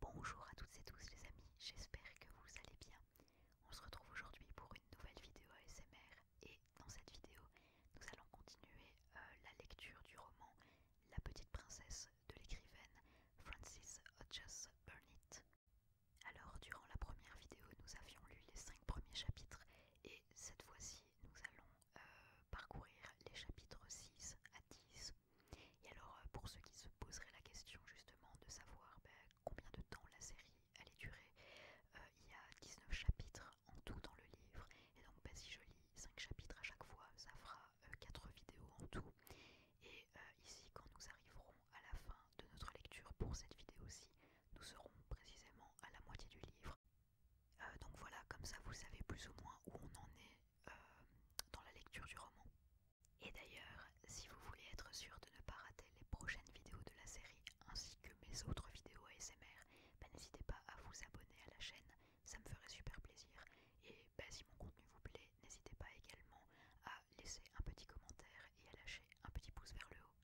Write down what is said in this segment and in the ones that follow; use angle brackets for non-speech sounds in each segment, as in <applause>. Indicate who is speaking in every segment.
Speaker 1: Bonjour à toutes et tous les amis, j'espère que vous allez bien. On se retrouve aujourd'hui pour une nouvelle vidéo ASMR et dans cette vidéo, nous allons continuer euh, la lecture du roman La petite princesse de l'écrivaine Frances Hodges Burnett. Alors durant la première vidéo, nous avions lu les 5 premiers chapitres et cette fois-ci, nous allons euh, parcourir les chapitres 6 à 10. Et alors euh, pour ceux qui se poseraient la question justement de savoir ben, combien de temps la série allait durer, euh, il y a 19 chapitres en tout dans le livre. Et donc ben, si je lis 5 chapitres à chaque fois, ça fera 4 vidéos en tout. Et ici quand nous arriverons à la fin de notre lecture pour cette vidéo-ci. Nous serons précisément à la moitié du livre. Euh, donc voilà, comme ça vous savez plus ou moins où on en est euh, dans la lecture du roman. Et d'ailleurs, si vous voulez être sûr de ne pas rater les prochaines vidéos de la série ainsi que mes autres vidéos ASMR, bah, n'hésitez pas à vous abonner à la chaîne, ça me ferait super plaisir. Et bah, si mon contenu vous plaît, n'hésitez pas également à laisser un petit commentaire et à lâcher un petit pouce vers le haut.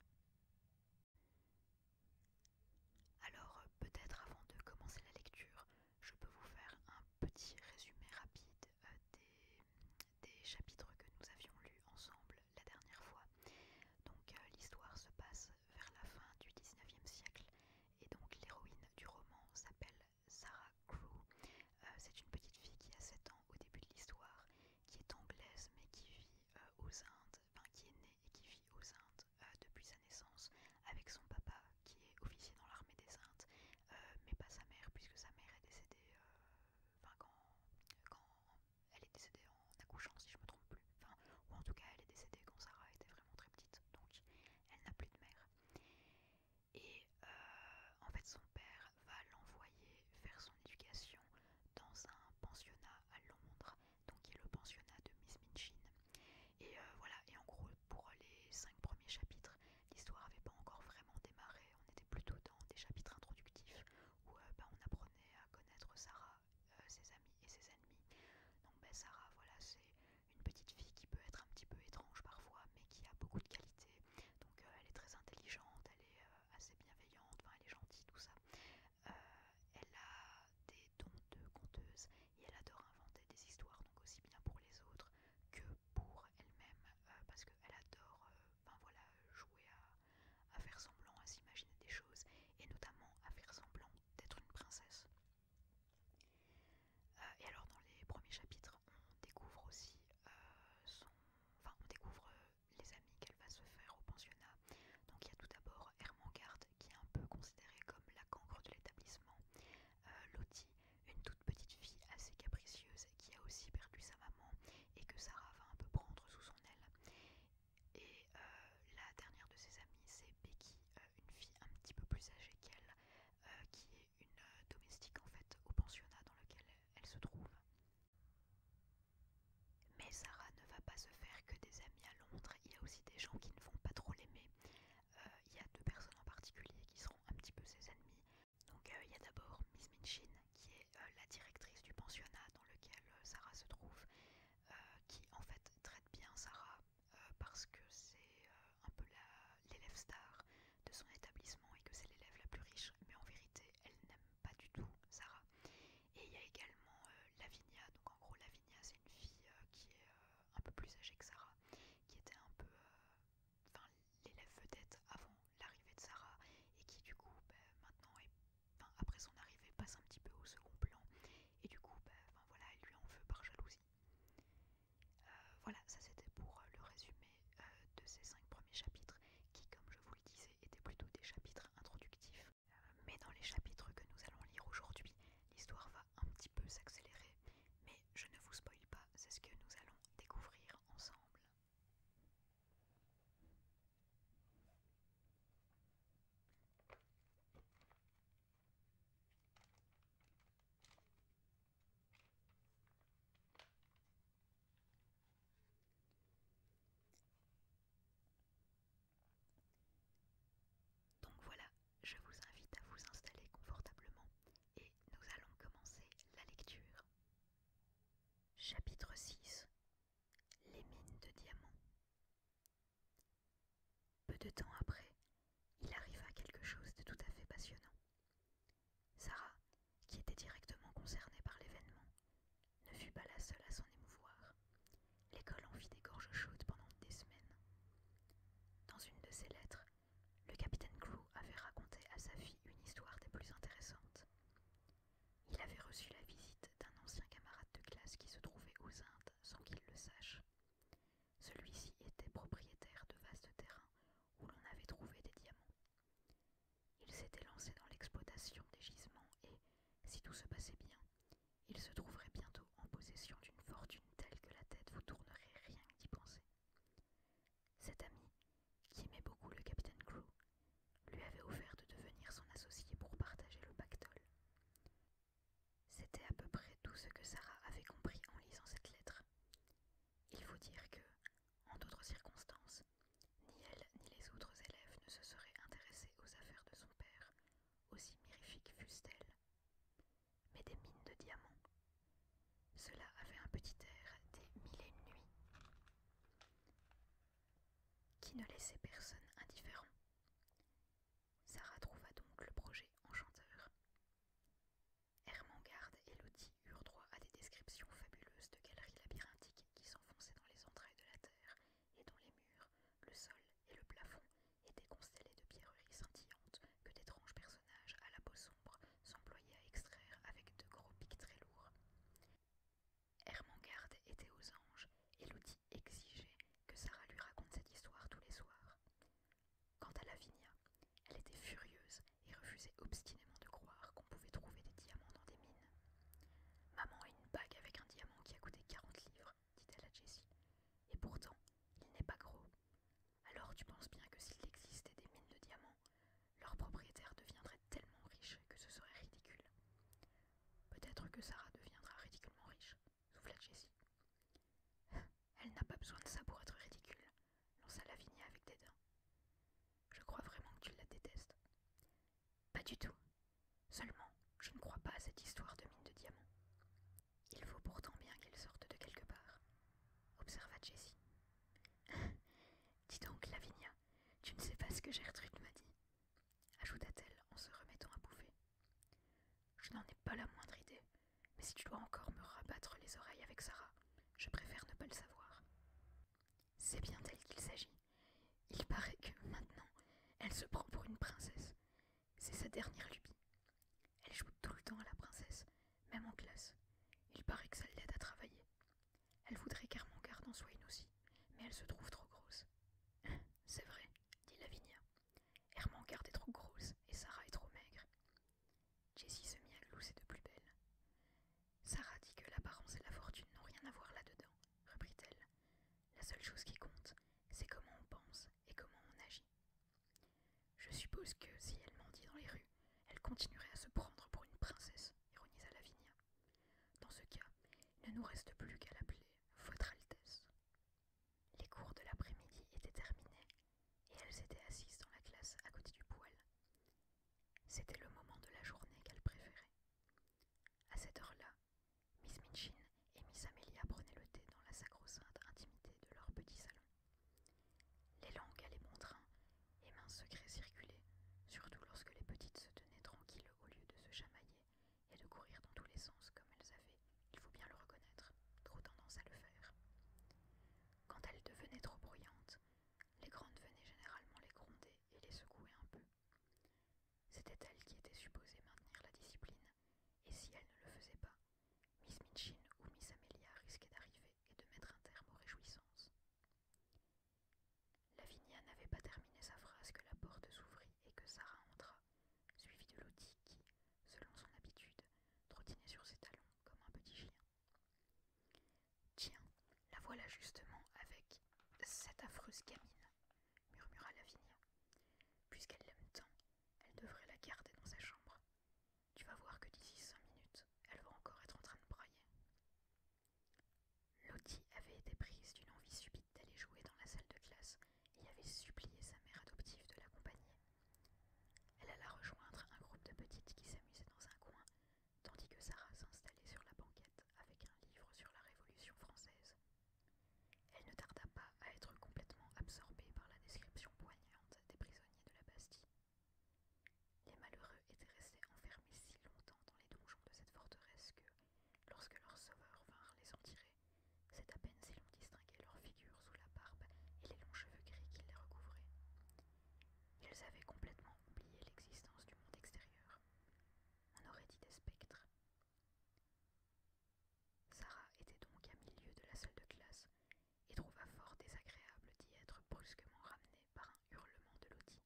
Speaker 1: Alors euh, peut-être avant de commencer la lecture, je peux vous faire un petit résumé rapide euh, des, chapitres que nous avions lus ensemble la dernière fois. Donc euh, l'histoire se passe vers la fin du 19e siècle et donc l'héroïne du roman s'appelle Sarah Crew. C'est une petite fille qui a 7 ans au début de l'histoire qui est anglaise mais qui vit euh, aux Indes, enfin qui est née et qui vit aux Indes euh, depuis sa naissance, avec son papa qui est officier dans l'armée des Indes, euh, mais pas sa mère puisque sa mère est décédée, quand, elle est décédée en accouchant si je me trompe plus, enfin ou en tout cas elle est décédée quand Sarah était vraiment très petite, donc elle n'a plus de mère. Et en fait père va l'envoyer faire son éducation dans un pensionnat à Londres, donc il est le pensionnat de Miss Minchin. Et euh, voilà, et en gros, pour les cinq premiers chapitres, l'histoire n'avait pas encore vraiment démarré. On était plutôt dans des chapitres introductifs où euh, bah, on apprenait à connaître Sarah, euh, ses amis et ses ennemis. Donc, bah, Sarah, voilà, c'est une petite fille qui peut être un petit peu étrange parfois, mais qui a beaucoup de qualités. Donc, elle est très intelligente, elle est. Euh, assez bienveillante, elle est gentille, tout ça. Euh, elle a des dons de conteuse et elle adore inventer des histoires, donc aussi bien pour les autres que pour elle-même, euh, parce qu'elle adore voilà, jouer à, faire semblant, à s'imaginer des choses, et notamment à faire semblant d'être une princesse. et alors dans les premiers chapitres, on découvre aussi son... Enfin, on découvre les amis qu'elle va se faire au pensionnat. Donc il y a tout d'abord Hermangarde qui est un peu considérée comme la cancre de l'établissement. Euh, Lotie, une toute petite fille assez capricieuse qui a aussi perdu sa maman et que Sarah va un peu prendre sous son aile. Et euh, la dernière de ses amies, c'est Becky, euh, une fille un petit peu plus âgée qu'elle, qui est une domestique en fait au pensionnat dans lequel elle se trouve. Mais Sarah ne va pas se faire que des amis à Londres. Il y a aussi des gens qui ne vont pas trop l'aimer. Euh, il y a deux personnes en particulier qui seront un petit peu ses ennemis. Donc euh, il y a d'abord Miss Minchin, qui est euh, la directrice du pensionnat dans lequel Sarah se trouve, qui en fait traite bien Sarah parce que c'est un peu l'élève star de son établissement et que c'est l'élève la plus riche, mais en vérité elle n'aime pas du tout Sarah. Et il y a également euh, Lavinia, donc en gros Lavinia c'est une fille euh, qui est euh, un peu plus âgée que Sarah, qui était un peu l'élève vedette avant l'arrivée de Sarah et qui du coup bah, maintenant après son arrivée passe un petit peu au second plan et du coup bah, voilà elle lui en veut par jalousie. voilà ça c'était pour le résumé de ces cinq premiers chapitres qui comme je vous le disais étaient plutôt des chapitres introductifs. Euh, mais dans les chapitres que nous allons lire aujourd'hui, l'histoire va un petit peu s'accélérer, mais je ne vous spoil pas, c'est ce que nous allons découvrir ensemble. Donc voilà, je vous invite à vous installer confortablement et nous allons commencer la lecture. Chapitre 6 Les mines de diamants. Peu de temps après, il arriva quelque chose de tout à fait passionnant. Sarah, qui était directement concernée par l'événement, ne fut pas la seule à s'en émouvoir. L'école en fit des gorges chaudes pendant des semaines. Dans une de ses lettres, le capitaine Crew avait raconté à sa fille une histoire des plus intéressantes. Il avait reçu la visite d'un ancien camarade de classe qui se trouvait aux Indes sans qu'il le sache. Celui-ci était propriétaire de vastes terrains où l'on avait trouvé des diamants. Il s'était lancé dans l'exploitation des gisements et, si tout se passait bien, il se trouverait bientôt en possession d'une fortune telle que la tête vous tournerait rien qu'y penser. Cet ami, qui aimait beaucoup le capitaine Crew, lui avait offert de devenir son associé pour partager le pactole. C'était à peu près tout ce que Sarah avait compris en lisant cette lettre. Il faut dire que, en d'autres circonstances, ni elle ni les autres élèves ne se seraient intéressés aux affaires de son père, aussi mirifiques fussent-elles. Mais des mines de diamants. Cela avait un petit air des mille et une nuits, qui ne laissait personne indifférent. Sarah trouva donc le projet enchanteur. Hermangarde et Lottie eurent droit à des descriptions fabuleuses de galeries labyrinthiques qui s'enfonçaient dans les entrailles de la terre et dont les murs, le sol et le plafond étaient constellés de pierreries scintillantes que d'étranges personnages à la peau sombre s'employaient à extraire avec de gros pics très lourds. Hermangarde était aux anges et l'outil exigeait que Sarah lui raconte cette histoire tous les soirs. Quant à Lavinia, elle était furieuse et refusait obstinément de croire qu'on pouvait trouver des diamants dans des mines. Maman a une bague avec un diamant qui a coûté quarante livres, dit-elle à Jessie. Et pourtant, il n'est pas gros. Alors tu penses bien que s'il existait des mines de diamants, leur propriétaire deviendrait tellement riche que ce serait ridicule. Peut-être que Sarah deviendra ridiculement riche, souffla Jessie. <laughs> Elle n'a pas besoin de ça pour être ridicule, lança Lavinia avec dédain. Je crois vraiment que tu la détestes. Pas du tout. Seulement, je ne crois pas à cette histoire de mine de diamants. »« Il faut pourtant bien qu'elle sorte de quelque part, observa Jessie. <laughs> Dis donc, Lavinia, tu ne sais pas ce que Gertrude m'a dit, ajouta-t-elle en se remettant à bouffer. Je n'en ai pas la moindre idée, mais si tu dois encore me rabattre les oreilles avec Sarah, je préfère ne pas le savoir. C'est bien d'elle qu'il s'agit, il paraît que maintenant, elle se prend pour une princesse. C'est sa dernière lubie. Elle joue tout le temps à la princesse, même en classe. Il paraît que ça l'aide à travailler. Elle voudrait qu'Hermangarde en soit une aussi, mais elle se trouve trop grosse. <laughs> C'est vrai, dit Lavinia. Hermangarde est trop grosse et Sarah est trop maigre. Jessie se mit à glousser de plus belle. Sarah dit que l'apparence et la fortune n'ont rien à voir là-dedans, reprit-elle. La seule chose qui compte, c'est comment on pense et comment on agit. Je suppose que si elle mendie dans les rues, elle continuerait à se prendre pour une princesse, ironisa Lavinia. Dans ce cas, il ne nous reste plus qu'à l'appeler Votre Altesse. Les cours de l'après-midi étaient terminés, et elles étaient assises dans la classe à côté du poêle. C'était le moment de la journée qu'elle préférait. À cette heure-là, Miss Minchin et Miss Amelia prenaient le thé dans la sacro-sainte intimité de leur petit salon. Les langues allaient bon train, et mains secrets circulaient, surtout lorsque les petites se tenaient tranquilles au lieu de se chamailler et de courir dans tous les sens comme elles avaient, il faut bien le reconnaître, trop tendance à le faire. Quand elles devenaient trop bruyantes, les grandes venaient généralement les gronder et les secouer un peu. C'était elle qui était supposée maintenir la discipline, et si elle ne le faisait pas, Miss Minchin ou Miss Amelia risquaient d'arriver et de mettre un terme aux réjouissances. Lavinia n'avait pas terminé sa phrase que la porte s'ouvrit et que Sarah entra, suivie de l'outil qui, selon son habitude, trottinait sur ses talons comme un petit chien. Tiens, la voilà justement avec cette affreuse gamine murmura Lavinia. Puisqu'elle l'aime tant, elle devrait la garder dans sa chambre. Tu vas voir que d'ici cinq minutes, elle va encore être en train de brailler. Lottie avait été prise d'une envie subite d'aller jouer dans la salle de classe et avait supplié sa mère adoptive de l'accompagner. Elle alla rejoindre un groupe de petites qui s'amusaient dans un coin, tandis que Sarah s'installait sur la banquette avec un livre sur la Révolution française. Elle ne tarda pas à être complètement absorbée par la description poignante des prisonniers de la Bastille. Les malheureux étaient restés enfermés si longtemps dans les donjons de cette forteresse que, lorsque leurs sauveurs vinrent les en tirer, c'est à peine si l'on distinguait leurs figures sous la barbe et les longs cheveux gris qui les recouvraient. Ils avaient complètement oublié l'existence du monde extérieur. On aurait dit des spectres, Sarah était donc à milieu de la salle de classe et trouva fort désagréable d'y être brusquement ramenée par un hurlement de Lottie.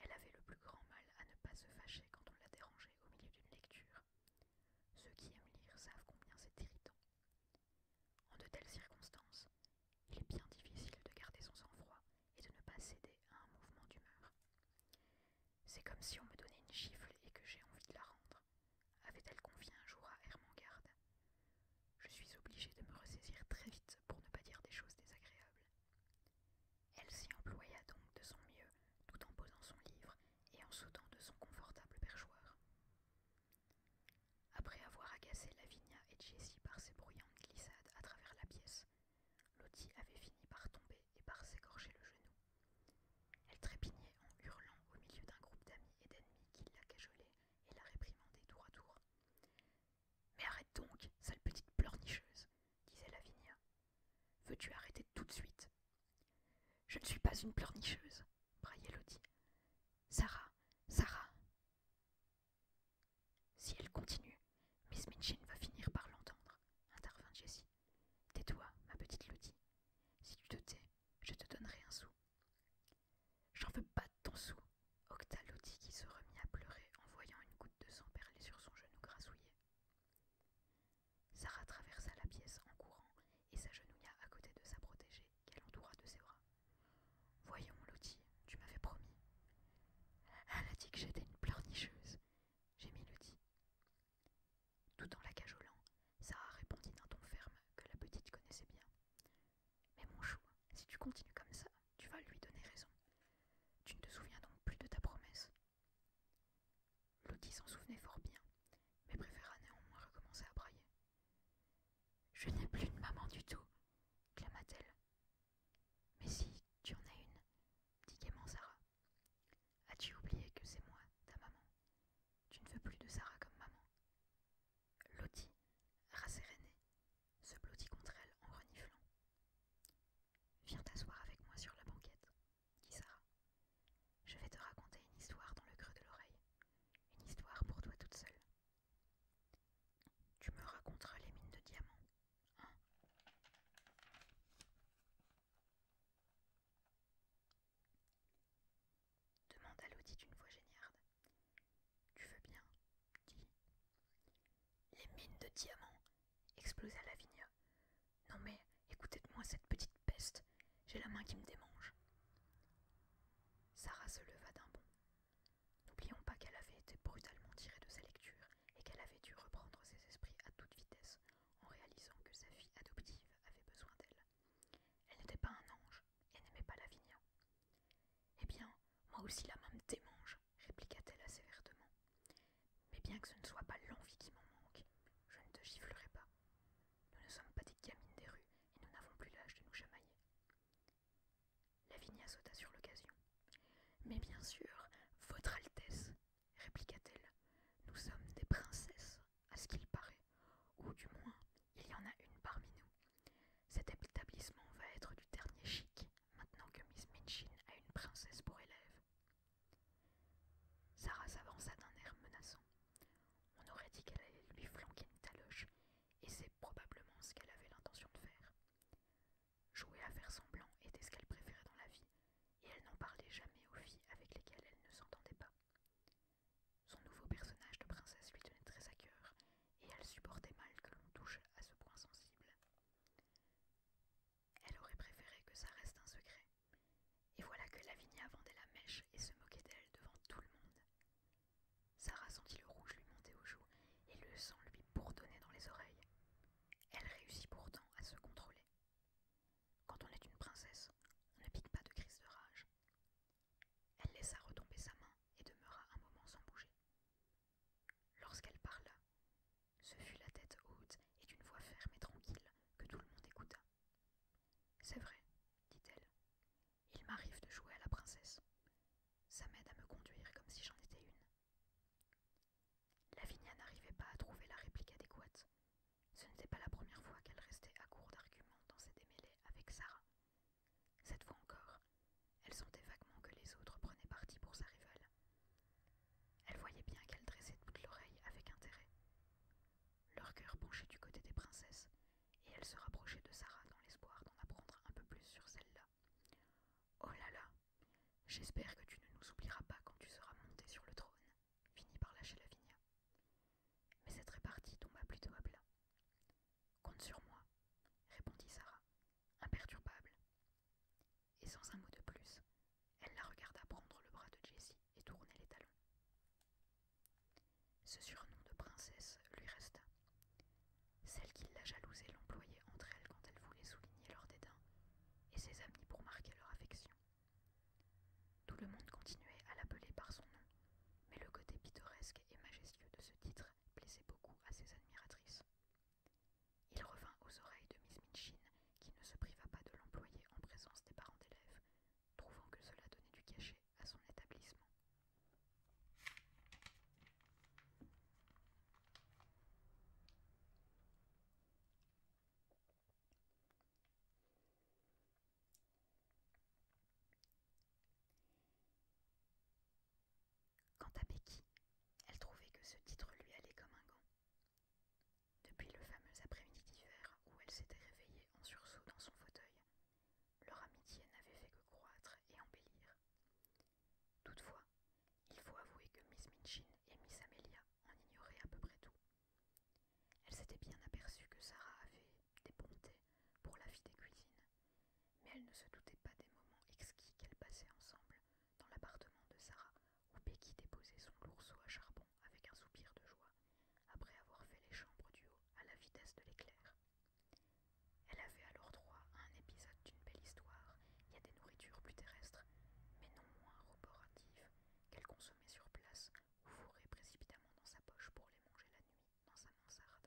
Speaker 1: Elle avait le plus grand mal à ne pas se fâcher quand on la dérangeait au milieu d'une lecture. Ceux qui aiment lire savent combien c'est irritant. En de telles circonstances, il est bien difficile de garder son sang-froid et de ne pas céder à un mouvement d'humeur. C'est comme si on me donnait une gifle et que j'ai envie de la rendre, avait-elle confié un jour à Hermengarde. Je suis obligée de me ressaisir très vite pour ne pas dire des choses désagréables. Elle s'y employa donc de son mieux, tout en posant son livre et en sautant de son confortable perchoir. Après avoir agacé Lavinia et Jessie par ses bruyantes glissades à travers la pièce, Lottie avait fini par tomber et par s'écorcher le genou. Elle trépignait en hurlant au milieu d'un groupe d'amis et d'ennemis qui la cajolaient et la réprimandaient tour à tour. Mais arrête donc, sale petite pleurnicheuse, disait Lavinia. Veux-tu arrêter tout de suite Je ne suis pas une pleurnicheuse, braillait Lottie. Sarah, Sarah. Si elle continue, Miss Minchin va finir par l'entendre, intervint Jessie. Tais-toi, ma petite Lottie. Si tu te tais, je te donnerai un sou. J'en veux pas de ton sou, octa Lottie qui se remit à pleurer en voyant une goutte de sang perler sur son genou grassouillé. Sarah traversa la pièce en courant et s'agenouilla à côté de sa protégée qu'elle entoura de ses bras. Voyons, Lottie, tu m'avais promis. Elle a dit que j'étais une pleurnicheuse, j'ai mis Lutti. Tout en la cajolant, Sarah répondit d'un ton ferme que la petite connaissait bien. Mais mon chou, si tu continues comme ça, tu vas lui donner raison. Tu ne te souviens donc plus de ta promesse. Lutti s'en souvenait fort bien, mais préféra néanmoins recommencer à brailler. Je n'ai plus de maman du tout, clama-t-elle. Mais si, tu en as une, dit gaiement Sarah. As-tu oublié que c'est moi, ta maman Tu ne veux plus de Sarah comme maman Lottie, rassérénée, se blottit contre elle en reniflant. Viens t'asseoir avec moi sur la banquette, dit Sarah. Je vais te raconter une histoire dans le creux de l'oreille, une histoire pour toi toute seule. Tu me raconteras les mines de diamants à Lodi d'une voix géniarde. Tu veux bien Les mines de diamants explosa Lavinia. Non mais écoutez-moi cette petite peste, j'ai la main qui me démange. Sarah se leva d'un bond. N'oublions pas qu'elle avait été brutalement tirée de sa lecture et qu'elle avait dû reprendre ses esprits à toute vitesse en réalisant que sa fille adoptive avait besoin d'elle. Elle n'était pas un ange et n'aimait pas Lavinia. Eh bien, moi aussi la main me démange, répliqua-t-elle assez vertement. Mais bien que ce ne soit pas l'envie qui m'en manque, je ne te giflerai pas. Nous ne sommes pas des gamines des rues et nous n'avons plus l'âge de nous chamailler. Lavinia sauta sur l'occasion. Mais bien sûr, Votre Altesse, répliqua-t-elle. Nous sommes des princesses, à ce qu'il paraît, ou du moins, il y en a une parmi nous. Cet établissement va être du dernier chic, maintenant que Miss Minchin a une princesse pour élève. Sarah s'avança d'un air menaçant. On aurait dit qu'elle allait lui flanquer une taloche, et c'est probablement ce qu'elle avait l'intention de faire. Jouer à faire semblant était ce qu'elle préférait dans la vie, et elle n'en parlait jamais aux filles avec lesquelles elle ne s'entendait pas. Son nouveau personnage de princesse lui tenait très à cœur, et elle supportait mal que l'on touche à ce point sensible. Elle aurait préféré que ça reste un secret. Et voilà que Lavinia vendait la mèche et se moquait d'elle devant tout le monde. Sarah sentit le rouge lui monter aux joues et le sang lui bourdonner dans les oreilles. Elle réussit pourtant à se contrôler. Quand on est une princesse, on ne pique pas de crise de rage. Elle laissa retomber sa main et demeura un moment sans bouger. Lorsqu'elle parla, ce fut la tête haute et d'une voix ferme et tranquille que tout le monde écouta. C'est vrai, dit-elle. Il m'arrive de jouer à la princesse. Ça m'aide à me conduire comme si j'en étais une. Lavinia n'arrivait pas à trouver la réplique adéquate. Ce n'était pas la première fois qu'elle restait à court d'arguments dans ses démêlés avec Sarah. Cette fois encore, elle sentait vaguement que les autres prenaient parti pour sa rivale. Elle voyait bien qu'elle dressait toute l'oreille avec intérêt. Leur cœur penchait du côté des princesses, et elle se rapprochait de Sarah dans l'espoir d'en apprendre un peu plus sur celle-là. Oh là là J'espère que tu ne nous oublieras pas quand tu seras monté sur le trône, finit par lâcher Lavinia. Mais cette répartie tomba plutôt à plat. Compte sur moi, répondit Sarah, imperturbable. Et sans un mot de plus, elle la regarda prendre le bras de Jessie et tourner les talons. Ce surnom de princesse lui resta. Celle qui la jalousait l'employait entre elle quand elle voulait souligner leur dédain, et ses amis pour marquer leur affection. Tout le monde continuait à l'appeler par son nom, mais le côté pittoresque et majestueux de ce titre plaisait beaucoup à ses admiratrices. Il revint aux oreilles de Miss Minchin, qui ne se priva pas de l'employer en présence des parents d'élèves, trouvant que cela donnait du cachet à son établissement. Quant à Becky, elle trouvait que ce titre lui allait comme un gant. Depuis le fameux après-midi d'hiver où elle s'était réveillée en sursaut dans son fauteuil, leur amitié n'avait fait que croître et embellir. Toutefois, il faut avouer que Miss Minchin et Miss Amelia en ignoraient à peu près tout. Elle s'était bien aperçue que Sarah avait des bontés pour la vie des cuisines, mais elle ne se doutait pas des moments exquis qu'elle passaient ensemble dans l'appartement de Sarah, où Becky déposait son lourceau à charbon avec un soupir de joie, après avoir fait les chambres du haut à la vitesse de l'éclair. Elle avait alors droit à un épisode d'une belle histoire et à des nourritures plus terrestres, mais non moins roboratives qu'elle consommait sur place ou fourrait précipitamment dans sa poche pour les manger la nuit dans sa mansarde.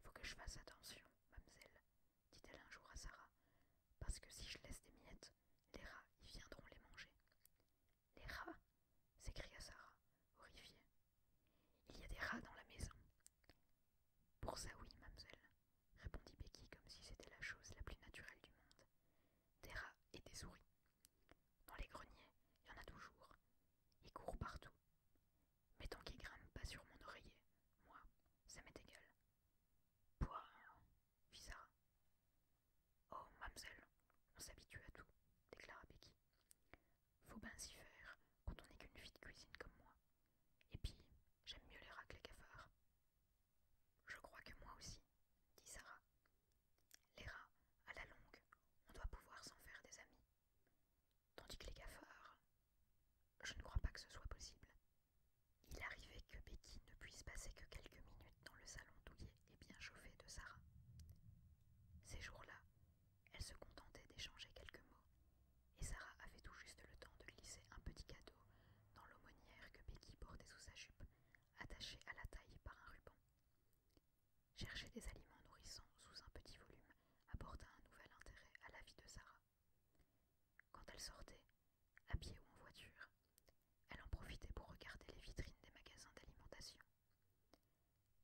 Speaker 1: Faut que je fasse attention, mademoiselle, dit-elle un jour à Sarah, parce que si je laisse des miettes, les rats y viendront les manger. Les rats s'écria Sarah, horrifiée. Il y a des rats dans la maison. Pour ça, oui, mademoiselle, répondit Becky comme si c'était la chose la plus naturelle du monde. Des rats et des souris. Dans les greniers, il y en a toujours. Ils courent partout. Mais tant qu'ils grimpent pas sur mon oreiller, moi, ça m'est égal. Pouah fit Sarah. Oh, mamselle, on s'habitue à tout, déclara Becky. Faut bien s'y faire quand on n'est qu'une fille de cuisine comme moi. Et puis, j'aime mieux les rats que les cafards. Je crois que moi aussi, dit Sarah. Les rats, à la longue, on doit pouvoir s'en faire des amis. Tandis que les cafards, je ne crois pas que ce soit possible. Il arrivait que Becky ne puisse passer que quelques minutes dans le salon douillet et bien chauffé de Sarah. Ces jours-là, elle se contentait d'échanger quelques mots, et Sarah avait tout juste le temps de glisser un petit cadeau dans l'aumônière que Becky portait sous sa jupe, attachée à la taille par un ruban. Chercher des aliments nourrissants sous un petit volume apporta un nouvel intérêt à la vie de Sarah. Quand elle sortait, à pied ou en voiture, elle en profitait pour regarder les vitrines des magasins d'alimentation.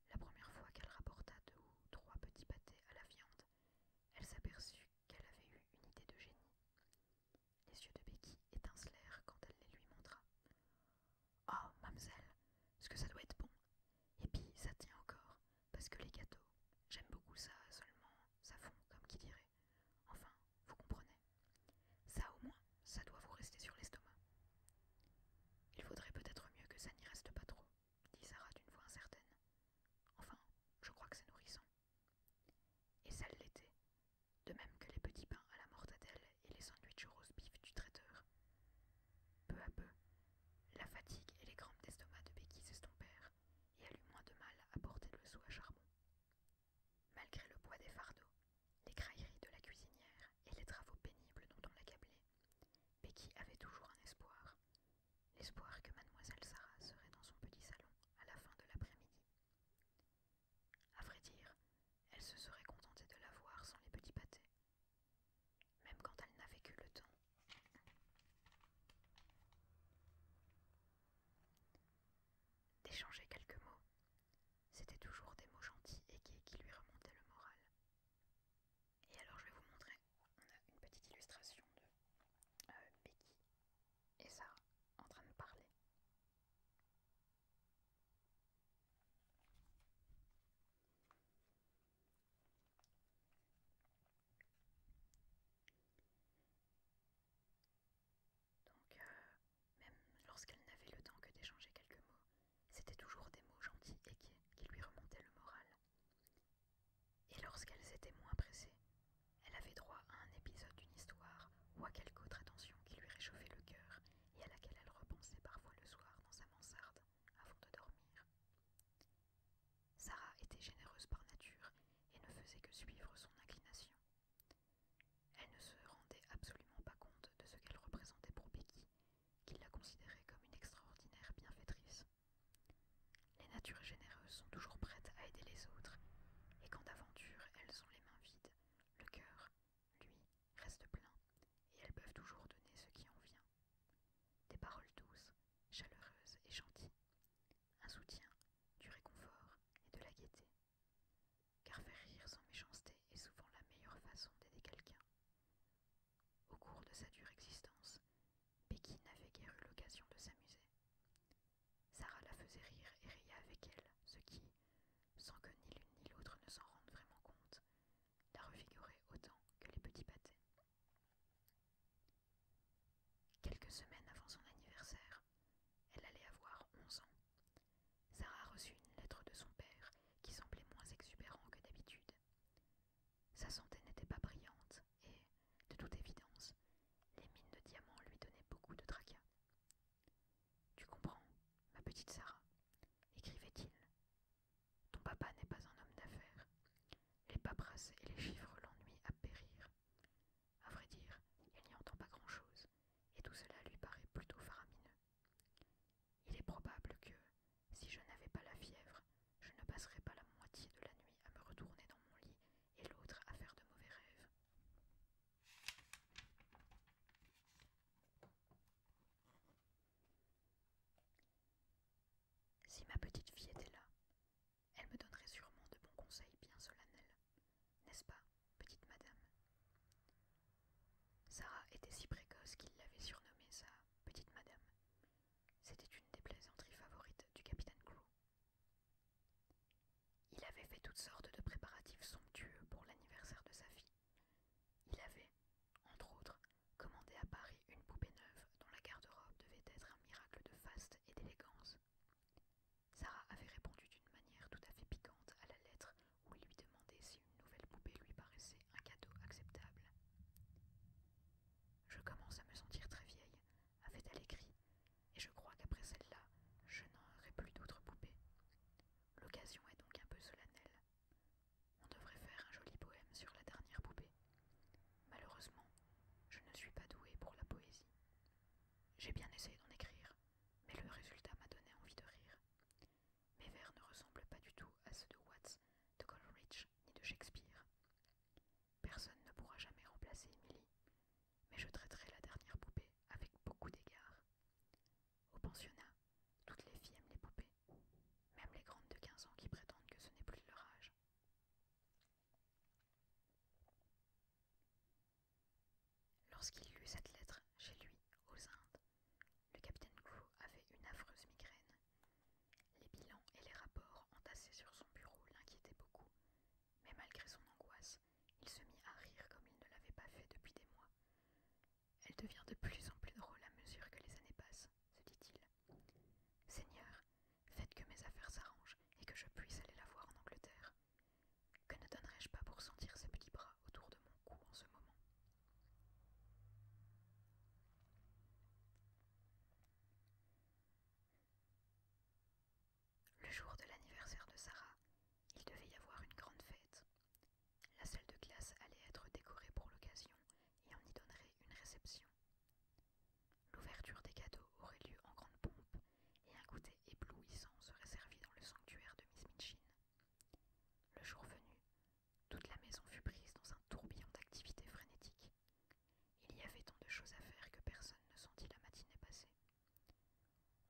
Speaker 1: La première fois qu'elle rapporta deux ou trois petits pâtés à la viande, elle s'aperçut qu'elle avait eu une idée de génie. Les yeux de Becky étincelèrent quand elle les lui montra. Oh, mademoiselle, ce que ça doit être bon. Et puis, ça tient encore, parce que les gâteaux, j'aime beaucoup ça, seulement ça fond, comme qui dirait. Enfin, vous comprenez. Ça, au moins, ça doit vous rester sur l'estomac. Il faudrait peut-être mieux que ça n'y reste pas trop, dit Sarah d'une voix incertaine. Enfin, je crois que c'est nourrissant. Et ça l'était, de même que les petits pains à la mortadelle et les sandwiches au rose du traiteur. Peu à peu, la fatigue et les crampes d'estomac de Becky s'estompèrent, et elle eut moins de mal à porter le sou à charbon. Malgré le poids des fardeaux, les crailleries de la cuisinière et les travaux pénibles dont on l'accablait, Becky avait toujours un espoir, l'espoir que mademoiselle Sarah serait dans son petit salon à la fin de l'après-midi. À vrai dire, elle se serait contentée de la voir sans les petits pâtés, même quand elle n'avait que le temps. D'échanger quelques mots, c'était toujours des mots gentils et gais qui lui remontaient le moral. Et alors je vais vous montrer, une petite illustration de euh, Becky et ça en train de parler. Donc, euh, même lorsqu'elle n'avait le temps que d'échanger quelques mots, c'était toujours des mots gentils et qui lui remontaient le moral. Et lorsqu'elles étaient moins pressées, elle avait droit à un épisode d'une histoire ou à quelque autre attention qui lui réchauffait le cœur et à laquelle elle repensait parfois le soir dans sa mansarde avant de dormir. Sarah était généreuse par nature et ne faisait que suivre son inclination. Elle ne se rendait absolument pas compte de ce qu'elle représentait pour Becky, qui la considérait comme une extraordinaire bienfaitrice. Les natures généreuses sont toujours prêtes à aider les autres, et quand d'aventure elles ont les mains vides, le cœur, lui, reste plein, et elles peuvent toujours donner ce qui en vient. Des paroles douces, chaleureuses et gentilles. Un soutien, du réconfort et de la gaieté. Car faire rire sans méchanceté est souvent la meilleure façon d'aider quelqu'un. Au cours de sa dure existence, Becky n'avait guère eu l'occasion de s'amuser. Sarah la faisait rire et riait avec elle, ce qui, sans que ni l'une ni l'autre ne s'en rendent vraiment compte, la refigurait autant que les petits pâtés. Quelques semaines avant son anniversaire, elle allait avoir onze ans. Sarah reçut une lettre de son père qui semblait moins exubérant que d'habitude. Sa santé n'était pas brillante et, de toute évidence, les mines de diamants lui donnaient beaucoup de tracas. Tu comprends, ma petite Sarah, écrivait-il. Ton papa n'est pas un homme d'affaires. Les paperasses et les chiffres l'ennuient à périr. À vrai dire, il n'y entend pas grand-chose, et tout cela lui paraît plutôt faramineux. Il est probable que, si je n'avais pas la fièvre, je ne passerais pas la moitié de la nuit à me retourner dans mon lit et l'autre à faire de mauvais rêves. Si ma petite fille était là, elle me donnerait sûrement de bons conseils bien solennels, n'est-ce pas, petite madame Sarah était si précoce qu'il l'avait surnommée sa petite madame. C'était une des plaisanteries favorites du capitaine Crew, il avait fait toutes sortes de préparatifs somptueux pour l'anniversaire de sa fille. Il avait, entre autres, commandé à Paris une poupée neuve dont la garde-robe devait être un miracle de faste et d'élégance. Sarah avait répondu d'une manière tout à fait piquante à la lettre où il lui demandait si une nouvelle poupée lui paraissait un cadeau acceptable. Je commence à me sentir très vieille, avait-elle écrit, et je crois qu'après celle-là, je n'en aurai plus d'autres poupées. L'occasion est donc un peu solennelle. On devrait faire un joli poème sur la dernière poupée. Malheureusement, je ne suis pas douée pour la poésie. J'ai bien essayé d'en écrire, mais le résultat m'a donné envie de rire. Mes vers ne ressemblent pas du tout à ceux de Watts, de Coleridge ni de Shakespeare. Personne ne pourra jamais remplacer Emily, mais je traiterai la dernière poupée avec beaucoup d'égards. Au pensionnat, toutes les filles aiment les poupées, même les grandes de 15 ans qui prétendent que ce n'est plus leur âge. Lorsqu'il lut cette lettre chez lui, aux Indes, le capitaine Crew avait une affreuse migraine. Les bilans et les rapports entassés sur son bureau l'inquiétaient beaucoup, mais malgré son angoisse, il se mit à rire comme il ne l'avait pas fait depuis des mois. Elle devient de plus en plus drôle à mesure que les années passent, se dit-il. Seigneur, faites que mes affaires s'arrangent et que je puisse aller la voir en Angleterre. Que ne donnerais-je pas pour sentir ses petits bras autour de mon cou en ce moment le jour de l'anniversaire de Sarah, il devait y avoir une grande fête. La salle de classe allait être décorée pour l'occasion et on y donnerait une réception. L'ouverture des cadeaux aurait lieu en grande pompe et un goûter éblouissant serait servi dans le sanctuaire de Miss Minchin. Le jour venu, toute la maison fut prise dans un tourbillon d'activités frénétiques. Il y avait tant de choses à faire que personne ne sentit la matinée passer.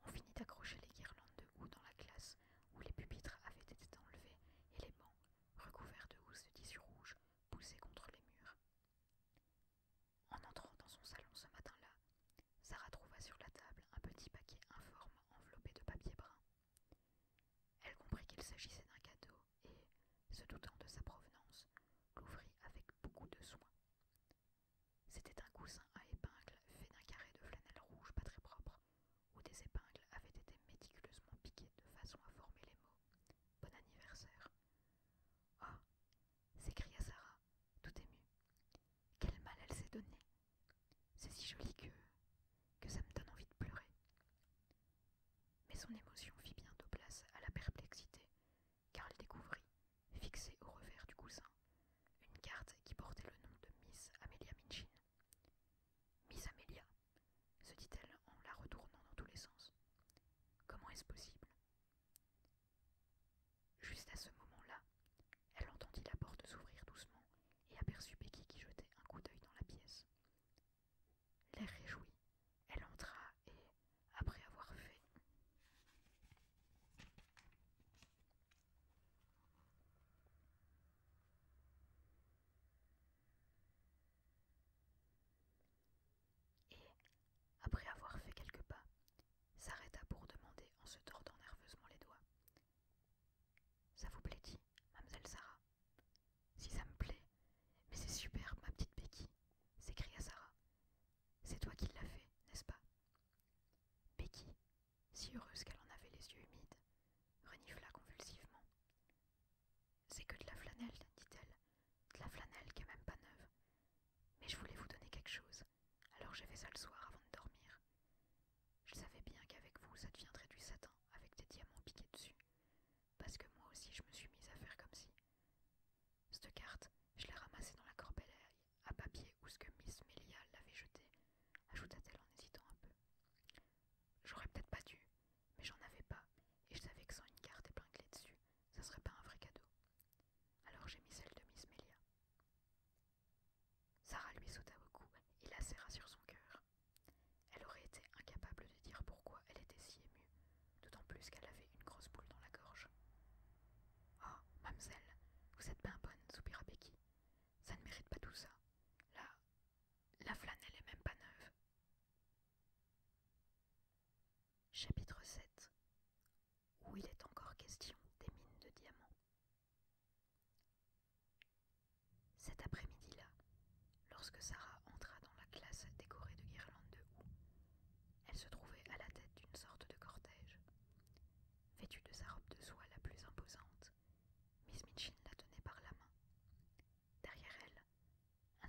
Speaker 1: On finit d'accrocher les guirlandes de houx dans la classe où les pupitres avaient été enlevés et les bancs, recouverts de housses de tissu rouge, poussés contre les murs. En entrant dans son salon ce matin-là, Sara trouva sur la table un petit paquet informe enveloppé de papier brun. Elle comprit qu'il s'agissait d'un cadeau et, se doutant de sa provenance, l'ouvrit avec beaucoup de soin, c'était un coussin à épingles fait d'un carré de flanelle rouge pas très propre, où des épingles avaient été méticuleusement piquées de façon à former les mots Bon anniversaire. Ah oh, s'écria Sarah, tout émue. Quel mal elle s'est donnée C'est si joli que. que ça me donne envie de pleurer. Mais son émotion fit bientôt place à la perplexité, car elle découvrit, fixée au revers du coussin, une carte qui portait le nom de Miss Amelia Minchin. Miss Amelia, se dit-elle en la retournant dans tous les sens. Comment est-ce possible Juste à ce moment-là, elle entendit la porte s'ouvrir doucement et aperçut Becky qui jetait un coup d'œil dans la pièce. L'air réjoui, elle entra et, après avoir fait et, après avoir fait quelques pas, s'arrêta pour demander en se tordant nerveusement les doigts. Ça vous plaît-il, mademoiselle Sarah Si ça me plaît, mais c'est super, ma petite Becky, s'écria Sarah. C'est toi qui l'as fait, n'est-ce pas Becky, si heureuse qu'elle en avait les yeux humides, renifla convulsivement. C'est que de la flanelle, dit-elle, de la flanelle qui est même pas neuve. Mais je voulais vous donner quelque chose, alors j'ai fait ça le soir avant de dormir. Je savais bien qu'avec vous, ça deviendrait du satin, avec des diamants piqués dessus, parce que moi aussi je me suis mise à faire comme si. Cette carte, je l'ai ramassée dans la corbeille à papier où ce que Miss Melia l'avait jeté, ajouta-t-elle en hésitant un peu. J'aurais peut-être pas dû, mais j'en avais pas, et je savais que sans une carte épinglée dessus, ça serait pas un vrai cadeau. Alors j'ai mis celle de Miss Melia. Sarah lui sauta au cou et la serra sur son cœur. Elle aurait été incapable de dire pourquoi elle était si émue, d'autant plus qu'elle avait une grosse boule dans la gorge. Oh, mademoiselle, vous êtes bien bonne, soupira Becky. Ça ne mérite pas tout ça. Là, la flanelle est même pas neuve. Chapitre 7 Où il est encore question des mines de diamants. Cet après-midi-là, lorsque Sarah entra dans la classe décorée de guirlandes de houx, elle se trouvait à la tête d'une sorte de cortège vêtue de sa robe de soie la plus imposante. Miss Mitchin la tenait par la main. Derrière elle,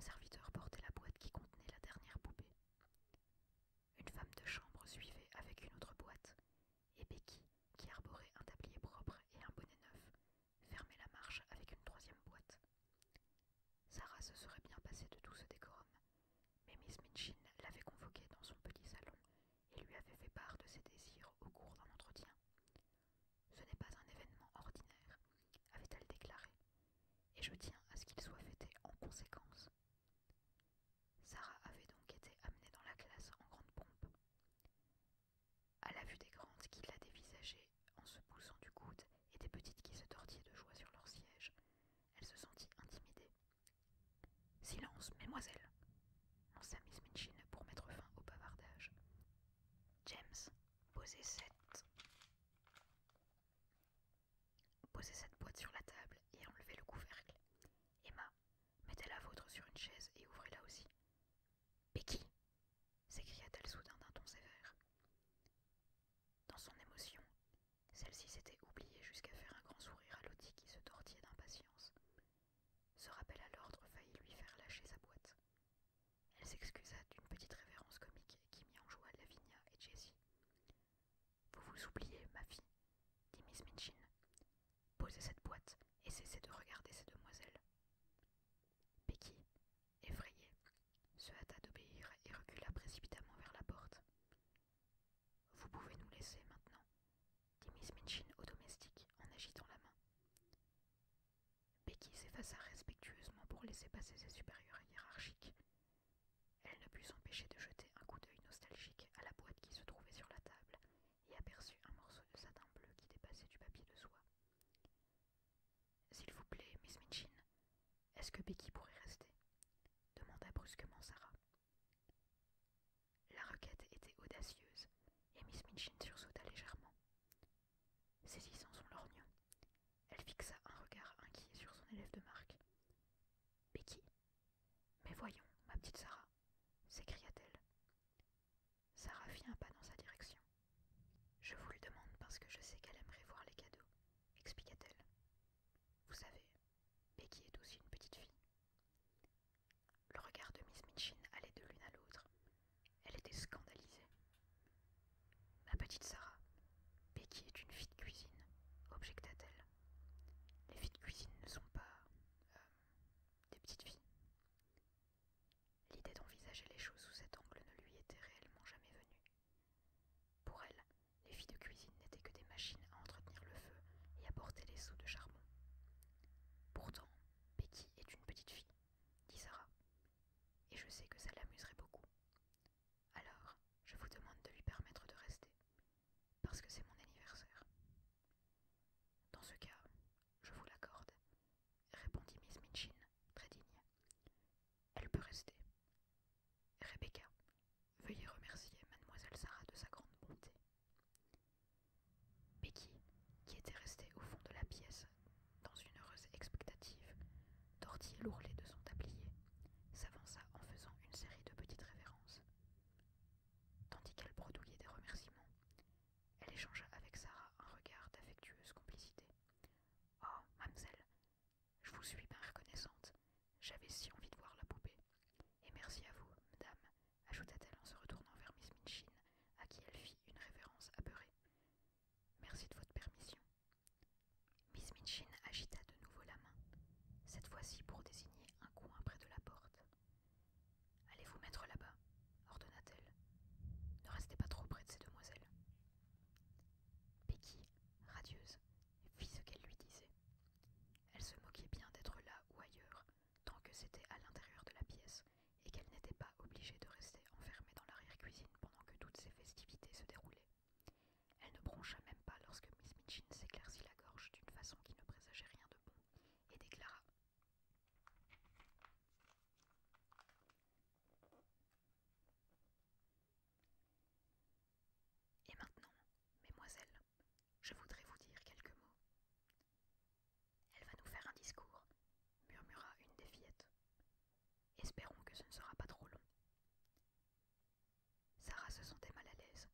Speaker 1: un serviteur portait la boîte qui contenait la dernière poupée. Une femme de chambre suivait avec une autre boîte, et Becky, qui arborait un tablier propre et un bonnet neuf, fermait la marche avec une troisième boîte. Sarah se serait bien passée de tout ce décorum, mais Miss Mitchin l'avait convoquée dans son petit salon et lui avait fait part de ses désirs au cours d'un entretien. Ce n'est pas un événement ordinaire, avait-elle déclaré, et je tiens à ce qu'il soit fêté en conséquence. Sarah avait donc été amenée dans la classe en grande pompe. À la vue des grandes qui la dévisageaient en se poussant du coude et des petites qui se tortillaient de joie sur leur siège, elle se sentit intimidée. Silence, mesdemoiselles lança Miss Minchin pour mettre fin au bavardage. James, posez cette. Posez cette boîte sur la table et enlevez le couvercle. Emma, mettez la vôtre sur une chaise et ouvrez-la aussi. Becky s'écria-t-elle soudain d'un ton sévère. Dans son émotion, celle-ci s'était oubliée jusqu'à faire un grand sourire à Lottie qui se tortillait d'impatience. Ce rappel à l'ordre faillit lui faire lâcher sa boîte. Elle s'excusa d'une petite révérence comique qui mit en joie Lavinia et Jessie. Vous vous oubliez, ma fille, dit Miss Minchin. Posez cette boîte et cessez de regarder ces demoiselles. Becky, effrayée, se hâta d'obéir et recula précipitamment vers la porte. Vous pouvez nous laisser maintenant, dit Miss Minchin au domestique en agitant la main. Becky s'effaça respectueusement pour laisser passer ses supérieurs hiérarchiques. Elle ne put s'empêcher de jeter un coup d'œil nostalgique à la boîte qui se trouvait sur la table et aperçut un morceau de satin bleu qui dépassait du papier de soie. S'il vous plaît, Miss Minchin, est-ce que Becky pourrait rester demanda brusquement Sarah. La requête était audacieuse, et Miss Minchin sursauta légèrement. Saisissant son lorgnon, elle fixa un regard inquiet sur son élève de marque. Becky Mais voyons, ma petite Sarah s'écria-t-elle. Sarah fit un pas dans sa direction. Je vous le demande parce que je sais qu'elle aimerait voir les cadeaux, expliqua-t-elle. Vous savez, Becky est aussi une petite fille. Le regard de Miss Mitchin allait de l'une à l'autre. Elle était scandalisée. Ma petite Sarah, Becky est une fille de cuisine, objecta-t-elle. Les filles de cuisine ne sont pas. Euh, des petites filles. L'idée d'envisager les choses sous cet angle ne lui était réellement jamais venue. Pour elle, les filles de cuisine n'étaient que des machines à entretenir le feu et à porter les seaux de charbon. Pourtant, Becky est une petite fille, dit Sarah, et je sais que ça l'amuserait beaucoup. Alors, je vous demande de lui permettre de rester, parce que c'est mon anniversaire. Dans ce cas, je vous l'accorde, répondit Miss Mitchin, très digne. Elle peut rester. Rebecca, veuillez remercier mademoiselle Sarah de sa grande bonté. Becky, qui était restée au fond de la pièce, dans une heureuse expectative, tortillait l'ourlet de son tablier, s'avança en faisant une série de petites révérences. Tandis qu'elle bredouillait des remerciements, elle échangea avec Sarah un regard d'affectueuse complicité. Oh, mademoiselle, je vous suis bien reconnaissante. J'avais si envie de voir la poupée. Et merci à vous, madame, ajouta-t-elle en se retournant vers Miss Minchin, à qui elle fit une révérence apeurée. Merci de votre permission. Miss Minchin agita de nouveau la main, cette fois-ci pour désigner un coin près de la porte. Allez vous mettre là-bas, ordonna-t-elle. Ne restez pas trop près de ces demoiselles. Becky, radieuse, fit ce qu'elle lui disait. Elle se moquait bien d'être là ou ailleurs, tant que c'était à l'intérieur de la pièce et qu'elle n'était pas obligée de rester enfermée dans l'arrière-cuisine pendant que toutes ces festivités se déroulaient. Elle ne broncha même pas lorsque Miss Mitchin s'éclaircit la gorge d'une façon qui ne présageait rien de bon et déclara Et maintenant, mesdemoiselles, je voudrais vous dire quelques mots. Elle va nous faire un discours, murmura une des fillettes. Espérons que ce ne sera pas trop long. Sarah se sentait mal à l'aise.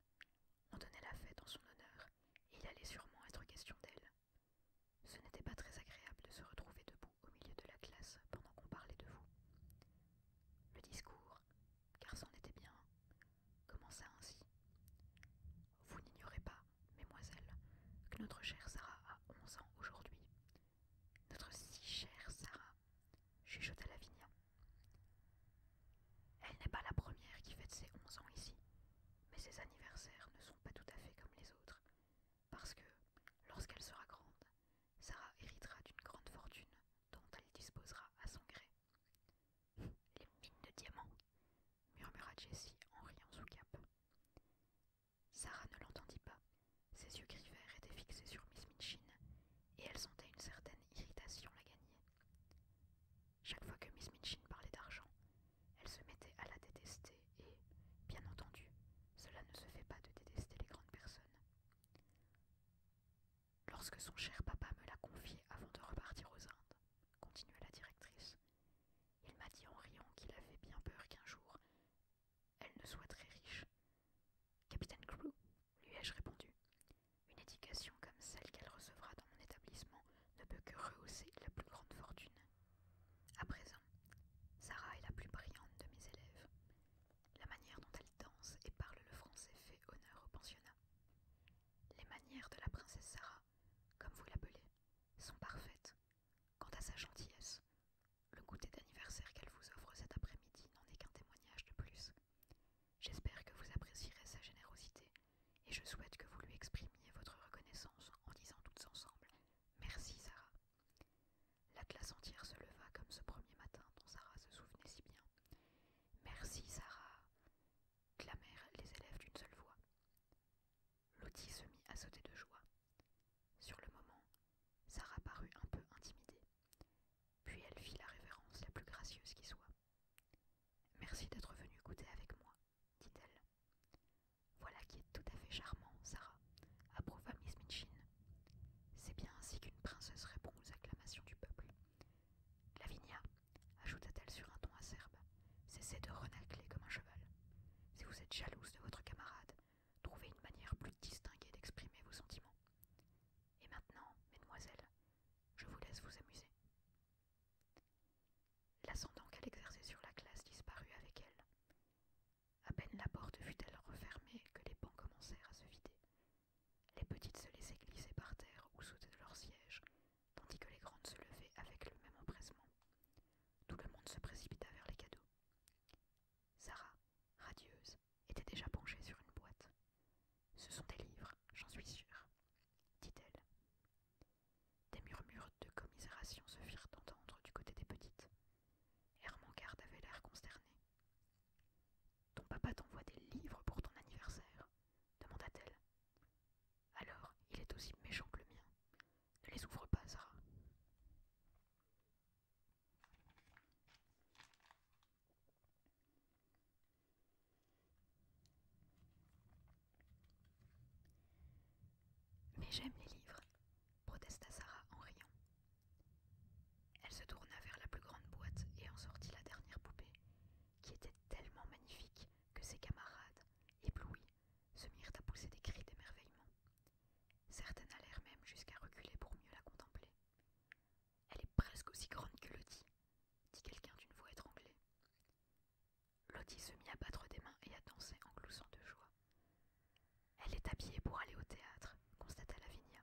Speaker 1: On donnait la fête en son honneur, et il allait sûrement être question d'elle. Ce n'était pas très agréable de se retrouver debout au milieu de la classe pendant qu'on parlait de vous. Le discours, car c'en était bien, Comment ainsi Vous n'ignorez pas, mesdemoiselles, que notre chère Sarah a onze ans aujourd'hui. Notre si chère Sarah, chuchota Lavinia. Elle n'est pas la première qui fête ses onze ans ici, mais ses anniversaires ne sont pas tout à fait comme les autres, parce que, lorsqu'elle sera grande, Sarah héritera d'une grande fortune dont elle disposera à son gré. <laughs> Les mines de diamants murmura Jessie en riant sous cap. Sarah ne l'entendit pas. Ses yeux gris étaient fixés sur Miss Minchin, et elle sentait une certaine irritation la gagner. Chaque fois que Miss Minchin parlait d'argent, elle se mettait à la détester, et, bien entendu, cela ne se fait pas de détester les grandes personnes. Lorsque son cher papa me l'a confié avant de repartir aux Indes, continua la directrice, il m'a dit en riant qu'il avait bien peur qu'un jour elle ne soit très riche. Capitaine Crew, lui ai-je répondu, une éducation comme celle qu'elle recevra dans mon établissement ne peut que rehausser la plus grande fortune. À présent, Sarah est la plus brillante de mes élèves. La manière dont elle danse et parle le français fait honneur au pensionnat. Les manières de la princesse Sarah comme vous l'appelez, sont parfaites. Quant à sa gentillesse, le goûter d'anniversaire qu'elle vous offre cet après-midi n'en est qu'un témoignage de plus. J'espère que vous apprécierez sa générosité et je souhaite que vous lui exprimiez votre reconnaissance en disant toutes ensemble Merci Sarah. La classe entière se leva comme ce premier matin dont Sarah se souvenait si bien. Merci Sarah clamèrent les élèves d'une seule voix. Lottie se mit à sauter de joie. Sur le moment, Sarah parut un peu intimidée, puis elle fit la révérence la plus gracieuse qui soit. Merci d'être venue goûter avec moi, dit-elle. Voilà qui est tout à fait charmant, Sarah, approuva Miss Minchin. C'est bien ainsi qu'une princesse répond aux acclamations du peuple. Lavinia, ajouta-t-elle sur un ton acerbe, cessez de renacler comme un cheval. Si vous êtes jalouse de votre camarade, trouvez une manière plus distinguée d'exprimer vos sentiments. Et maintenant, mesdemoiselles, je vous laisse vous amuser. L'ascendant qu'elle exerçait sur la classe disparut avec elle. À peine la porte fut-elle refermée que les bancs commencèrent à se vider. Les petites se laissaient glisser par terre ou sauter de leurs sièges, tandis que les grandes se levaient avec le même empressement. Tout le monde se précipita vers les cadeaux. Sarah, radieuse, était déjà penchée sur une boîte. Ce sont des livres, j'en suis sûre, dit-elle. Des murmures de commisération se firent entendre du côté des petites. Garde avait l'air consterné. Ton papa t'envoie des livres pour ton anniversaire demanda-t-elle. Alors, il est aussi méchant que le mien. Ne les ouvre pas, Sarah. Mais j'aime les livres, protesta Sarah en riant. Elle se tourna vers la plus grande boîte et en sortit la dernière poupée, qui était tellement magnifique que ses camarades, éblouis, se mirent à pousser des cris d'émerveillement. Certaines allèrent même jusqu'à reculer pour mieux la contempler. Elle est presque aussi grande que Lottie, dit quelqu'un d'une voix étranglée. Lottie se mit à battre des mains et à danser en gloussant de joie. Elle est habillée pour aller au théâtre, constata Lavinia.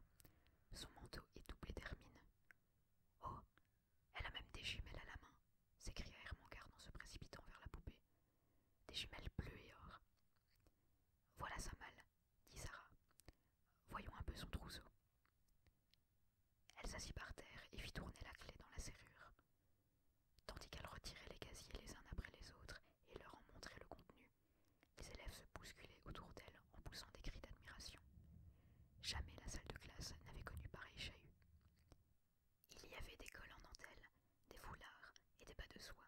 Speaker 1: Son manteau est doublé d'hermine. Oh, elle a même des jumelles à la main, s'écria Hermangarde en se précipitant vers la poupée. Des jumelles bleues et or. Voilà sa malle, dit Sarah. Voyons un peu son trousseau. Elle s'assit par terre et fit tourner la clé dans la serrure. Tandis qu'elle retirait les casiers les uns après les autres et leur en montrait le contenu, les élèves se bousculaient autour d'elle en poussant des cris d'admiration. Jamais la salle de classe n'avait connu pareil chahut. Il y avait des cols en dentelle, des foulards et des bas de soie.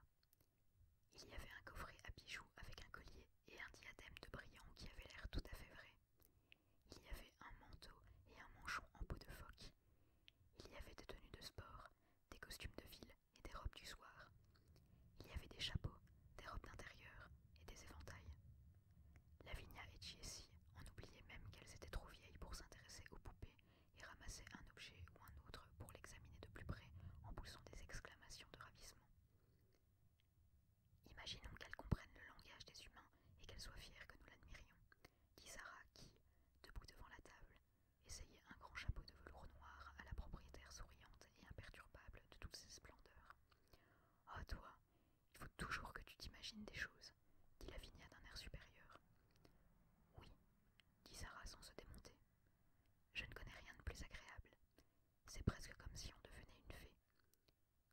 Speaker 1: Il y avait un coffret à bijoux avec un collier et un diadème de brillants qui avait l'air tout à fait vrai. Il y avait un manteau et un manchon en peau de phoque. Il y avait des tenues de sport, des costumes de ville et des robes du soir. Il y avait des chapeaux, des robes d'intérieur et des éventails. Lavinia et en on oubliait même qu'elles étaient trop vieilles pour s'intéresser aux poupées et ramassaient un objet ou un autre pour l'examiner de plus près en poussant des exclamations de ravissement. Imaginons qu'elles comprennent le langage des humains et qu'elles soient fières que nous l'admirions, dit Sarah qui, debout devant la table, essayait un grand chapeau de velours noir à la propriétaire souriante et imperturbable de toutes ses splendeurs. Oh toi, il faut toujours que tu t'imagines des choses dit Lavinia d'un air supérieur. Oui, dit Sarah sans se démonter. Je ne connais rien de plus agréable. C'est presque comme si on devenait une fée.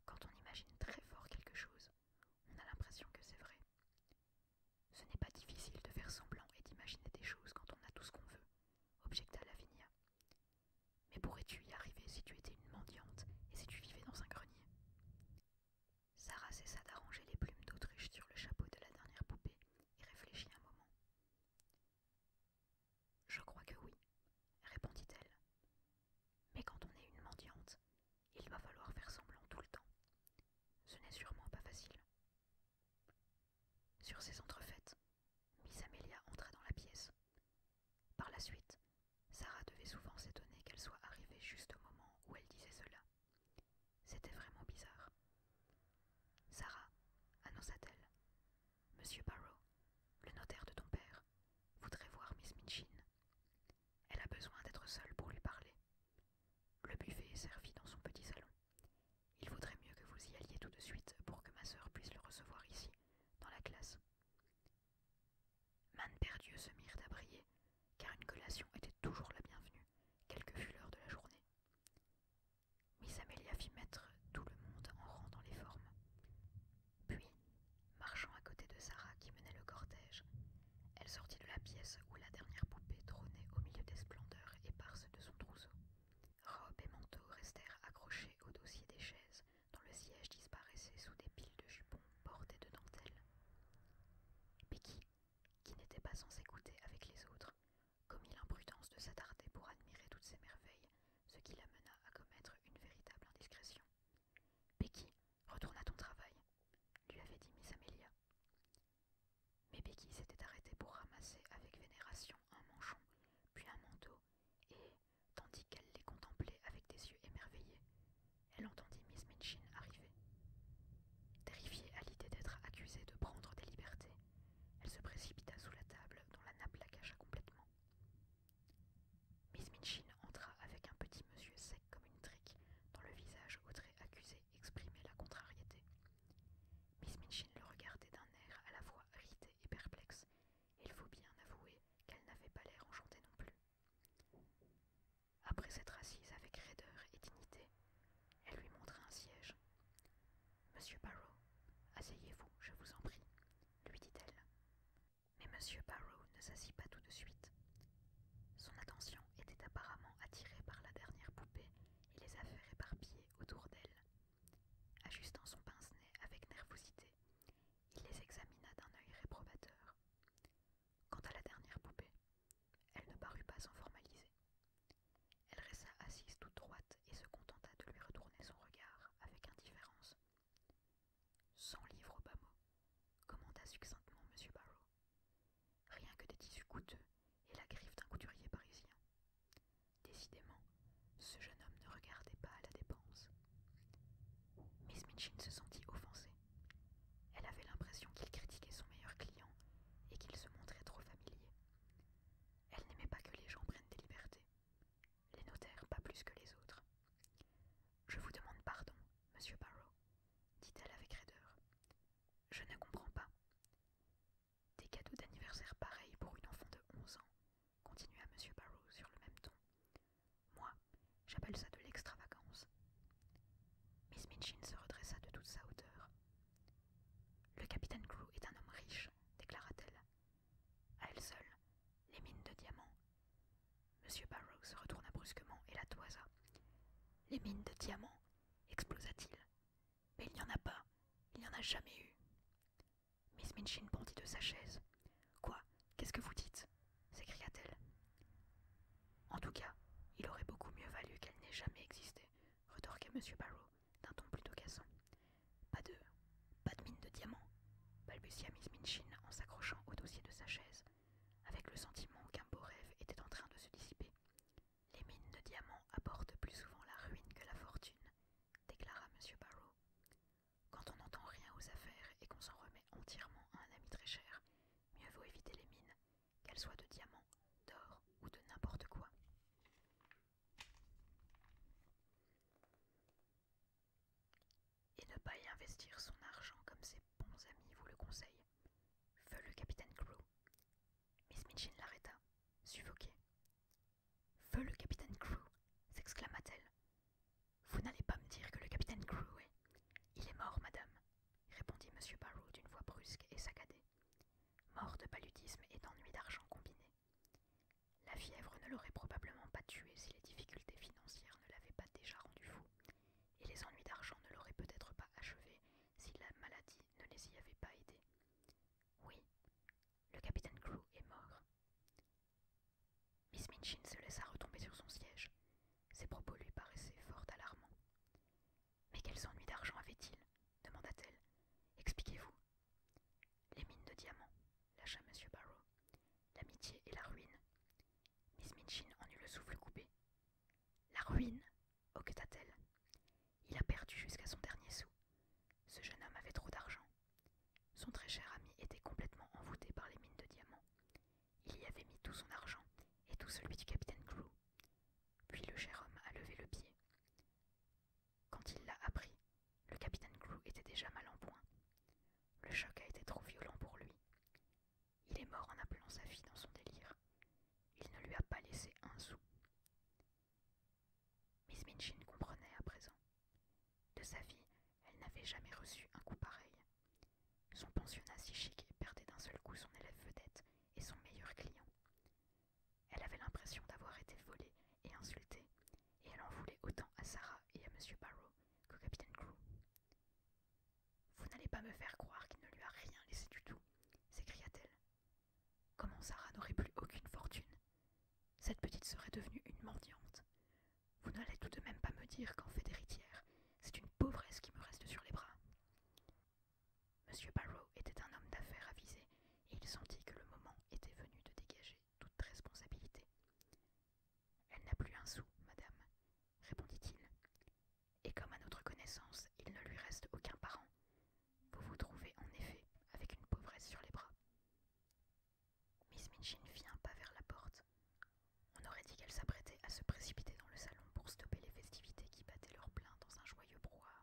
Speaker 1: Quand on imagine très fort quelque chose, on a l'impression que c'est vrai. Ce n'est pas difficile de faire semblant et d'imaginer des choses quand on a tout ce qu'on veut, objecta Lavinia. Mais pourrais-tu y arriver si tu étais une mendiante et si tu vivais dans un grenier Sarah cessa d'arranger les plumes d'autruche sur le chapeau de la dernière poupée et réfléchit un moment. Je crois que oui, répondit-elle. Mais quand on est une mendiante, il va falloir faire semblant tout le temps. Ce n'est sûrement pas facile. Sur ces entrefaites, Miss Amelia entra dans la pièce. Par la suite, Sarah devait souvent s'étonner qu'elle soit arrivée juste au moment où elle disait cela. C'était vraiment bizarre. Sarah, annonça-t-elle, Monsieur Barrow, le notaire de ton père, voudrait voir Miss Minchin. Elle a besoin d'être seule pour lui parler. Le buffet est servi dans son petit salon. Il vaudrait mieux que vous y alliez tout de suite pour que ma sœur puisse le recevoir ici, dans la classe. Manne perdus se mirent à briller, car une collation était toujours la bienvenue, quelle que fût l'heure de la journée. Miss Amelia fit mettre tout le monde en rang dans les formes. Puis, marchant à côté de Sarah qui menait le cortège, elle sortit de la pièce où la dernière poupée trônait au milieu des splendeurs éparses de son trousseau. Robe et manteau restèrent accrochés au dossier des chaises, dont le siège disparaissait sous des piles de jupons bordés de dentelles qui n'était pas sans écouter avec les autres, commit l'imprudence de s'attarder pour admirer toutes ces merveilles, ce qui l'amena à commettre une véritable indiscrétion. Becky, retourne à ton travail, lui avait dit Miss Amelia. Mais Becky s'était arrêtée pour ramasser avec vénération un manchon, puis un manteau, et, tandis qu'elle les contemplait avec des yeux émerveillés, elle entendit Miss Minchin arriver. Terrifiée à l'idée d'être accusée de prendre des libertés, elle se précipita sous la table dont la nappe la cacha complètement. Miss Minchin entra avec un petit monsieur sec comme une trique, dont le visage au trait accusé exprimait la contrariété. Miss Minchin le regardait d'un air à la fois irrité et perplexe, et il faut bien avouer qu'elle n'avait pas l'air enchantée non plus. Après s'être assise avec raideur et dignité, elle lui montra un siège. Monsieur Barrow, asseyez-vous, je vous en prie, lui dit-elle. Mais Monsieur Barrow ne s'assit pas tout de suite. Son attention était apparemment attirée par la dernière poupée et les affaires éparpillées autour d'elle. Ajustant son pince-nez avec nervosité, il les examina d'un œil réprobateur. Quant à la dernière poupée, elle ne parut pas s'en formaliser. Elle resta assise toute droite et se contenta de lui retourner son regard avec indifférence. Cent livres au bas mot, commenta succinctement M. Barrow. Rien que des tissus coûteux et la griffe d'un couturier parisien. Décidément, ce jeune homme ne regardait pas à la dépense. Miss Minchin se sentit offensée. Elle avait l'impression qu'il critiquait son meilleur client et qu'il se montrait trop familier. Elle n'aimait pas que les gens prennent des libertés. Les notaires pas plus que les autres. Je vous demande pardon, monsieur Barrow, dit-elle avec raideur. Je ne comprends pas. Des cadeaux d'anniversaire pareils pour une enfant de onze ans, continua M. Barrow sur le même ton. Moi, J'appelle ça de l'extravagance. Miss Minchin se redressa de toute sa hauteur. Le capitaine Crew est un homme riche, déclara-t-elle. À elle seule, les mines de diamants. Monsieur Barrow se retourna brusquement et la toisa. Les mines de diamants explosa-t-il. Mais il n'y en a pas, il n'y en a jamais eu. Miss Minchin bondit de sa chaise. Quoi Qu'est-ce que vous dites s'écria-t-elle. En tout cas, il aurait beaucoup mieux valu qu'elle n'ait jamais existé, retorquait M. Barrow d'un ton plutôt cassant. Pas de. pas de mine de diamants !» balbutia Miss Minchin en s'accrochant au dossier de sa chaise, avec le sentiment qu'un beau rêve était en train de se dissiper. Les mines de diamants apportent plus souvent la ruine que la fortune, déclara M. Barrow. Quand on n'entend rien aux affaires et qu'on s'en remet entièrement à un ami très cher, mieux vaut éviter les mines qu'elle soit de diamant, d'or ou de n'importe quoi. Et ne pas y investir son argent comme ses bons amis vous le conseillent. Feu le capitaine Crew. Miss Mitchin l'arrêta, suffoquée. Feu le capitaine Crew s'exclama-t-elle. Vous n'allez pas me dire que le capitaine Crew est. Il est mort, madame répondit M. Barrow d'une voix brusque et saccadée. Mort de paludisme et d'ennui d'argent combiné. La fièvre ne l'aurait probablement pas tué si les difficultés financières ne l'avaient pas déjà rendu fou, et les ennuis d'argent ne l'auraient peut-être pas achevé si la maladie ne les y avait pas aidés. Oui, le capitaine Crew est mort. Miss Minchin se laissa retomber sur son siège. Ses propos lui paraissaient fort alarmants. Mais quels ennuis d'argent avait-il demanda-t-elle. Expliquez-vous. Les mines de diamants, lâcha M. Barrow. L'amitié et la ruine. Miss Minchin en eut le souffle coupé. La ruine hoqueta-t-elle. Il a perdu jusqu'à son dernier sou. Ce jeune homme avait trop d'argent. Son très cher ami était complètement envoûté par les mines de diamants. Il y avait mis tout son argent et tout celui du capitaine Clou. Puis le cher homme a levé le pied. Quand il l'a appris, le capitaine Clou était déjà mal en point. Le choc a été trop violent pour lui. Il est mort en appelant sa fille dans son délire. Il ne lui a pas laissé un sou. Miss Minchin comprenait à présent. De sa vie, elle n'avait jamais reçu un coup pareil. Son pensionnat si chic perdait d'un seul coup son élève vedette et son meilleur client. Elle avait l'impression d'avoir été volée et insultée, et elle en voulait autant à Sarah et à M. Barrow qu'au capitaine Crew. Vous n'allez pas me faire croire qu'il ne lui a rien laissé du tout, s'écria-t-elle. Comment Sarah n'aurait plus aucune fortune Cette petite serait devenue une mendiante. Vous n'allez tout de même pas me dire qu'en fait d'héritière, c'est une pauvresse qui me reste sur les bras. M. Barrow était un homme d'affaires avisé et il sentit que le moment était venu de dégager toute responsabilité. Elle n'a plus un sou, madame, répondit-il. Et comme à notre connaissance, il ne lui reste aucun parent, vous vous trouvez en effet avec une pauvresse sur les bras. Miss Minchin fit un pas vers la porte. On aurait dit qu'elle s'apprêtait à se précipiter dans le salon pour stopper les festivités qui battaient leur plein dans un joyeux brouhaha.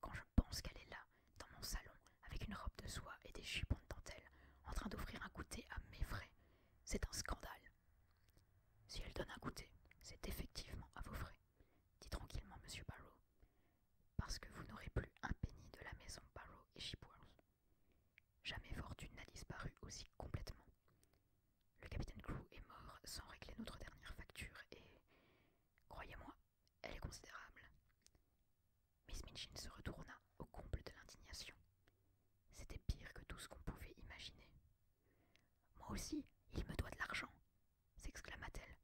Speaker 1: Quand je pense qu'elle est là, dans mon salon, avec une robe de soie et des jupons de dentelle, en train d'offrir un goûter à mes frais, c'est un scandale. Si elle donne un goûter, c'est effectivement à vos frais, dit tranquillement M. Barrow, parce que vous n'aurez plus un penny de la maison Barrow et Shipworth. Jamais fortune n'a disparu aussi complètement. Le capitaine Clou est mort sans régler notre dernière facture et, croyez-moi, elle est considérable. Miss Minchin se retourna au comble de l'indignation. C'était pire que tout ce qu'on pouvait imaginer. Moi aussi, il me doit de l'argent s'exclama-t-elle.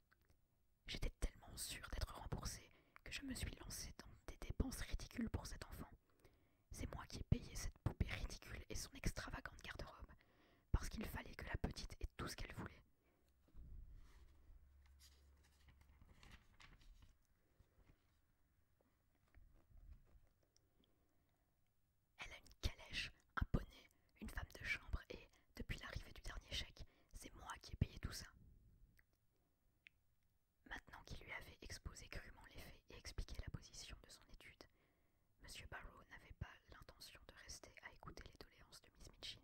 Speaker 1: J'étais tellement sûre d'être remboursée que je me suis lancée dans des dépenses ridicules pour cet enfant. C'est moi qui ai payé cette poupée ridicule et son extravagante garde-robe parce qu'il fallait que la petite ait tout ce qu'elle voulait. Elle a une calèche, un poney, une femme de chambre et, depuis l'arrivée du dernier chèque, c'est moi qui ai payé tout ça. Maintenant qu'il lui avait exposé crûment les faits et expliqué la position de son étude, M. Barrow n'avait pas l'intention de rester à écouter les doléances de Miss Mitchin.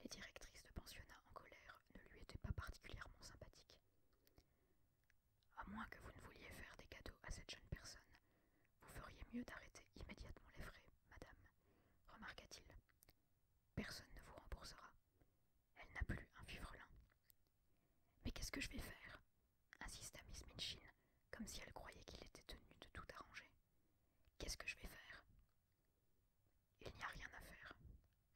Speaker 1: Les directrices de pensionnat en colère ne lui étaient pas particulièrement sympathiques. À moins que vous ne vouliez faire des cadeaux à cette jeune personne, vous feriez mieux d'arrêter immédiatement les frais, madame, remarqua-t-il. Personne ne vous remboursera. Elle n'a plus un vivrelin. »« Mais qu'est-ce que je vais faire insista Miss Minchin, comme si elle croyait qu'il était tenu de tout arranger. Qu'est-ce que je vais faire Il n'y a rien à faire,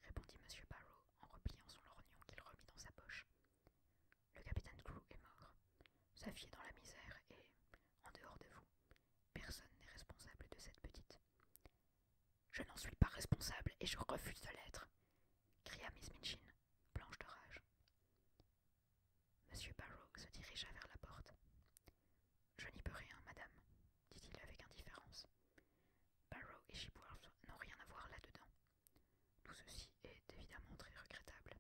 Speaker 1: répondit M. Barrow en repliant son lorgnon qu'il remit dans sa poche. Le capitaine Crew est mort. Sa fille est dans la misère et, en dehors de vous, personne n'est responsable de cette petite. Je n'en suis pas responsable et je refuse de l'être, cria Miss Minchin, blanche de rage. Monsieur Barrow se dirigea vers la porte. Je n'y peux rien, madame, dit-il avec indifférence. Barrow et Chipworth n'ont rien à voir là-dedans. Tout ceci est évidemment très regrettable.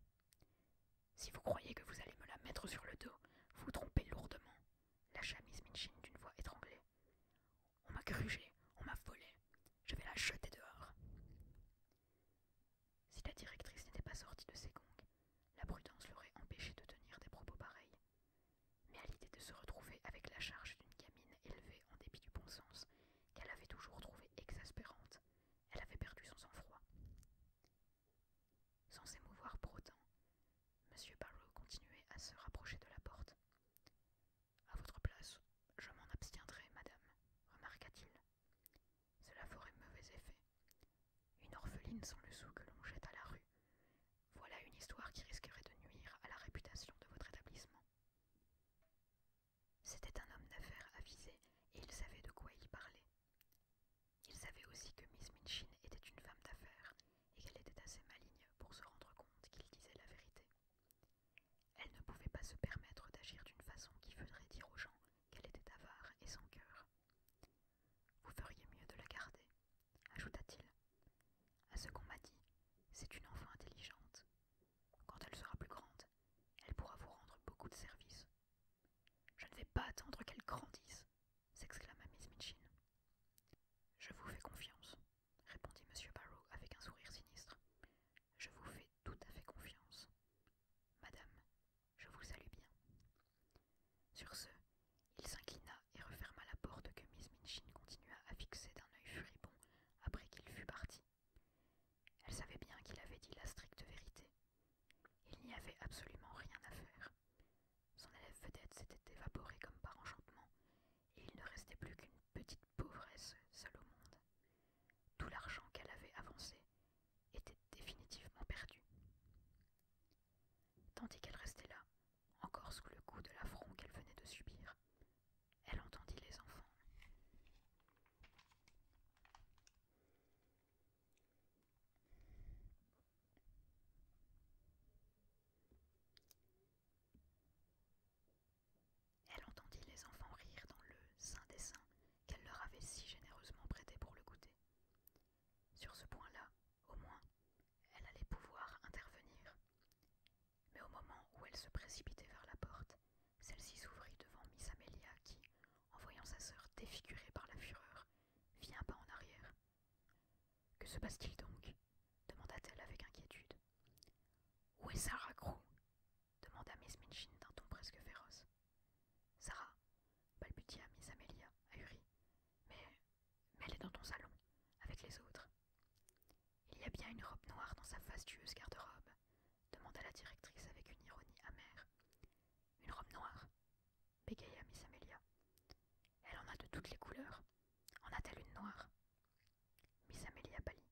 Speaker 1: Si vous croyez que vous allez me la mettre sur le dos, vous vous trompez lourdement, lâcha Miss Minchin d'une voix étranglée. On m'a grugé, on m'a volé, je vais la jeter dehors. Si la directrice n'était pas sortie de ses gongs, la prudence l'aurait empêchée de tenir des propos pareils. Mais à l'idée de se retrouver avec la charge d'une gamine élevée en dépit du bon sens, qu'elle avait toujours trouvé exaspérante, elle avait perdu son sang-froid. Sans s'émouvoir pour autant, M. Barrow continuait à se rapprocher de la porte. À votre place, je m'en abstiendrai, madame, remarqua-t-il. Cela ferait mauvais effet. Une orpheline sans le sou que l'on jette à la rue. Voilà une histoire qui risquerait de nuire à la réputation de votre établissement. C'était un homme d'affaires avisé et il savait de quoi il parlait. Il savait aussi que Miss Minchin était une femme d'affaires et qu'elle était assez maligne pour se rendre compte qu'il disait la vérité. Elle ne pouvait pas se permettre d'agir d'une façon qui faudrait dire aux gens qu'elle était avare et sans cœur. Vous feriez mieux de la garder, ajouta-t-il. À ce qu'on m'a dit, c'est une enfant intelligente. Quand elle sera plus grande, elle pourra vous rendre beaucoup de services. Je ne vais pas attendre qu'elle grandisse, s'exclama Miss Mitchin. Je vous fais confiance, répondit M. Barrow avec un sourire sinistre. Je vous fais tout à fait confiance. Madame, je vous salue bien. Sur ce, il s'inclina et referma la porte que Miss Minchin continua à fixer d'un œil furibond après qu'il fut parti. Elle savait bien qu'il avait dit la stricte vérité. Il n'y avait absolument rien à faire. Son élève vedette s'était évaporée comme par enchantement, et il ne restait plus qu'une petite pauvresse seule au monde. Tout l'argent qu'elle avait avancé, était définitivement perdue. Tandis qu'elle restait là, encore sous le coup de l'affront qu'elle venait de subir, elle entendit les enfants. Elle entendit les enfants rire dans le saint dessin qu'elle leur avait si généreusement prêté pour le goûter. Sur ce point-là, au moins, elle allait pouvoir intervenir. Mais au moment où elle se précipitait vers la porte, celle-ci s'ouvrit devant Miss Amelia qui, en voyant sa sœur défigurée par la fureur, fit un pas en arrière. Que se passe-t-il donc demanda-t-elle avec inquiétude. Où est Sarah Crew demanda Miss Minchin d'un ton presque féroce. Sarah, balbutia Miss Amelia, ahurie. Mais. Mais elle est dans ton salon, avec les autres. Il y a bien une robe noire dans sa fastueuse garde-robe, demanda la directrice avec une ironie amère. Une robe noire bégaya Miss Amelia. Elle en a de toutes les couleurs. En a-t-elle une noire Miss Amelia pâlit.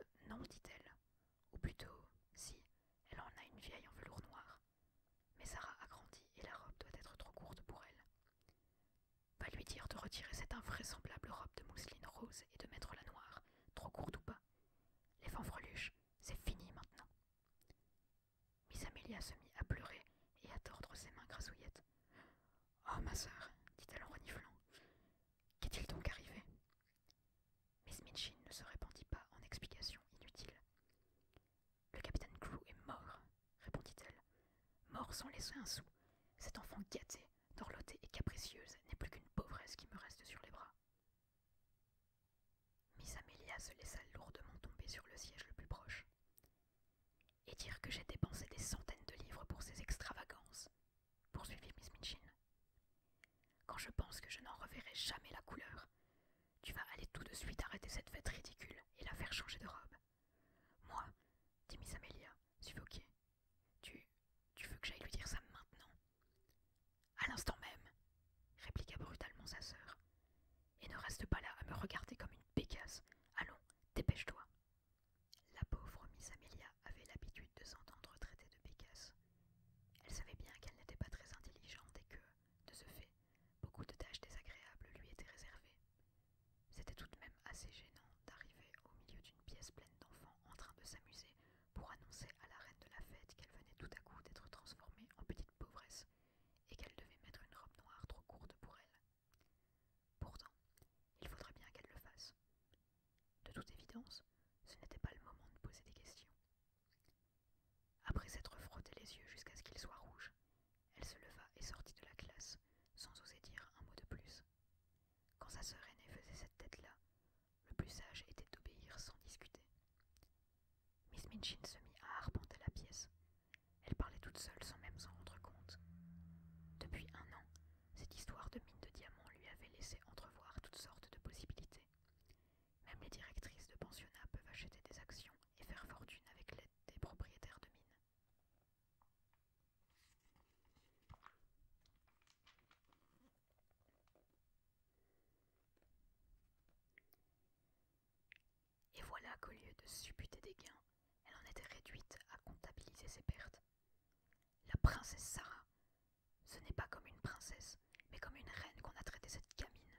Speaker 1: Euh, non, dit-elle, ou plutôt, si, elle en a une vieille en velours noir. Mais Sarah a grandi et la robe doit être trop courte pour elle. Va lui dire de retirer cette invraisemblable robe de mousseline rose et de mettre la noire, trop courte ou pas. Les fanfreluches, c'est fini maintenant. Miss Amelia se mit à pleurer et à tordre ses mains grasouillettes. « Oh, ma sœur, dit-elle en reniflant, qu'est-il donc arrivé Miss Minchin ne se répandit pas en explications inutiles. Le capitaine Crew est mort, répondit-elle. Mort sans laisser un sou. Cette enfant gâtée, dorlotée et capricieuse n'est plus qu'une pauvresse qui me reste sur les bras. Miss Amelia se laissa lourdement tomber sur le siège le plus proche. Et dire que j'ai dépensé des centaines de livres pour ces extravagances, poursuivit Miss Minchin quand je pense que je n'en reverrai jamais la couleur. Tu vas aller tout de suite arrêter cette fête ridicule et la faire changer de robe. Moi, dit Miss Amelia, suffoquée. Tu. tu veux que j'aille lui dire ça maintenant À l'instant même, répliqua brutalement sa sœur. Et ne reste pas là à me regarder comme une pécasse. Allons, dépêche-toi. La pauvre Miss Amelia avait l'habitude de s'entendre traiter de pécasse. Elle savait bien qu'elle n'était pas très intelligente et que, de ce fait, beaucoup de tâches désagréables lui étaient réservées. C'était tout de même assez gênant d'arriver au milieu d'une pièce pleine d'enfants en train de s'amuser pour annoncer à la reine de la fête qu'elle venait tout à coup d'être transformée en petite pauvresse et qu'elle devait mettre une robe noire trop courte pour elle. Pourtant, il faudrait bien qu'elle le fasse. De toute évidence, ce n'était pas le moment de poser des questions. Après s'être frotté les yeux jusqu'à ce qu'ils soient rouges, elle se leva et sortit de la classe, sans oser dire un mot de plus. Quand sa sœur aînée faisait cette tête-là, le plus sage était d'obéir sans discuter. Miss Minchin se mit à arpenter la pièce. Elle parlait toute seule sans même s'en rendre compte. Depuis un an, cette histoire de mine de diamants lui avait laissé entrevoir toutes sortes de possibilités. Même les directrices de pensionnats peuvent acheter des actions et faire fortune avec l'aide des propriétaires de mines. Et voilà qu'au lieu de supputer des gains, elle en était réduite à comptabiliser ses pertes. La princesse Sarah ce n'est pas comme une princesse, mais comme une reine qu'on a traité cette camine,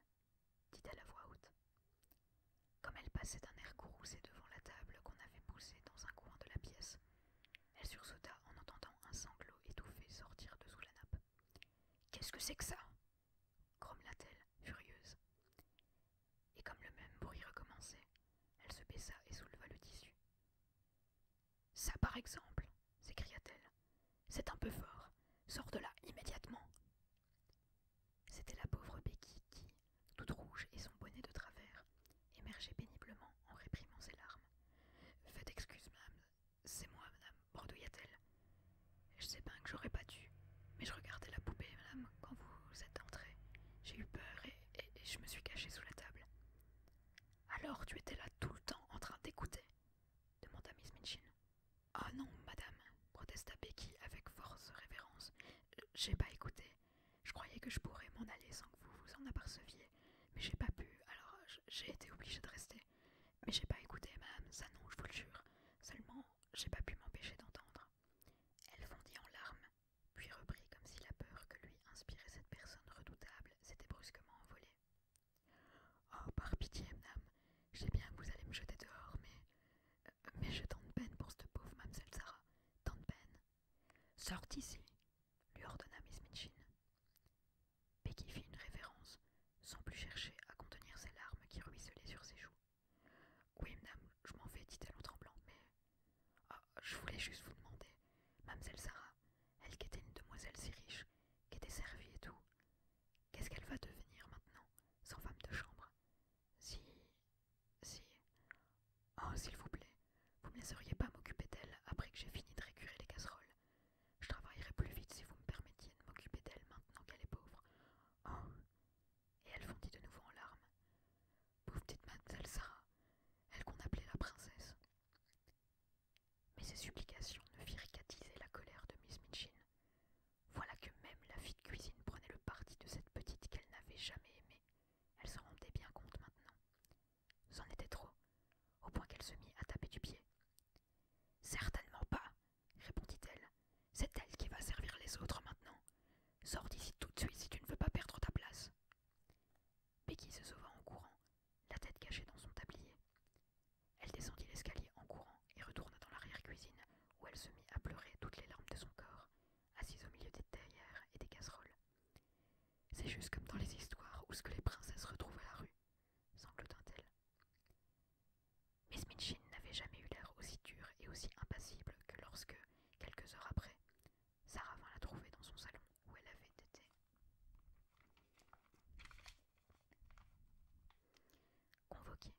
Speaker 1: dit-elle à voix haute. Comme elle passait d'un air courroucé devant la table qu'on avait poussée dans un coin de la pièce, elle sursauta en entendant un sanglot étouffé sortir de sous la nappe. Qu'est-ce que c'est que ça grommela-t-elle, furieuse. Et comme le même bruit recommençait, elle se baissa et souleva le tissu. Ça, par exemple, s'écria-t-elle. C'est un peu fort. Sors de là immédiatement. C'était la pauvre Becky qui, toute rouge et son bonnet de travers, émergeait péniblement en réprimant ses larmes. Faites excuse, madame. C'est moi, madame, bordouilla t elle Je sais bien que j'aurais pas dû, mais je regardais la poupée, madame, quand vous êtes entrée. J'ai eu peur et je me suis cachée sous la table. Alors tu étais là tout le temps en train d'écouter demanda Miss Minchin. Ah oh non, madame, protesta Becky avec force révérence. J'ai pas écouté. Je croyais que je pourrais m'en aller sans que vous vous en aperceviez, mais j'ai pas pu, alors j'ai été obligée de rester. Mais j'ai pas écouté, madame, ça non, je vous le jure. Seulement, j'ai pas pu m'empêcher d'entendre. Elle fondit en larmes, puis reprit comme si la peur que lui inspirait cette personne redoutable s'était brusquement envolée. Oh, par pitié, madame, j'ai bien que vous allez me jeter dehors, mais. Euh, mais j'ai tant de peine pour cette pauvre mademoiselle Sarah, tant de peine. Sors ici, lui ordonna Miss Minchin. Becky fit une révérence, sans plus chercher à contenir ses larmes qui ruisselaient sur ses joues. Oui, madame, je m'en vais, dit-elle en tremblant, mais. Ah, je voulais juste vous demander, mademoiselle Sarah, elle qui était une demoiselle si riche, qui était servie et tout, Qu'est-ce qu'elle va devenir maintenant, sans femme de chambre Si. si. Oh, s'il vous plaît, vous ne laisseriez pas m'occuper d'elle après que j'ai fini de récurer les casseroles. Je travaillerai plus vite si vous me permettiez de m'occuper d'elle maintenant qu'elle est pauvre. Oh Et elle fondit de nouveau en larmes. Pauvre petite mademoiselle Sarah, elle qu'on appelait la princesse. Mais ces supplications ne firent la colère de Miss Mitchin. Voilà que même la fille de cuisine prenait le parti de cette petite qu'elle n'avait jamais aimée. Elle s'en rendait bien compte maintenant. C'en était trop, au point qu'elle se mit à taper du pied. Certainement pas, répondit-elle. C'est elle qui va servir les autres maintenant. Sors d'ici tout de suite si tu ne veux pas perdre ta place. Becky se sauva en courant, la tête cachée dans son tablier. Elle descendit l'escalier en courant et retourna dans l'arrière-cuisine où elle se mit à pleurer toutes les larmes de son corps, assise au milieu des terrières et des casseroles. C'est juste comme dans les histoires où ce que les princesses retrouvent à la rue, semble t elle Miss Minchin n'avait jamais eu l'air aussi dur et aussi impassible que lorsque, quelques heures après, Sarah vint la trouver dans son salon où elle avait été. Convoqué.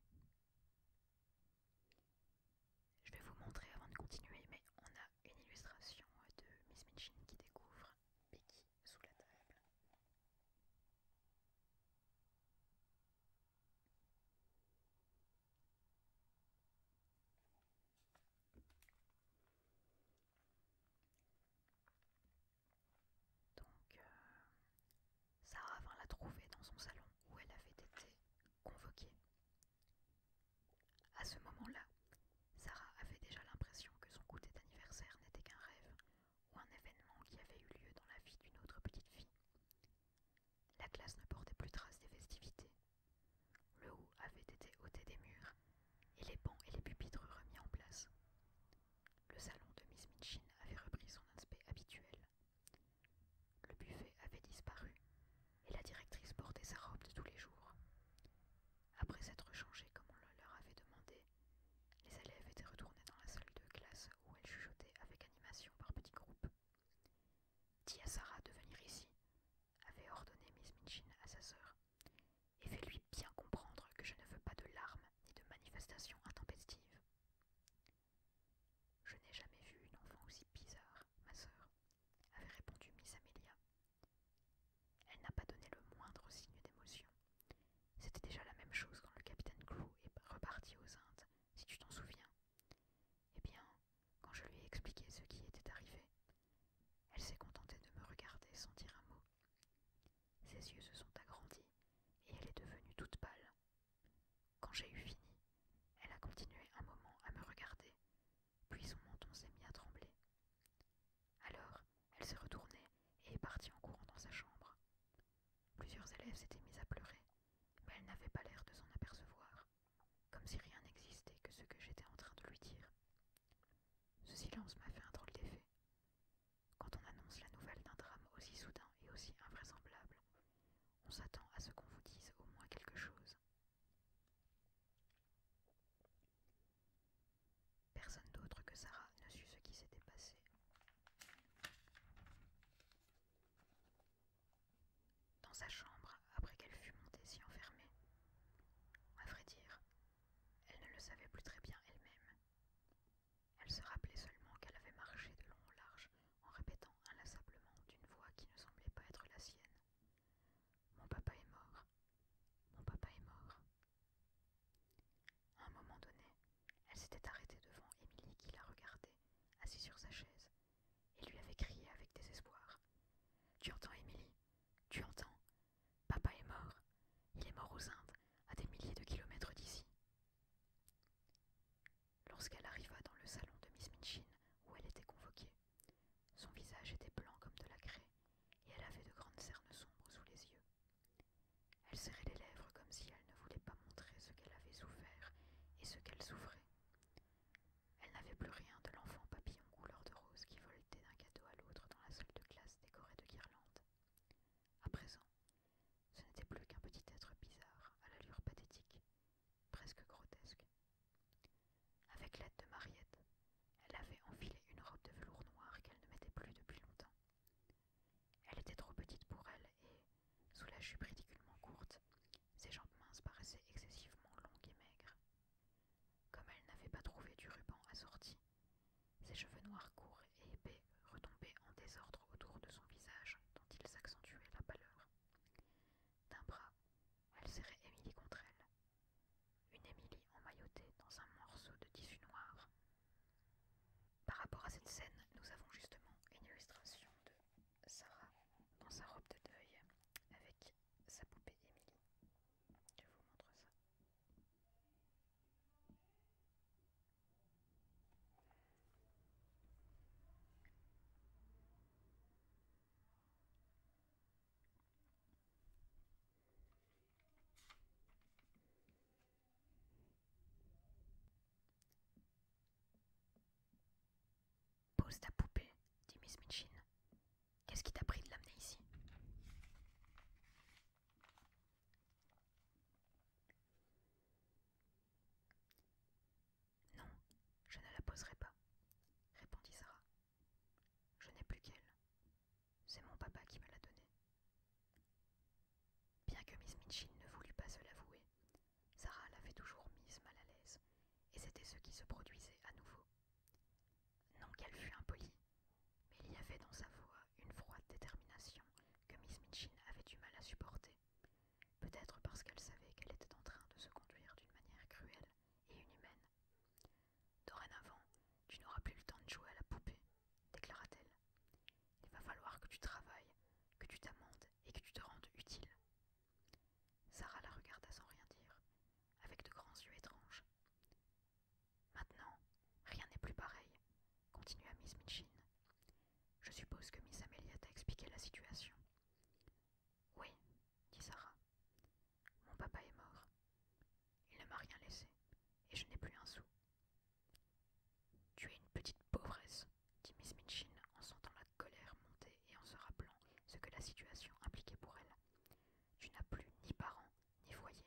Speaker 1: Je vais vous montrer avant de continuer, mais on a une illustration de Miss Mitchin qui découvre Becky sous la table. Donc, euh, Sarah vint la trouver dans son salon où elle avait été convoquée. À ce moment-là, Sarah avait déjà l'impression que son goûter d'anniversaire n'était qu'un rêve ou un événement qui avait eu lieu dans la vie d'une autre petite fille. La classe ne portait plus trace des festivités. Le haut avait été ôté des murs et les bancs et les pupitres remis en place. Le salon de Miss Minchin avait repris son aspect habituel. Le buffet avait disparu et la directrice portait sa robe de tous les jours. Après s'être changée comme on leur avait demandé, les élèves étaient retournés dans la salle de classe où elles chuchotaient avec animation par petits groupes. Dis à Sarah de venir ici, avait ordonné Miss Minchin à sa sœur, et fais-lui bien comprendre que je ne veux pas de larmes ni de manifestations intempestives. Je n'ai jamais vu une enfant aussi bizarre, ma sœur, avait répondu Miss Amelia. Elle n'a pas donné le moindre signe d'émotion. C'était déjà la même chose quand le capitaine Crew est reparti aux Indes, si tu t'en souviens. Eh bien, quand je lui ai expliqué ce qui était arrivé, elle s'est contentée de me regarder sans dire un mot. Ses yeux se sont agrandis et elle est devenue toute pâle. Quand j'ai eu fini, elle a continué un moment à me regarder, puis son menton s'est mis à trembler. Alors, elle s'est retournée et est partie en courant dans sa chambre. Plusieurs élèves s'étaient mis à pleurer, mais elle n'avait pas l'air de s'en apercevoir, comme si rien n'existait que ce que j'étais en train de lui dire. Ce silence m'a fait un drôle d'effet. Quand on annonce la nouvelle d'un drame aussi soudain et aussi invraisemblable, on s'attend à ce qu'on vous dise au moins quelque chose. Personne d'autre que Sarah ne sut ce qui s'était passé. Dans sa chambre, après qu'elle fut montée si enfermée, à vrai dire, elle ne le savait plus très bien elle-même. Elle se rappelait seulement qu'elle avait marché de long en large en répétant inlassablement d'une voix qui ne semblait pas être la sienne. Mon papa est mort. Mon papa est mort. À un moment donné, elle s'était arrêtée devant Émilie qui la regardait, assise sur sa chaise, et lui avait crié avec désespoir. Tu entends, Émilie Tu entends Papa est mort. Il est mort aux Indes, à des milliers de kilomètres d'ici. Lorsqu'elle arriva dans le salon de Miss Minchin, où elle était convoquée, son visage était blanc comme de la craie, et elle avait de grandes cernes sombres sous les yeux. Elle serrait les lèvres comme si elle ne voulait pas montrer ce qu'elle avait souffert et ce qu'elle souffrait. Elle n'avait plus rien de l'enfant papillon couleur de rose qui voltait d'un cadeau à l'autre dans la salle de classe décorée de guirlandes. À présent, ce n'était plus qu'un petit être bizarre, à l'allure pathétique, presque grotesque. Avec l'aide de Mariette, elle avait enfilé une robe de velours noir qu'elle ne mettait plus depuis longtemps. Elle était trop petite pour elle et, sous la jupe ridiculement courte, ses jambes minces paraissaient excessivement longues et maigres. Comme elle n'avait pas trouvé du ruban assorti, ses cheveux noirs courts et épais retombaient en désordre autour de son visage, dont ils accentuaient la pâleur. D'un bras, elle serrait Émilie contre elle. Une Émilie emmaillotée dans un morceau de tissu noir. Par rapport à cette scène, nous avons justement une illustration de Sarah dans sa robe de deuil avec sa poupée Émilie. Je vous montre ça. Pose ta poupée, dit Miss Minchin. Qu'est-ce qui t'a pris de l'amener ici non, je ne la poserai pas, répondit Sarah. Je n'ai plus qu'elle. C'est mon papa qui me l'a donnée. Bien que Miss Minchin ne voulût pas se l'avouer, Sarah l'avait toujours mise mal à l'aise, et c'était ce qui se produisait à nouveau. Non qu'elle fût impolie, mais il y avait dans sa voix une froide détermination que Miss Mitchin avait du mal à supporter, peut-être parce qu'elle savait qu'elle était en train de se conduire d'une manière cruelle et inhumaine. Dorénavant, tu n'auras plus le temps de jouer à la poupée, déclara-t-elle. Il va falloir que tu travailles, que tu t'amendes et que tu te rendes utile. Sarah la regarda sans rien dire, avec de grands yeux étranges. Maintenant, rien n'est plus pareil continua Miss Minchin. Je suppose que Miss Amelia t'a expliqué la situation. Oui, dit Sarah. Mon papa est mort. Il ne m'a rien laissé, et je n'ai plus un sou. Tu es une petite pauvresse, dit Miss Minchin en sentant la colère monter et en se rappelant ce que la situation impliquait pour elle. Tu n'as plus ni parents, ni foyer,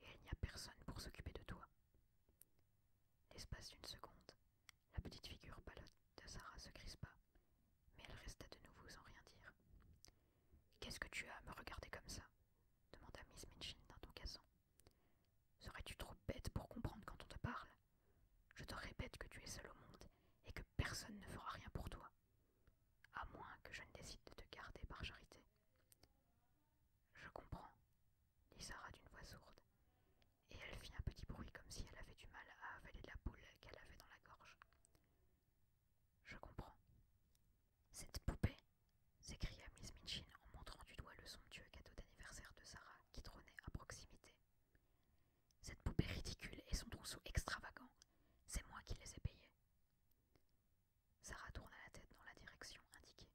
Speaker 1: et il n'y a personne pour s'occuper de toi. L'espace d'une seconde, la petite figure pâlotte de Sarah se crispa, mais elle resta de nouveau sans rien dire. Qu'est-ce que tu as à me regarder comme ça demanda Miss Minchin d'un ton cassant. Serais-tu trop bête pour comprendre quand on te parle Je te répète que tu es seule au monde et que personne ne fera rien pour toi, à moins que je ne décide de te garder par charité. Je comprends, dit Sarah d'une voix sourde, et elle fit un petit bruit comme si elle avait du mal à avaler la boule qu'elle avait dans la gorge. Je comprends. Cette poupée s'écria Miss Minchin en montrant du doigt le somptueux cadeau d'anniversaire de Sarah qui trônait à proximité. Cette poupée ridicule et son trousseau extravagant, c'est moi qui les ai payés. Sarah tourna la tête dans la direction indiquée.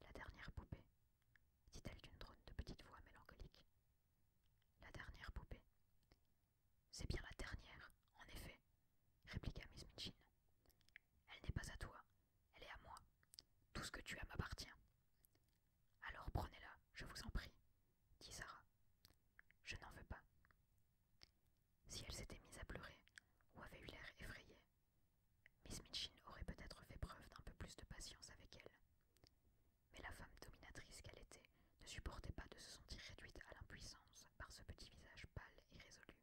Speaker 1: La dernière poupée, dit-elle d'une drôle de petite voix mélancolique. La dernière poupée. C'est bien la dernière, en effet, répliqua Miss Mitchin. Elle n'est pas à toi, elle est à moi. Tout ce que tu as m'appartient. Alors prenez-la, je vous en prie, dit Sarah. Je n'en veux pas. Si elle s'était mise à pleurer, ou avait eu l'air effrayée, Miss Mitchin aurait peut-être fait preuve d'un peu plus de patience avec elle. Mais la femme dominatrice qu'elle était ne supportait pas de se sentir réduite à l'impuissance par ce petit visage pâle et résolu,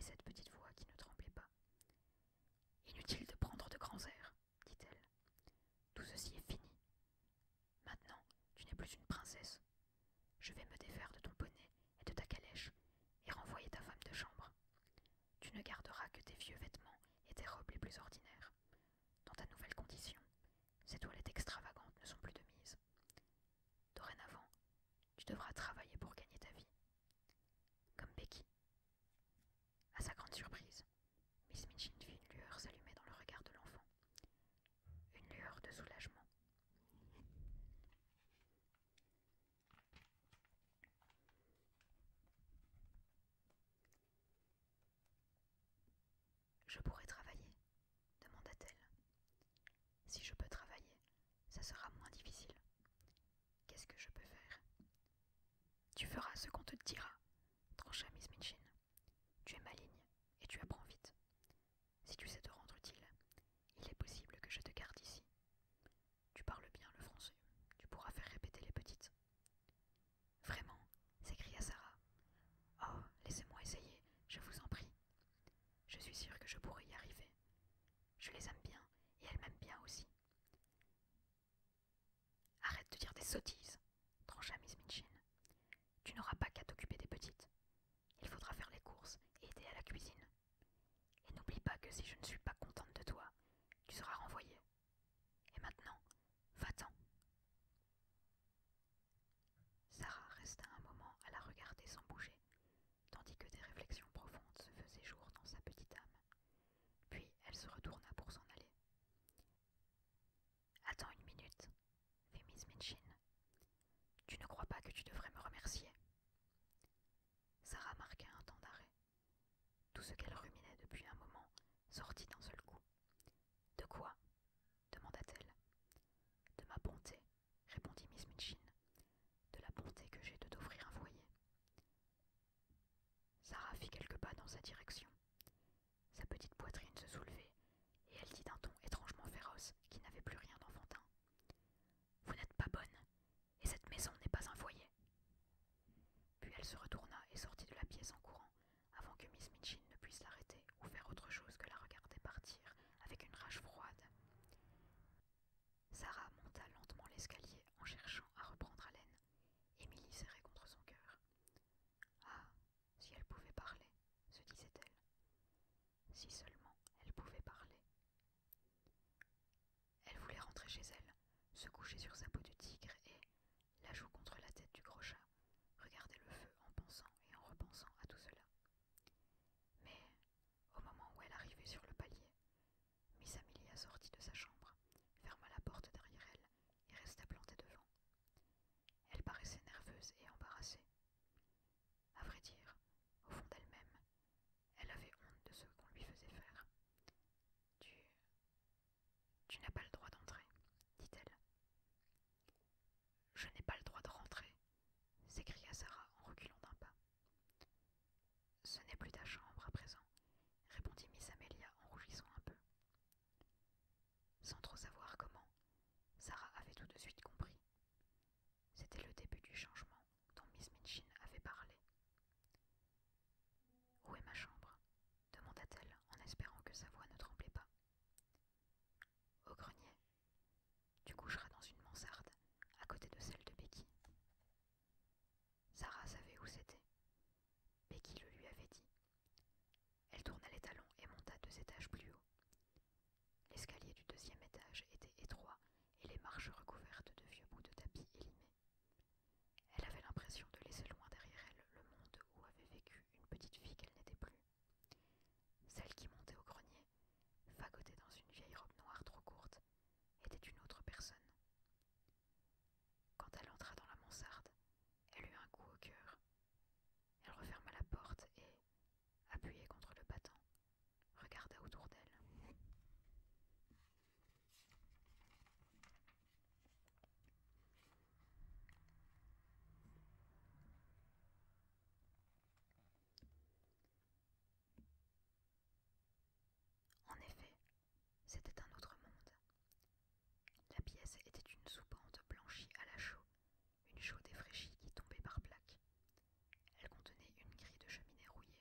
Speaker 1: et cette petite voix qui ne tremblait pas. Inutile de prendre de grands airs, dit-elle. Tout ceci est fini. Maintenant, tu n'es plus une princesse. Je vais me défaire de ton bonnet et de ta calèche, et renvoyer ta femme de chambre. Tu ne garderas que tes vieux vêtements et tes robes les plus ordinaires. Dans ta nouvelle condition, ces toilettes extravagantes ne sont plus de mise. Dorénavant, tu devras travailler pour gagner ta vie. Comme Becky. À sa grande surprise, Miss Minchin vit une lueur s'allumer dans le regard de l'enfant. Une lueur de soulagement. Je pourrais travailler demanda-t-elle. Si je peux travailler, ça sera moins difficile. Qu'est-ce que je peux faire Tu feras ce qu'on te dira, trancha Miss Minchin. Tu es maligne et tu apprends vite. Si tu sais te rendre utile, il est possible que je te garde ici. Tu parles bien le français. Tu pourras faire répéter les petites. Vraiment s'écria Sarah. Oh, laissez-moi essayer, je vous en prie. Je suis sûre que je pourrai y arriver. Je les aime bien, et elles m'aiment bien aussi. Arrête de dire des sottises, trancha Miss Minchin. Tu n'auras pas qu'à t'occuper des petites. Il faudra faire les courses et aider à la cuisine. Et n'oublie pas que si je ne suis pas contente de toi, tu seras renvoyé. Et maintenant, va-t'en. Sarah resta un moment à la regarder sans bouger, tandis que des réflexions profondes se faisaient jour dans sa petite âme. Puis elle se retourna pour s'en aller. Attends une minute, fit Miss Minchin. Tu ne crois pas que tu devrais me remercier Sarah marqua un temps d'arrêt, tout ce qu'elle ruminait depuis un moment sortit d'un seul coup. De quoi demanda-t-elle. De ma bonté, répondit Miss Mitchin. De la bonté que j'ai de t'offrir un foyer. Sarah fit quelques pas dans sa direction. Sa petite poitrine se soulevait, et elle dit d'un ton étrangement féroce qui n'avait plus rien d'enfantin. Vous n'êtes pas bonne, et cette maison n'est pas un foyer. Puis elle se retourna et sortit de la pièce en courant, avant que Miss Minchin ne puisse l'arrêter ou faire autre chose que la regarder partir avec une rage froide. Sarah monta lentement l'escalier en cherchant à reprendre haleine. Émilie serrait contre son cœur. Ah, si elle pouvait parler, se disait-elle. Si seulement elle pouvait parler, elle voulait rentrer chez elle, se coucher sur sa peau de tigre et, la joue contre la tête du gros chat, regarder le feu en pensant et en repensant à tout cela. Mais, au moment où elle arrivait sur le palier, Miss Amelia sortit de sa chambre, ferma la porte derrière elle et resta plantée devant. Elle paraissait nerveuse et embarrassée. À vrai dire, au fond d'elle-même, elle avait honte de ce qu'on lui faisait faire. Tu. Tu n'as pas le droit d'entrer, dit-elle. Je n'ai pas le droit de rentrer, s'écria Sarah en reculant d'un pas. Ce n'est plus ta chambre à présent, répondit Miss Amelia en rougissant un peu. Sans trop savoir comment, Sarah avait tout de suite compris. C'était le début du changement dont Miss Minchin avait parlé. Où est ma chambre demanda-t-elle en espérant que sa voix ne tremblait pas. Au grenier. Tu coucheras dans une mansarde, à côté de celle de Becky. Sarah savait où c'était. Becky le lui avait dit. Elle tourna les talons et monta deux étages plus haut. L'escalier du deuxième étage était étroit et les marches recouvertes de vieux bouts de tapis élimés. Elle avait l'impression de laisser loin derrière elle le monde où avait vécu une petite fille qu'elle n'était plus. Celle qui montait au grenier, fagotée dans une vieille robe noire trop courte, était une autre personne. Quand elle entra dans la mansarde, elle eut un coup au cœur. Elle referma la porte et, appuyée contre le battant, regarda autour d'elle. En effet, c'était un autre monde. La pièce était une soupente blanchie à la chaux, une chaux défraîchie qui tombait par plaques. Elle contenait une grille de cheminée rouillée,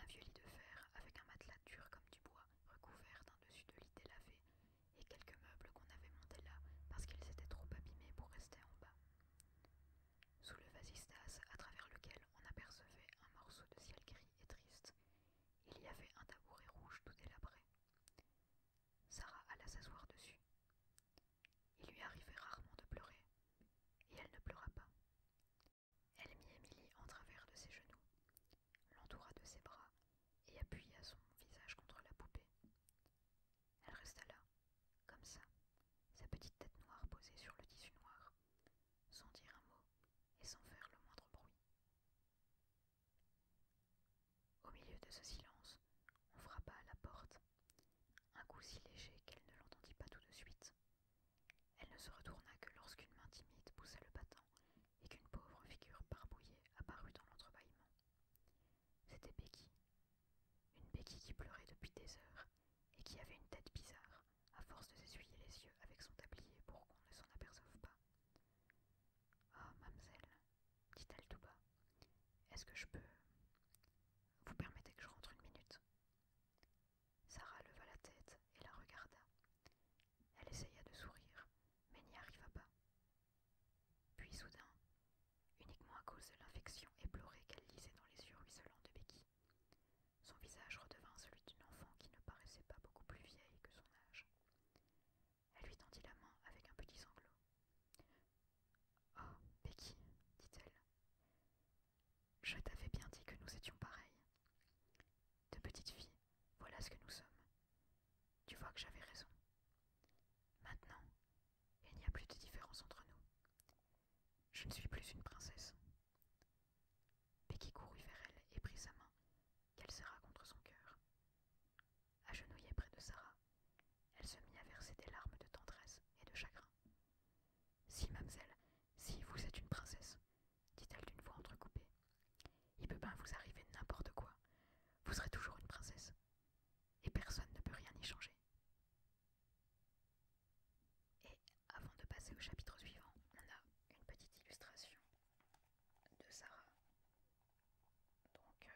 Speaker 1: un vieux lit de fer avec un matelas dur comme du bois, recouvert d'un dessus de lit délavé, et quelques meubles qu'on avait montés là parce qu'ils étaient trop abîmés pour rester en bas. Sous le vasistas, à travers lequel on apercevait un morceau de ciel gris et triste, il y avait un tabouret rouge tout délabré. Sarah alla s'asseoir dessus. Il lui arrivait rarement de pleurer, et elle ne pleura pas. Elle mit Émilie en travers de ses genoux, l'entoura de ses bras et appuya son visage contre la poupée. Elle resta là, comme ça, sa petite tête noire posée sur le tissu noir, sans dire un mot et sans faire le moindre bruit. Au milieu de ce silence, on frappa à la porte, un coup si léger qu'elle ne l'entendit pas tout de suite, elle ne se retourna que lorsqu'une main timide poussa le battant et qu'une pauvre figure barbouillée apparut dans l'entrebâillement. C'était Becky. Une Becky qui pleurait depuis des heures et qui avait une tête bizarre, à force de s'essuyer les yeux avec son tablier pour qu'on ne s'en aperçoive pas. Ah, mademoiselle, dit-elle tout bas, est-ce que je peux. Vous permettez que je rentre une minute Sarah leva la tête et la regarda. Elle essaya de sourire, mais n'y arriva pas. Puis soudain, uniquement à cause de l'infection éplorée qu'elle lisait dans les yeux ruisselants de Becky, son visage redevint celui d'une enfant qui ne paraissait pas beaucoup plus vieille que son âge. Elle lui tendit la main avec un petit sanglot. Oh, Becky, dit-elle, je t'avais bien dit que nous étions pareils. De petite fille, voilà ce que nous sommes. Tu vois que j'avais raison. Maintenant, il n'y a plus de différence entre nous. Je ne suis plus une princesse. Becky courut vers elle et prit sa main, qu'elle serra contre son cœur. Agenouillée près de Sarah, elle se mit à verser des larmes de tendresse et de chagrin. Si, mademoiselle, si vous êtes une princesse, dit-elle d'une voix entrecoupée. Il peut bien vous arriver n'importe quoi. Vous serez toujours une princesse. Et personne ne peut rien y changer. Et avant de passer au chapitre suivant, on a une petite illustration de Sarah. Donc, euh,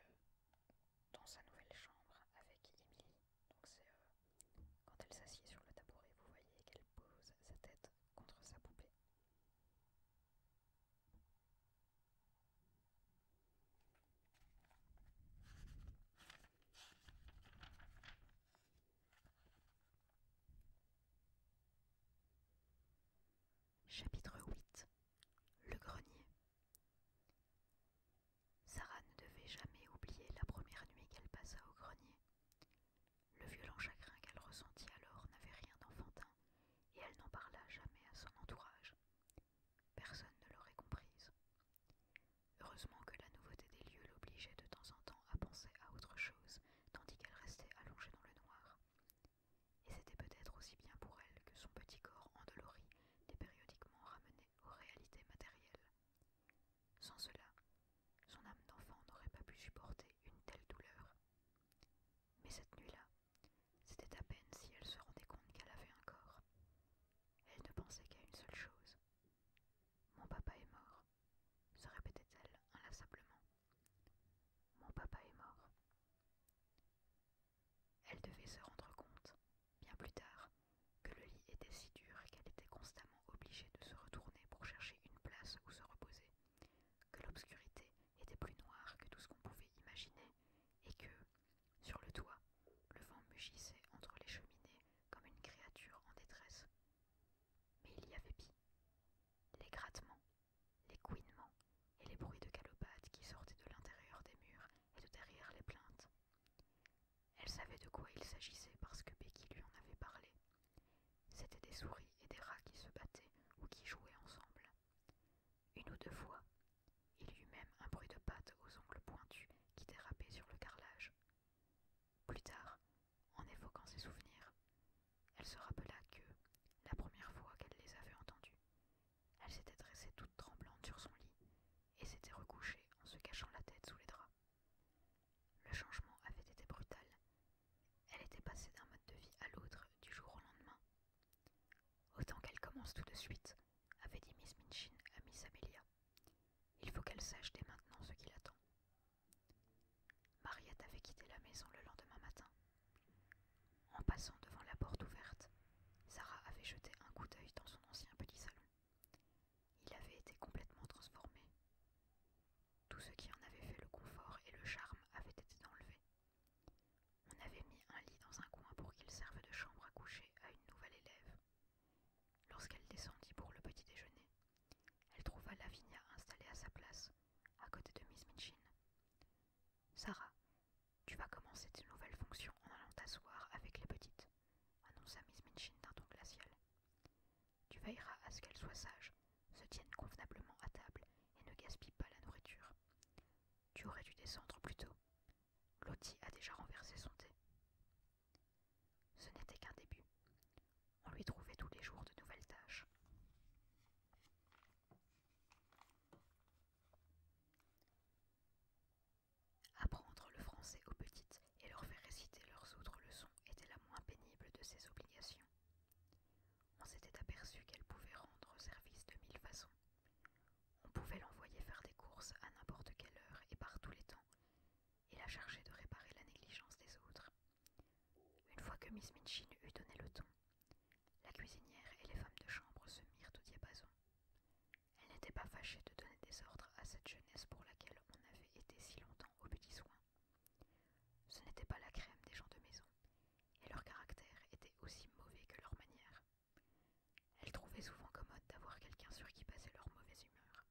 Speaker 1: dans sa nouvelle chambre avec Emily. Donc, c'est euh, quand elle s'assied sur le tabouret, vous voyez qu'elle pose sa tête contre sa poupée. Chapitre 8 Le grenier Sarah ne devait jamais oublier la première nuit qu'elle passa au grenier. Le violent chagrin qu'elle ressentit alors n'avait rien d'enfantin, et elle n'en parla jamais à son entourage. Personne ne l'aurait comprise. Heureusement que la nouveauté des lieux l'obligeait de temps en temps à penser à autre chose, tandis qu'elle restait allongée dans le noir. Et c'était peut-être aussi bien pour elle que son petit corps endolori était périodiquement ramené aux réalités matérielles. Sans cela, son âme d'enfant n'aurait pas pu supporter une telle douleur. Mais cette nuit-là, c'était à peine si elle se rendait compte qu'elle avait un corps. Elle ne pensait qu'à une seule chose. Mon papa est mort, se répétait-elle inlassablement. Mon papa est mort. Elle devait se rendre compte, bien plus tard, que le lit était si dur et qu'elle était constamment obligée de se retourner pour chercher une place où se reposer que l'obscurité était plus noire que tout ce qu'on pouvait imaginer, et que, sur le toit, le vent mugissait entre les cheminées comme une créature en détresse. Mais il y avait pis. Les grattements, les couinements et les bruits de galopades qui sortaient de l'intérieur des murs et de derrière les plaintes. Elle savait de quoi il s'agissait parce que Becky lui en avait parlé, C'étaient des souris et des rats qui se battaient ou qui jouaient ensemble. Une ou deux fois, il y eut même un bruit de pattes aux ongles pointus qui dérapaient sur le carrelage. Plus tard, en évoquant ses souvenirs, elle se rappela que, la première fois qu'elle les avait entendus, elle s'était dressée toute tremblante sur son lit et s'était recouchée en se cachant la tête sous les draps. Le changement avait été brutal elle était passée d'un mode de vie à l'autre du jour au lendemain. Autant qu'elle commence tout de suite, avait dit Miss Minchin à Miss Amelia. Il faut qu'elle sache dès maintenant ce qui l'attend. Mariette avait quitté la maison le lendemain matin. En passant devant la porte ouverte, Sarah avait jeté un coup d'œil dans son ancien petit salon. Il avait été complètement transformé. Tout ce qui en avait fait le confort et le charme avait été enlevé. On avait mis un lit dans un coin pour qu'il serve de chambre à coucher à une nouvelle élève. Lorsqu'elle descendit pour le petit déjeuner, elle trouva Lavinia installée à sa place, à côté de Miss Minchin. Sarah, tu vas commencer tes nouvelles fonctions en allant t'asseoir avec les petites, annonça Miss Minchin d'un ton glacial. Tu veilleras à ce qu'elles soient sages se tiennent convenablement à table et ne gaspillent pas la nourriture. Tu aurais dû descendre plus tôt. Lottie a déjà renversé son thé. Ce n'était qu'un début. On lui trouvait tous les jours de nouvelles tâches. Apprendre le français aux petites et leur faire réciter leurs autres leçons était la moins pénible de ses obligations on s'était aperçu qu'elle pouvait rendre service de mille façons. On pouvait l'envoyer faire des courses à n'importe quelle heure et par tous les temps, et la charger de réparer la négligence des autres. Une fois que Miss Minchin eut donné le ton, la cuisinière et les femmes de chambre se mirent au diapason. Elle n'était pas fâchée de donner des ordres à cette jeunesse pour laquelle on avait été si longtemps aux petits soins. Ce n'était pas la crème des gens de maison, et leur caractère était aussi mauvais que leur manière. Elle trouvait souvent commode d'avoir quelqu'un sur qui passer leur mauvaise humeur.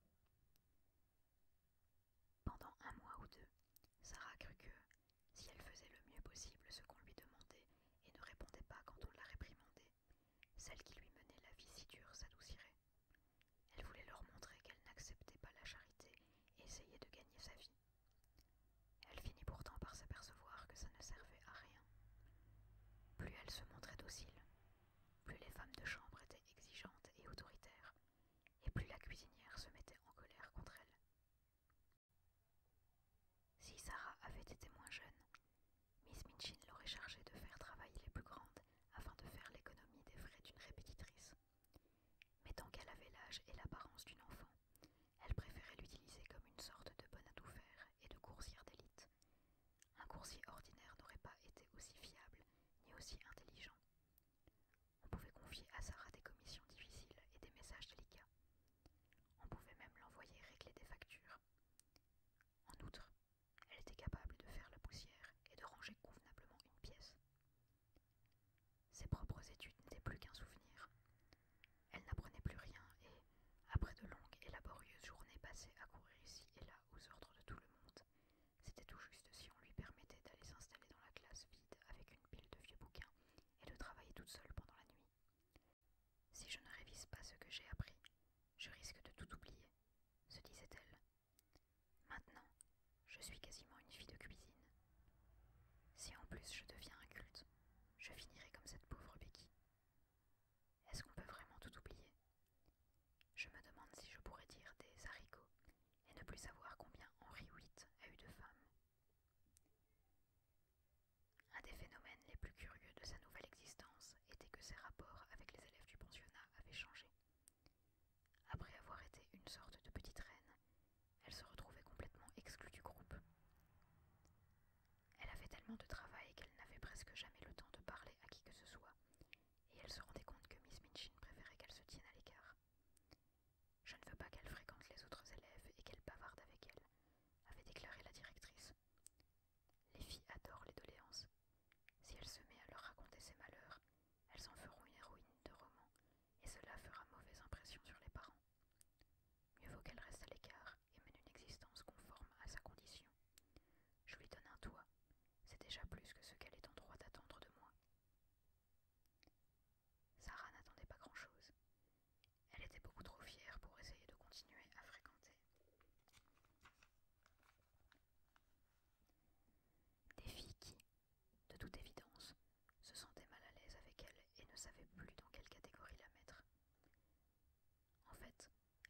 Speaker 1: Pendant un mois ou deux, Sarah crut que, si elle faisait le mieux possible ce qu'on lui demandait et ne répondait pas quand on la réprimandait, celle qui lui menait la vie si dure s'adoucirait. Elle voulait leur montrer qu'elle n'acceptait pas la charité et essayait de gagner sa vie. Elle finit pourtant par s'apercevoir que ça ne servait à rien. Plus elle se montrait docile, plus les femmes de chambre étaient exigeantes et autoritaires, et plus la cuisinière se mettait en colère contre elle. Si Sarah avait été moins jeune, Miss Minchin l'aurait chargée de faire travailler les plus grandes afin de faire l'économie des frais d'une répétitrice. Mais tant qu'elle avait l'âge et l'apparence d'une enfant, elle préférait l'utiliser comme une sorte de bonne à tout faire et de coursière d'élite. Un coursier ordinaire n'aurait pas été aussi fiable ni aussi intelligent. On pouvait confier à Sarah des commissions difficiles et des messages délicats. On pouvait même l'envoyer régler des factures. En outre, elle était capable de faire la poussière et de ranger convenablement une pièce. Ses propres études n'étaient plus qu'un souvenir. Elle n'apprenait plus rien et, après de longues et laborieuses journées passées à courir ici et là aux ordres de tout le monde, c'était tout juste si on lui permettait d'aller s'installer dans la classe vide avec une pile de vieux bouquins et de travailler toute seule pendant la nuit. Si je ne révise pas ce que j'ai appris, je risque de tout oublier, se disait-elle. Maintenant, je suis quasiment une fille de cuisine. Si en plus je deviens un culte, je finirai comme cette pauvre Becky. Est-ce qu'on peut vraiment tout oublier Je me demande si je pourrais dire des haricots et ne plus savoir combien Henri VIII a eu de femmes. Un des phénomènes les plus curieux de sa nouvelle existence était que ses rapports avec les élèves du pensionnat avaient changé. Après avoir été une sorte de petite reine, elle se retrouvait complètement exclue du groupe. Elle avait tellement de travail qu'elle n'avait presque jamais le temps de parler à qui que ce soit, et elle se rendait compte que Miss Minchin préférait qu'elle se tienne à l'écart. Je ne veux pas qu'elle fréquente les autres élèves et qu'elle bavarde avec elle, avait déclaré la directrice. Les filles adorent les doléances. Si elle se met à leur raconter ses malheurs, elles en feront une héroïne de roman et cela fera mauvaise impression sur les parents. Mieux vaut qu'elle reste à l'écart et mène une existence conforme à sa condition. Je lui donne un toit, c'est déjà plus que ce qu'elle est en droit d'attendre de moi. Sarah n'attendait pas grand-chose. Elle était beaucoup trop fière pour essayer de continuer à fréquenter. Des filles qui, de toute évidence, se sentait mal à l'aise avec elle et ne savait plus dans quelle catégorie la mettre. En fait,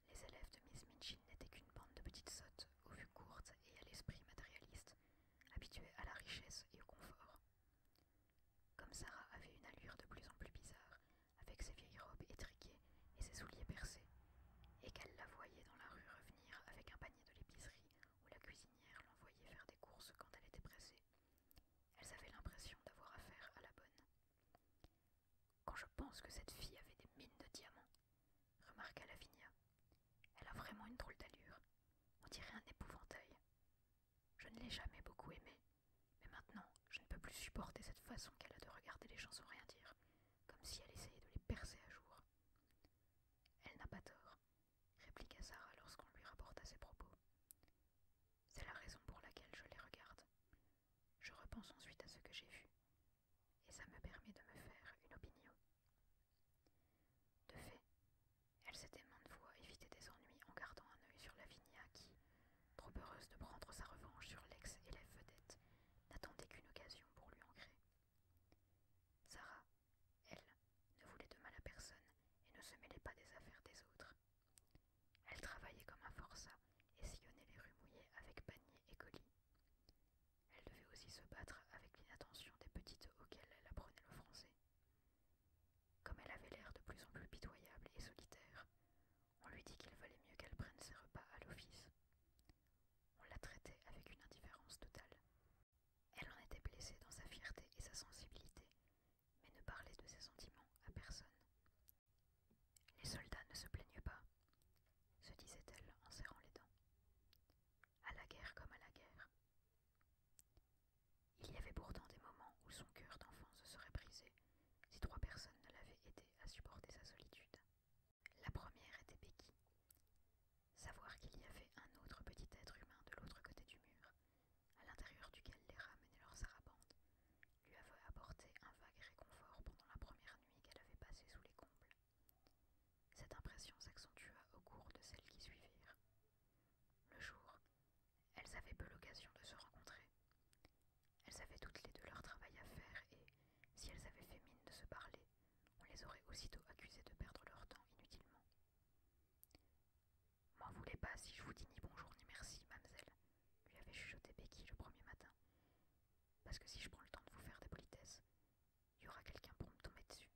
Speaker 1: les élèves de Miss Minchin n'étaient qu'une bande de petites sottes, aux vues courtes et à l'esprit matérialiste, habituées à la richesse et au confort. Comme Sarah avait une allure de plus en plus bizarre, avec ses vieilles robes étriquées et ses souliers percés, et qu'elle la voyait dans la rue revenir avec un panier de l'épicerie où la cuisinière l'envoyait faire des courses quand elle était pressée. Elles avaient l'impression d'avoir affaire à la bonne. Quand je pense que cette fille avait des mines de diamants, remarqua Lavinia, elle a vraiment une drôle d'allure. On dirait un épouvantail. Je ne l'ai jamais beaucoup aimée, mais maintenant je ne peux plus supporter cette façon qu'elle a de regarder les gens sans rien dire, comme si elle essayait de les percer à jour. Elle n'a pas tort, répliqua Sarah lorsqu'on lui rapporta ses propos. C'est la raison pour laquelle je les regarde. Je repense ensuite à ce que j'ai vu, et ça me permet de me faire une opinion. De fait, elle s'était maintes fois éviter des ennuis en gardant un œil sur Lavinia qui, trop heureuse de prendre sa revanche sur l'ex-élève vedette, n'attendait qu'une occasion pour lui ancrer. Sarah, elle ne voulait de mal à personne et ne se mêlait pas des affaires des autres. Elle travaillait comme un forçat et sillonnait les rues mouillées avec panier et colis. Elle devait aussi se battre avec l'inattention des petites auxquelles elle apprenait le français. Comme elle avait l'air de plus en plus pitoyable et solitaire, on lui dit qu'il valait mieux qu'elle prenne ses repas à l'office. On la traitait avec une indifférence totale, elle en était blessée dans sa fierté et sa sensibilité, mais ne parlait de ses sentiments à personne. Les soldats ne se plaignent pas, se disait-elle en serrant les dents. À la guerre comme à la guerre. Il y avait pourtant des moments où son cœur d'enfant se serait brisé si trois personnes ne l'avaient aidé à supporter sa solitude. La première était Becky. Savoir qu'il y avait un autre petit être humain de l'autre côté du mur à l'intérieur duquel les ramenaient leurs sarabandes, lui avait apporté un vague réconfort pendant la première nuit qu'elle avait passée sous les combles. Cette impression s'accentua au cours de celles qui suivirent. Le jour, elles avaient peu l'occasion de se rencontrer. Elles avaient toutes les deux leur travail à faire et, si elles avaient fait mine de se parler, on les aurait aussitôt accusées de perdre leur temps inutilement. M'en voulez pas si je vous dis ni bonjour ni merci, mademoiselle, lui avait chuchoté Becky le premier matin. Parce que si je prends le temps de vous faire des politesses, il y aura quelqu'un pour me tomber dessus.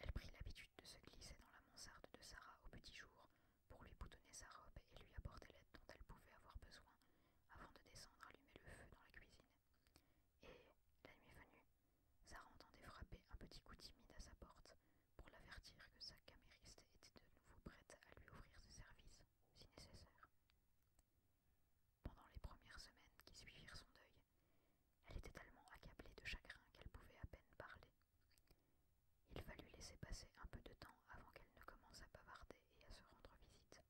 Speaker 1: Elle prit l'habitude de se glisser dans la mansarde de Sarah au petit jour pour lui boutonner sa robe et lui apporter l'aide dont elle pouvait avoir besoin avant de descendre allumer le feu dans la cuisine. Et, la est venue, Sarah entendait frapper un petit coup timide à sa porte pour l'avertir que sa camériste était de nouveau prête à lui offrir ses services, si nécessaire. Pendant les premières semaines qui suivirent son deuil, elle était tellement accablée de chagrin qu'elle pouvait à peine parler. Il fallut laisser passer un peu de temps avant qu'elle ne commence à bavarder et à se rendre visite.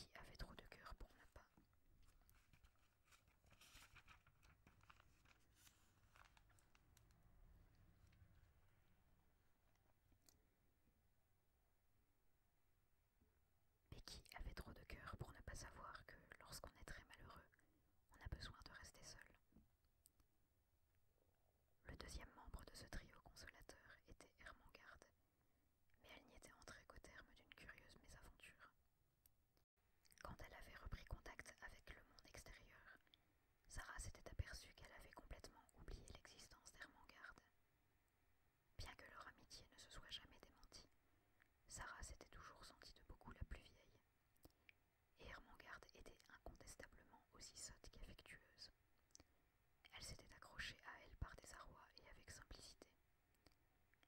Speaker 1: qui avait trop de cœur pour ne pas. Becky avait trop de cœur pour ne pas savoir que lorsqu'on est très malheureux, on a besoin de rester seul. Le deuxième membre de ce trio consolateur était Hermangarde, mais elle n'y était entrée qu'au terme d'une curieuse mésaventure. Quand elle avait repris contact avec le monde extérieur, Sarah s'était aperçue qu'elle avait complètement oublié l'existence d'Hermangarde. Bien que leur amitié ne se soit jamais démentie, Sarah s'était toujours sentie de beaucoup la plus vieille. Et Hermangarde était incontestablement aussi sotte qu'affectueuse. Elle s'était accrochée à elle par des arrois et avec simplicité.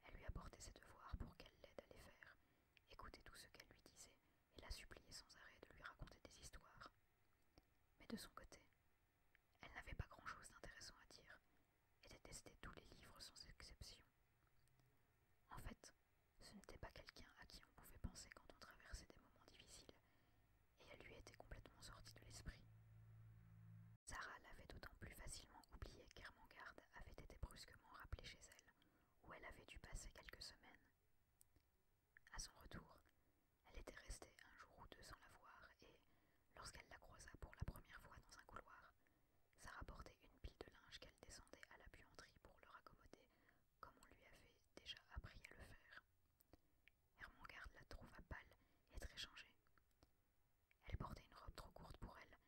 Speaker 1: Elle lui apportait ses devoirs pour qu'elle l'aide à les faire, écouter tout ce qu'elle lui disait et la suppliait sans arrêt de lui raconter des histoires. Mais de son côté, elle n'avait pas grand-chose d'intéressant à dire et détestait tous les livres sans exception. En fait, ce n'était pas quelqu'un à qui on pouvait penser quand on traversait des moments difficiles, et elle lui était complètement sortie de l'esprit. Sarah l'avait d'autant plus facilement oubliée qu'Ermengarde avait été brusquement rappelée chez elle, où elle avait dû passer quelques semaines. À son retour, elle était restée un jour ou deux sans la voir et, lorsqu'elle la croisa pour la première fois dans un couloir, ça rapportait une pile de linge qu'elle descendait à la buanderie pour le raccommoder comme on lui avait déjà appris à le faire. garde la trouva pâle et très changée. Elle portait une robe trop courte pour elle,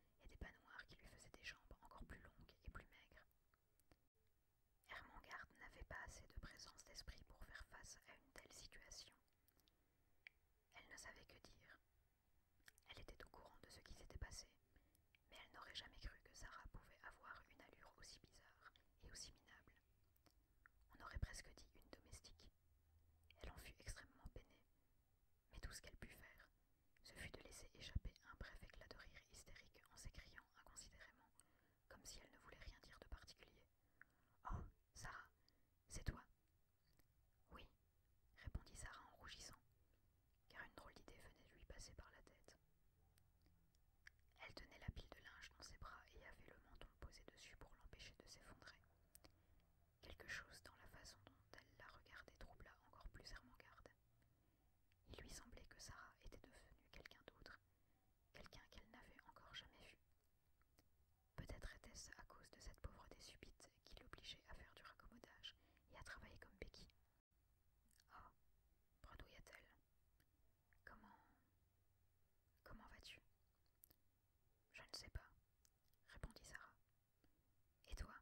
Speaker 1: et des noirs qui lui faisaient des jambes encore plus longues et plus maigres. Ermengarde n'avait pas assez de présence d'esprit pour faire face à une telle situation. Elle ne savait que dire. Elle était au courant de ce qui s'était passé, mais elle n'aurait jamais cru que Sarah pouvait avoir une allure aussi bizarre et aussi minable. On aurait presque dit une domestique. Elle en fut extrêmement peinée, mais tout ce qu'elle put faire, ce fut de laisser échapper un bref éclat de rire hystérique en s'écriant inconsidérément, comme si elle ne voulait rien dire de particulier. Oh, Sarah, c'est toi Oui, répondit Sarah en rougissant, car une drôle d'idée venait de lui passer par la tête. Elle tenait la pile de linge dans ses bras et avait le menton posé dessus pour l'empêcher de s'effondrer. Quelque chose dans la façon dont elle la regardait troubla encore plus Ermengarde. Il lui semblait que Sarah était devenue quelqu'un d'autre, quelqu'un qu'elle n'avait encore jamais vu. Peut-être était-ce à cause de cette pauvreté subite qui l'obligeait à faire du raccommodage et à travailler comme Becky. Ah, bredouilla-t-elle. Comment. Comment vas-tu Je ne sais pas, répondit Sarah. Et toi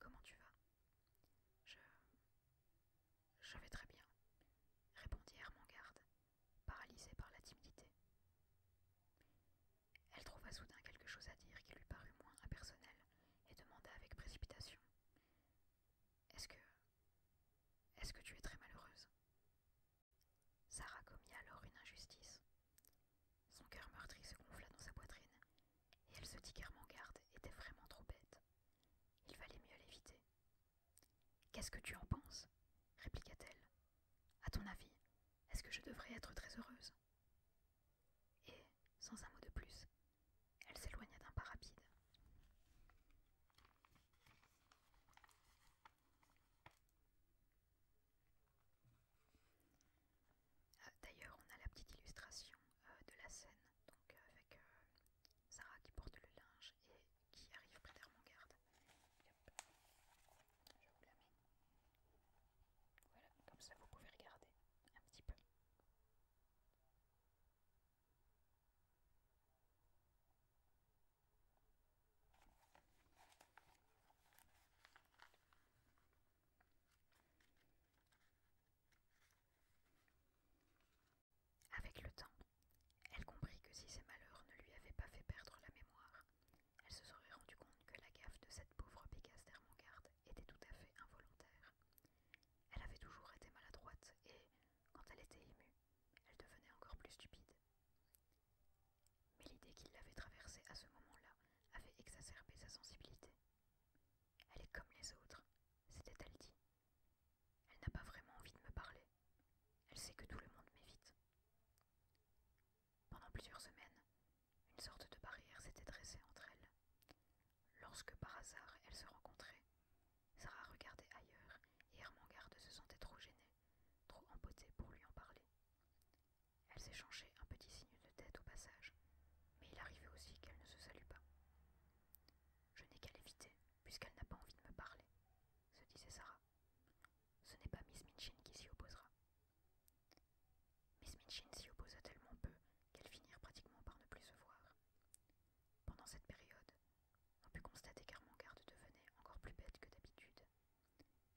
Speaker 1: Comment tu vas Je. Je vais très bien, répondit Garde, paralysée par la timidité. Elle trouva soudain quelque chose à dire qui lui parut moins impersonnel et demanda avec précipitation Est-ce que. Est-ce que tu es très malheureuse Sarah commit alors une injustice. Son cœur meurtri se gonfla dans sa poitrine et elle se dit qu'Hermengarde était vraiment trop bête. Il valait mieux l'éviter. Qu'est-ce que tu en penses répliqua-t-elle. À ton avis, est-ce que je devrais être très heureuse Et, sans un mot de plus, elle s'éloigna d'un pas rapide. Euh, d'ailleurs, on a la petite illustration euh, de la scène, donc euh, avec Sarah qui porte le linge et qui arrive près garde Je vous la mets. Voilà, comme ça vous pouvez regarder un petit peu. Avec le temps, elle comprit que si ses malheurs ne lui avaient pas fait perdre la mémoire, elle se serait rendue compte que la gaffe de cette pauvre Pégase d'Hermangarde était tout à fait involontaire. Elle avait toujours été maladroite et, quand elle était émue, elle devenait encore plus stupide. Mais l'idée qu'il l'avait traversée à ce moment-là avait exacerbé sa sensibilité. Elle est comme les autres, s'était-elle dit. Elle n'a pas vraiment envie de me parler. Elle sait que tout le monde m'évite. Pendant plusieurs semaines, une sorte de barrière s'était dressée entre elles. Lorsque par hasard elles se rencontraient, Sarah regardait ailleurs et Hermangarde se sentait trop gênée, trop empotée pour lui en parler. Elles échangeaient un petit signe de tête au passage, mais il arrivait aussi qu'elle ne se salue pas. Je n'ai qu'à l'éviter, puisqu'elle n'a pas envie de me parler, se disait Sarah. Ce n'est pas Miss Minchin qui s'y opposera. Miss Minchin s'y opposa tellement peu qu'elles finirent pratiquement par ne plus se voir. Pendant cette période, on put constater Garde devenait encore plus bête que d'habitude.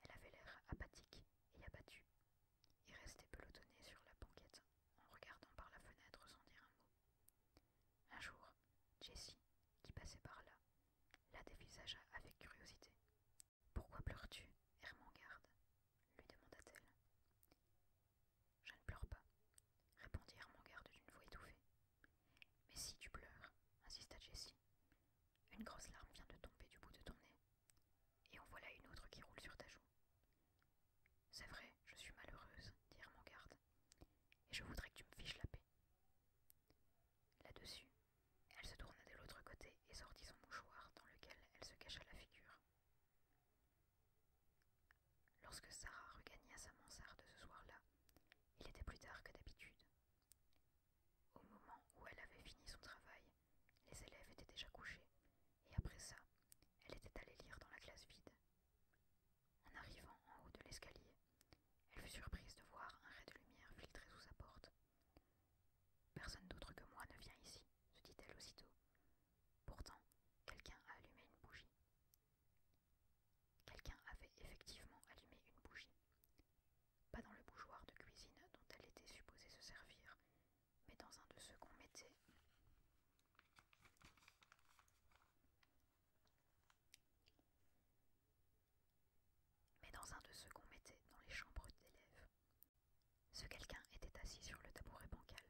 Speaker 1: Elle avait l'air apathique et abattue, et restait pelotonné sur la banquette, en regardant par la fenêtre sans dire un mot. Un jour, Jessie, qui passait par là, la dévisagea avec curiosité. Pourquoi pleures-tu, Hermangarde ?» lui demanda-t-elle. Je ne pleure pas, répondit Hermangarde d'une voix étouffée. Mais si tu pleures, insista Jessie. Une grosse larme vient de tomber du bout de ton nez, et en voilà une autre qui roule sur ta joue. C'est vrai, je suis malheureuse, dit mon garde, et je voudrais que tu me fiches la paix. Là-dessus, elle se tourna de l'autre côté et sortit son mouchoir dans lequel elle se cacha la figure. Lorsque Sarah regagna sa mansarde ce soir-là, il était plus tard que d'habitude. Au moment où elle avait fini son travail, les élèves étaient déjà couchés et après ça, elle était allée lire dans la classe vide. En arrivant en haut de l'escalier, elle fut surprise de voir un ray de lumière filtrer sous sa porte. Personne d'autre que moi ne vient ici, se dit-elle aussitôt. Pourtant, quelqu'un a allumé une bougie. Quelqu'un avait effectivement allumé une bougie. Pas dans le bougeoir de cuisine dont elle était supposée se servir, mais dans un de ceux qu'on mettait. Mais dans un de dans les chambres d'élèves. Ce quelqu'un était assis sur le tabouret bancal,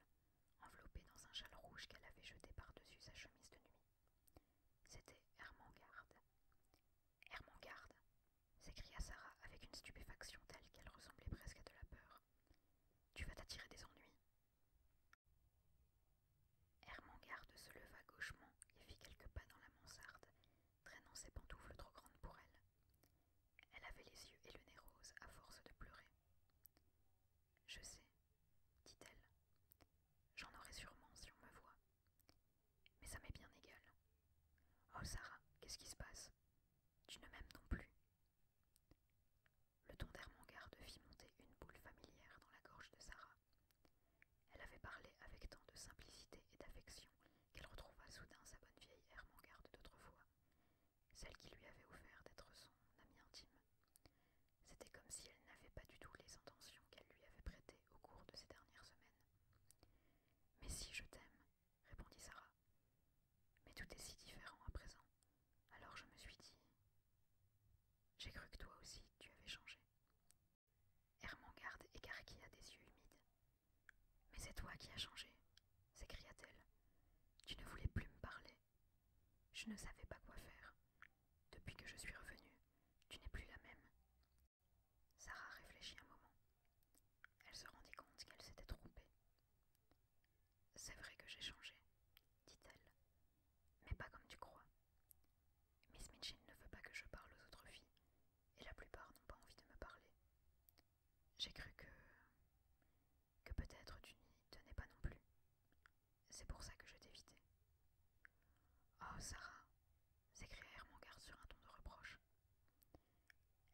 Speaker 1: enveloppé dans un châle rouge qu'elle avait jeté par-dessus sa chemise de nuit. C'était Hermangarde. Garde !» s'écria Sarah avec une stupéfaction telle qu'elle ressemblait presque à de la peur. Tu vas t'attirer des ennuis, Hermengarde se leva gauchement et fit quelques pas dans la mansarde, traînant ses pantoufles trop grandes pour elle. Elle avait les yeux et le nez roses à force de pleurer. Je sais, dit-elle. J'en aurai sûrement si on me voit. Mais ça m'est bien égal. Oh Sarah, qu'est-ce qui se passe Tu ne m'aimes non plus, le ton garde fit monter une boule familière dans la gorge de Sarah. Elle avait parlé avec tant de simplicité et d'affection qu'elle retrouva soudain sa bonne vieille Ermengarde d'autrefois, celle qui lui avait offert d'être son amie intime. C'était comme si elle n'avait pas du tout les intentions qu'elle lui avait prêtées au cours de ces dernières semaines. Mais si je t'aime, répondit Sarah, mais tout est si différent à présent. Alors je me suis dit, j'ai cru que toi aussi tu avais changé. Hermengarde écarquilla des yeux humides. Mais c'est toi qui as changé, s'écria-t-elle. Tu ne voulais plus me parler. Je ne savais pas quoi faire. Depuis que je suis revenue, tu n'es plus la même. Sarah réfléchit un moment. Elle se rendit compte qu'elle s'était trompée. C'est vrai que j'ai changé, dit-elle, mais pas comme tu crois. Miss Mitchell ne veut pas que je parle aux autres filles, et la plupart n'ont pas envie de me parler. J'ai cru que. que peut-être tu n'y tenais pas non plus. C'est pour ça que je t'évitais. Oh, Sarah s'écria garde sur un ton de reproche.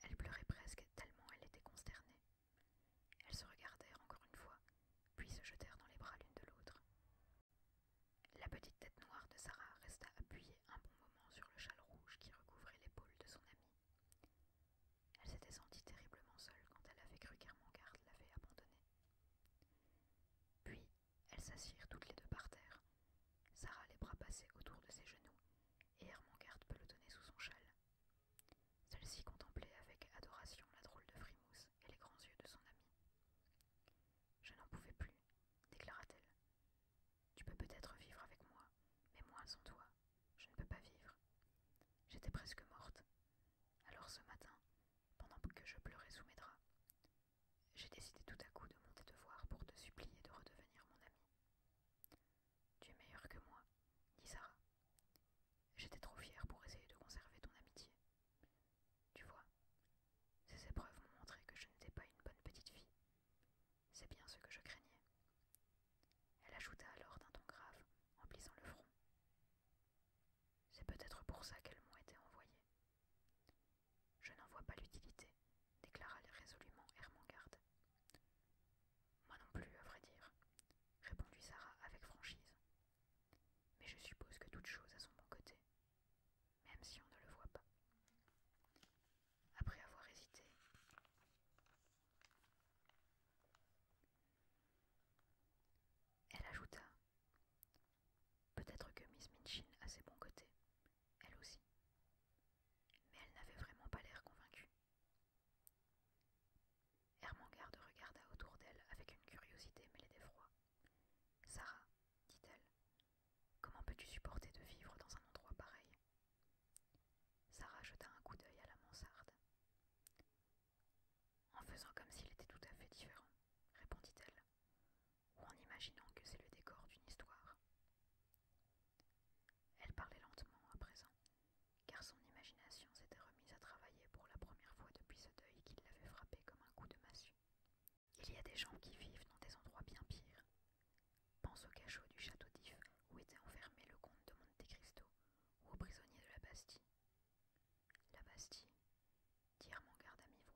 Speaker 1: Elle pleurait presque tellement elle était consternée. Elles se regardèrent encore une fois, puis se jetèrent dans les bras l'une de l'autre. La petite tête noire de Sarah resta appuyée un bon moment sur le châle rouge qui recouvrait l'épaule de son amie. Elle s'était sentie terriblement seule quand elle avait cru qu'Hermangarde l'avait abandonnée. Puis, elles s'assirent toutes les deux par terre, Sarah les bras passés autour de ses genoux, et le pelotonnait sous son châle, celle-ci contemplait avec adoration la drôle de frimousse et les grands yeux de son ami. Je n'en pouvais plus, déclara-t-elle. Tu peux peut-être vivre avec moi, mais moi sans toi, je ne peux pas vivre. J'étais presque morte. Alors ce matin, pendant que je pleurais sous mes draps, j'ai décidé tout à coup de monter te voir pour te supplier de redevenir mon ami. Tu es meilleur que moi, dit Sarah. J'étais trop fière pour essayer de conserver ton amitié. Tu vois, ces épreuves m'ont montré que je n'étais pas une bonne petite fille. C'est bien ce que je craignais. Elle ajouta alors d'un ton grave, en plissant le front. C'est peut-être pour ça qu'elles m'ont été envoyées. Je n'en vois pas l'utilité, déclara résolument Hermangarde. Moi non plus, à vrai dire, répondit Sarah avec franchise. Mais je suppose que toute chose a son bon côté, même si on ne le voit pas. Après avoir hésité, elle ajouta Peut-être que Miss Minchin a ses bons côtés, elle aussi. Mais elle n'avait vraiment pas l'air convaincue. Hermangarde regarda autour d'elle avec une curiosité mêlée d'effroi. Sarah, dit-elle, comment peux-tu supporter de vivre dans un endroit pareil Sarah jeta un coup d'œil à la mansarde. En faisant comme s'il était tout à fait différent, répondit-elle, ou en imaginant que c'est le décor d'une histoire. Elle parlait lentement à présent, car son imagination s'était remise à travailler pour la première fois depuis ce deuil qui l'avait frappé comme un coup de massue. Il y a des gens qui vivent dans des endroits bien pires. Pense au cachot du château d'If où était enfermé le comte de Monte Cristo ou aux prisonniers de la Bastille. La Bastille, mon garde à mi-voix.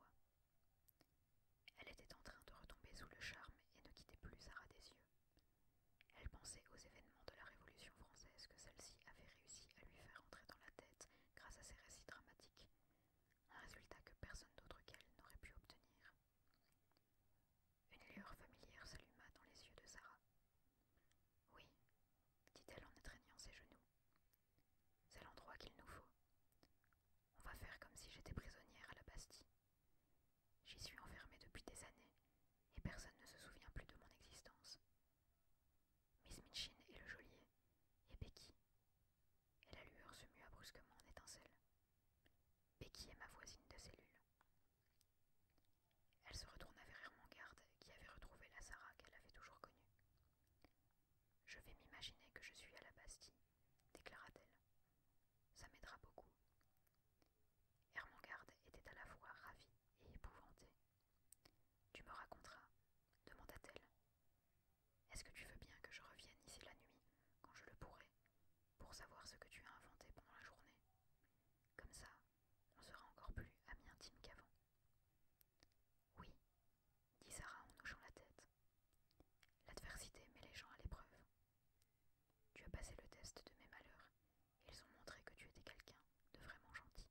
Speaker 1: Elle était en train de retomber sous le charme et ne quittait plus Sarah des yeux. Elle pensait aux événements de la Révolution française que celle-ci avait réussi à lui faire entrer dans la tête grâce à ses récits dramatiques, un résultat que personne d'autre qu'elle n'aurait pu obtenir. Une lueur familière s'alluma dans les yeux de Sarah. Oui, dit-elle en étreignant ses genoux. C'est l'endroit qu'il nous faut. On va faire comme si j'étais prisonnière à la Bastille. J'y suis enfermée depuis des années, et personne ne se souvient plus de mon existence. Miss Minchin et le geôlier, et Becky. Et la lueur se mua brusquement en étincelle Becky est ma voisine de cellule. Elle se retourna vers Hermangarde, qui avait retrouvé la Sarah qu'elle avait toujours connue. Je vais m'imaginer que je suis à la Bastille, déclara-t-elle. Ça m'aidera beaucoup. Hermangarde était à la fois ravie et épouvantée. Tu me raconteras, demanda-t-elle. Est-ce que tu veux bien que je revienne ici la nuit, quand je le pourrai, pour savoir ce que tu as inventé pendant la journée Comme ça, on sera encore plus amis intimes qu'avant. Oui, dit Sarah en hochant la tête. L'adversité met les gens à l'épreuve. Tu as passé le test de mes malheurs ils ont montré que tu étais quelqu'un de vraiment gentil.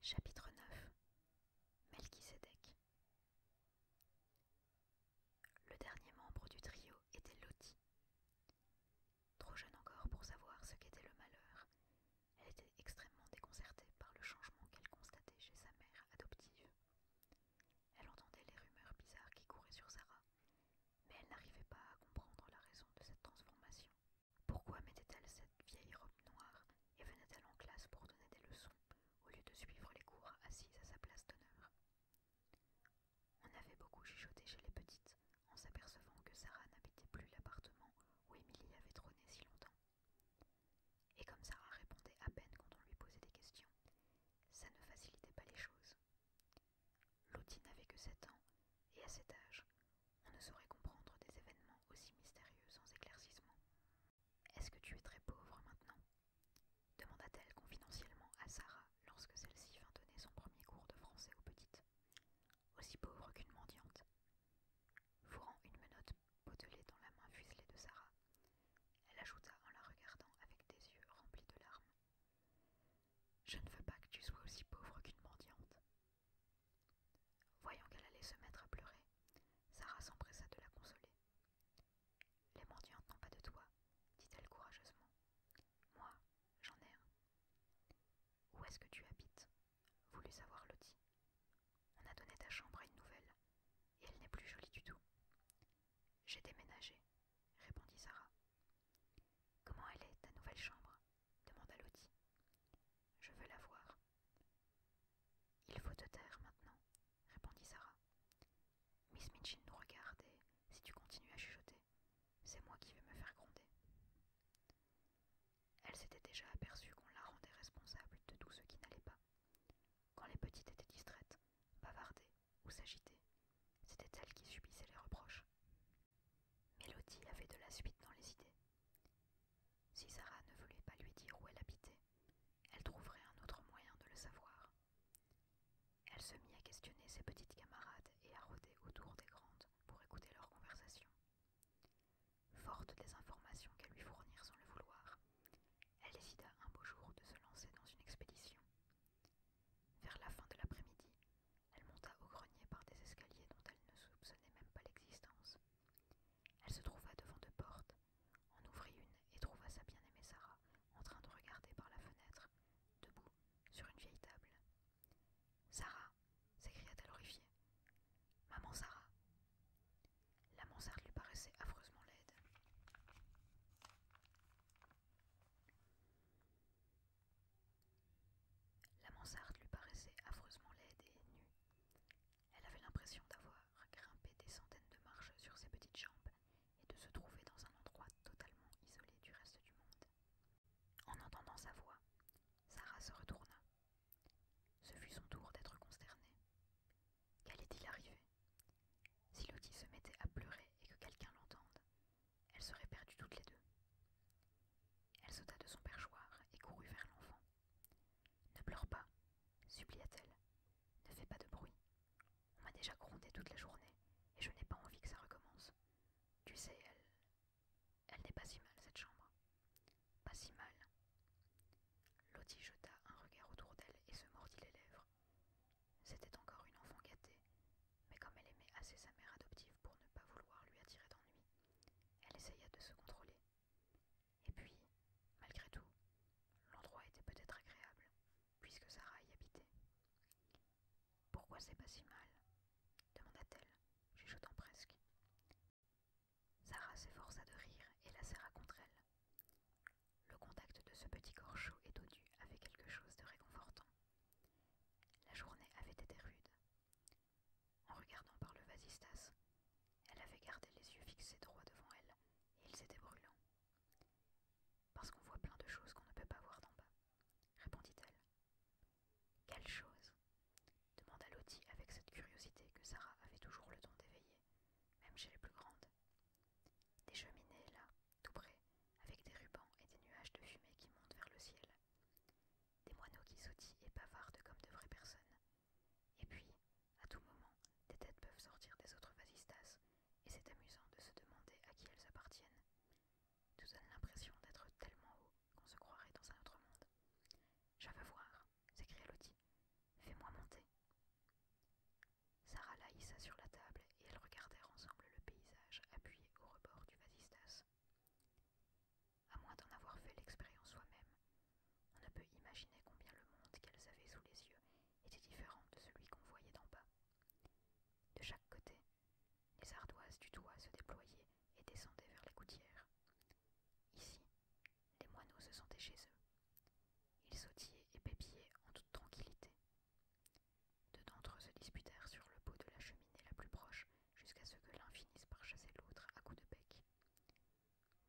Speaker 1: Chapitre 9 Melchisedec Le dernier membre du trio était Loti. Trop jeune encore pour savoir ce qu'était le malheur, elle était extrêmement déconcertée par le changement qu'elle constatait chez sa mère adoptive. Elle entendait les rumeurs bizarres qui couraient sur Sarah mais elle n'arrivait pas à comprendre la raison de cette transformation. Pourquoi mettait-elle cette vieille robe noire et venait-elle en classe pour donner des leçons au lieu de suivre les cours assise à sa place d'honneur On avait beaucoup chuchoté chez les petites en s'apercevant que Sarah n'habitait plus l'appartement où Émilie avait trôné si longtemps. Et comme Sarah répondait à peine quand on lui posait des questions, ça ne facilitait pas les choses. Lottie n'avait que sept ans, et à cet âge, on ne saurait comprendre des événements aussi mystérieux sans éclaircissement. Est-ce que tu es très pauvre maintenant demanda-t-elle confidentiellement à Sarah lorsque celle-ci vint donner son premier cours de français aux petites. Aussi pauvre qu'une mendiante. Fourrant une menotte potelée dans la main fuselée de Sarah, elle ajouta en la regardant avec des yeux remplis de larmes. Je ne veux pas que tu sois aussi pauvre qu'une mendiante. Voyant qu'elle allait se mettre à pleurer, Sarah s'empressa de la consoler. Les mendiantes n'ont pas de toi, dit-elle courageusement. Moi, j'en ai Où est-ce que tu habites voulut savoir Lottie. On a donné ta chambre à une nouvelle, et elle n'est plus jolie du tout. J'ai déménagé, répondit Sarah. Comment elle est, ta nouvelle chambre demanda Lottie. Je veux la voir. Il faut te taire maintenant, répondit Sarah. Miss Mitchin. nous regarde et, si tu continues à chuchoter, c'est moi qui vais me faire gronder. Elle s'était déjà aperçue qu'on la rendait responsable de tout ce qui n'allait pas. Quand les petites étaient distraites, bavardées ou s'agitaient, c'était elle qui subissait les reproches. Mélodie avait de la suite dans les idées. Si Sarah ne voulait pas lui dire où elle habitait, elle trouverait un autre moyen de le savoir. Elle se mit à questionner ses petites camarades et à rôder autour des grandes pour écouter leur conversation. Forte des informations qu'elles lui fournirent sans le vouloir, elle décida un beau jour de se lancer dans une expédition. Vers la fin de l'après-midi, elle monta au grenier par des escaliers dont elle ne soupçonnait même pas l'existence. Elle se trouva devant deux portes, en ouvrit une et trouva sa bien-aimée Sarah en train de regarder par la fenêtre, debout, sur une vieille table. Sarah s'écria-t-elle horrifiée. Maman Sarah La mansarde lui paraissait affreusement laide. La mansarde lui paraissait affreusement laide et nue. Elle avait l'impression d'avoir grimpé des centaines de marches sur ses petites jambes et de se trouver dans un endroit totalement isolé du reste du monde. En entendant sa voix, Sarah se retourna. Ce fut son tour d'être consternée. Qu'allait-il arriver Si Lottie se mettait à pleurer et que quelqu'un l'entende, elles seraient perdues toutes les deux. Elle sauta de son perchoir et courut vers l'enfant. Ne pleure pas, supplia-t-elle. Ne fais pas de bruit. On m'a déjà grondé toute la journée et je n'ai pas envie que ça recommence. Tu sais, elle. Elle n'est pas si mal, cette chambre. Pas si mal. Lottie jeta un regard autour d'elle et se mordit les lèvres. C'était encore une enfant gâtée, mais comme elle aimait assez sa mère adoptive pour ne pas vouloir lui attirer d'ennui, elle essaya de se contrôler. Et puis, malgré tout, l'endroit était peut-être agréable, puisque Sarah y habitait. Pourquoi c'est pas si mal demanda-t-elle, chuchotant presque. Sarah s'efforça de rire et la serra contre elle. Le contact de ce petit corps chaud et dodu avait quelque chose de réconfortant. La journée avait été rude, en regardant par le vasistas, elle avait gardé les yeux fixés droit devant elle, et ils étaient brûlants. Parce qu'on voit plein de choses qu'on ne peut pas voir d'en bas, répondit-elle. Quelles choses ?» demanda Lottie avec cette curiosité que Sarah avait toujours le don d'éveiller, même chez les plus grandes. Des cheminées, là, tout près, avec des rubans et des nuages de fumée qui montent vers le ciel des moineaux qui sautillent et bavardent comme de vraies personnes. Et puis, à tout moment, des têtes peuvent sortir des autres vasistas, et c'est amusant de se demander à qui elles appartiennent. Tout donne l'impression d'être tellement haut qu'on se croirait dans un autre monde. Je veux voir, s'écria Lottie. Fais-moi monter. Sarah la sur la table et elles regardèrent ensemble le paysage appuyé au rebord du vasistas. À moins d'en avoir fait l'expérience soi-même, on ne peut imaginer combien le monde qu'elles avaient sous les yeux était différent de celui qu'on voyait d'en bas. De chaque côté, les ardoises du toit se déployaient et descendaient vers les gouttières. Ici, les moineaux se sentaient chez eux. Ils sautillaient et pépillaient en toute tranquillité. Deux d'entre eux se disputèrent sur le bout de la cheminée la plus proche jusqu'à ce que l'un finisse par chasser l'autre à coups de bec.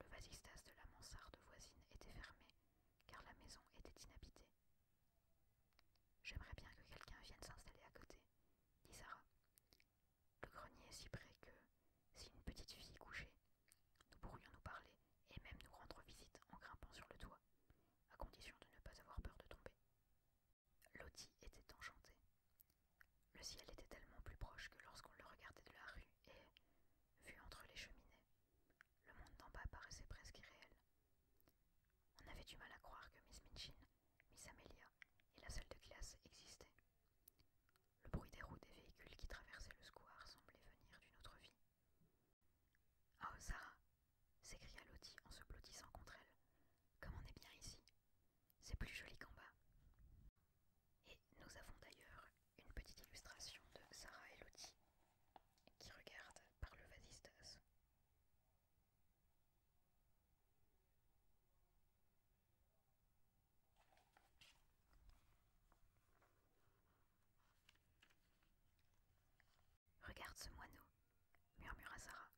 Speaker 1: Le vasistas de la mansarde voisine était fermé, car la maison était inhabitée. J'aimerais bien que quelqu'un vienne s'installer à côté, dit Sarah. Le grenier est si près que, si une petite fille couchait, nous pourrions nous parler et même nous rendre visite en grimpant sur le toit, à condition de ne pas avoir peur de tomber. Lottie était enchantée. Le ciel était tellement plus proche que lorsqu'on le regardait de la rue et, vu entre les cheminées, le monde d'en bas paraissait presque irréel. On avait du mal à croire que Miss Minchin, Miss Amelia et la salle de classe existaient. Le bruit des roues des véhicules qui traversaient le square semblait venir d'une autre vie. oh, Sarah s'écria Lottie en se blottissant contre elle. Comme on est bien ici. C'est plus joli qu'en bas. Et nous avons d'ailleurs une petite illustration de Sarah Elodie qui regardent par le vasistas. Regarde ce moineau, murmura Sarah.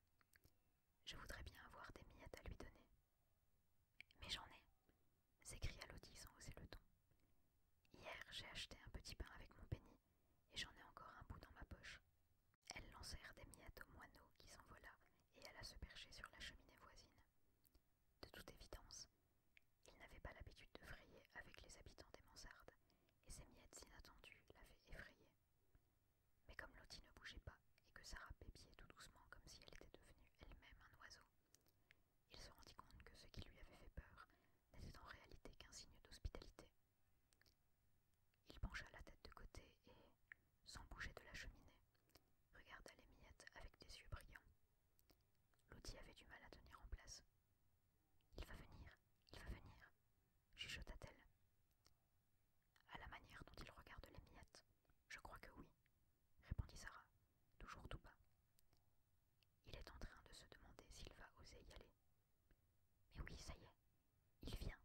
Speaker 1: Je voudrais bien avoir des miettes à lui donner. Mais j'en ai, s'écria Lodi sans oser le ton. Hier, j'ai acheté un petit pain avec mon penny, et j'en ai encore un bout dans ma poche. Elles lancèrent des miettes au moineau qui s'envola et alla se percher sur la cheminée voisine. De toute évidence, il n'avait pas l'habitude de frayer avec les habitants des mansardes, et ces miettes inattendues l'avaient effrayé. Mais comme Lottie ne bougeait pas et que Sarah pépiait tout doucement comme si elle était devenue elle-même un oiseau, il se rendit compte que ce qui lui avait fait peur n'était en réalité qu'un signe d'hospitalité. Il pencha la tête de côté et, sans bouger de la cheminée, regarda les miettes avec des yeux brillants. Lottie avait du mal à tenir en place. Il va venir, il va venir, chuchota-t-elle. À la manière dont il regarde les miettes, je crois que oui, répondit Sarah, toujours tout bas. Il est en train de se demander s'il va oser y aller. Mais oui, ça y est, il vient.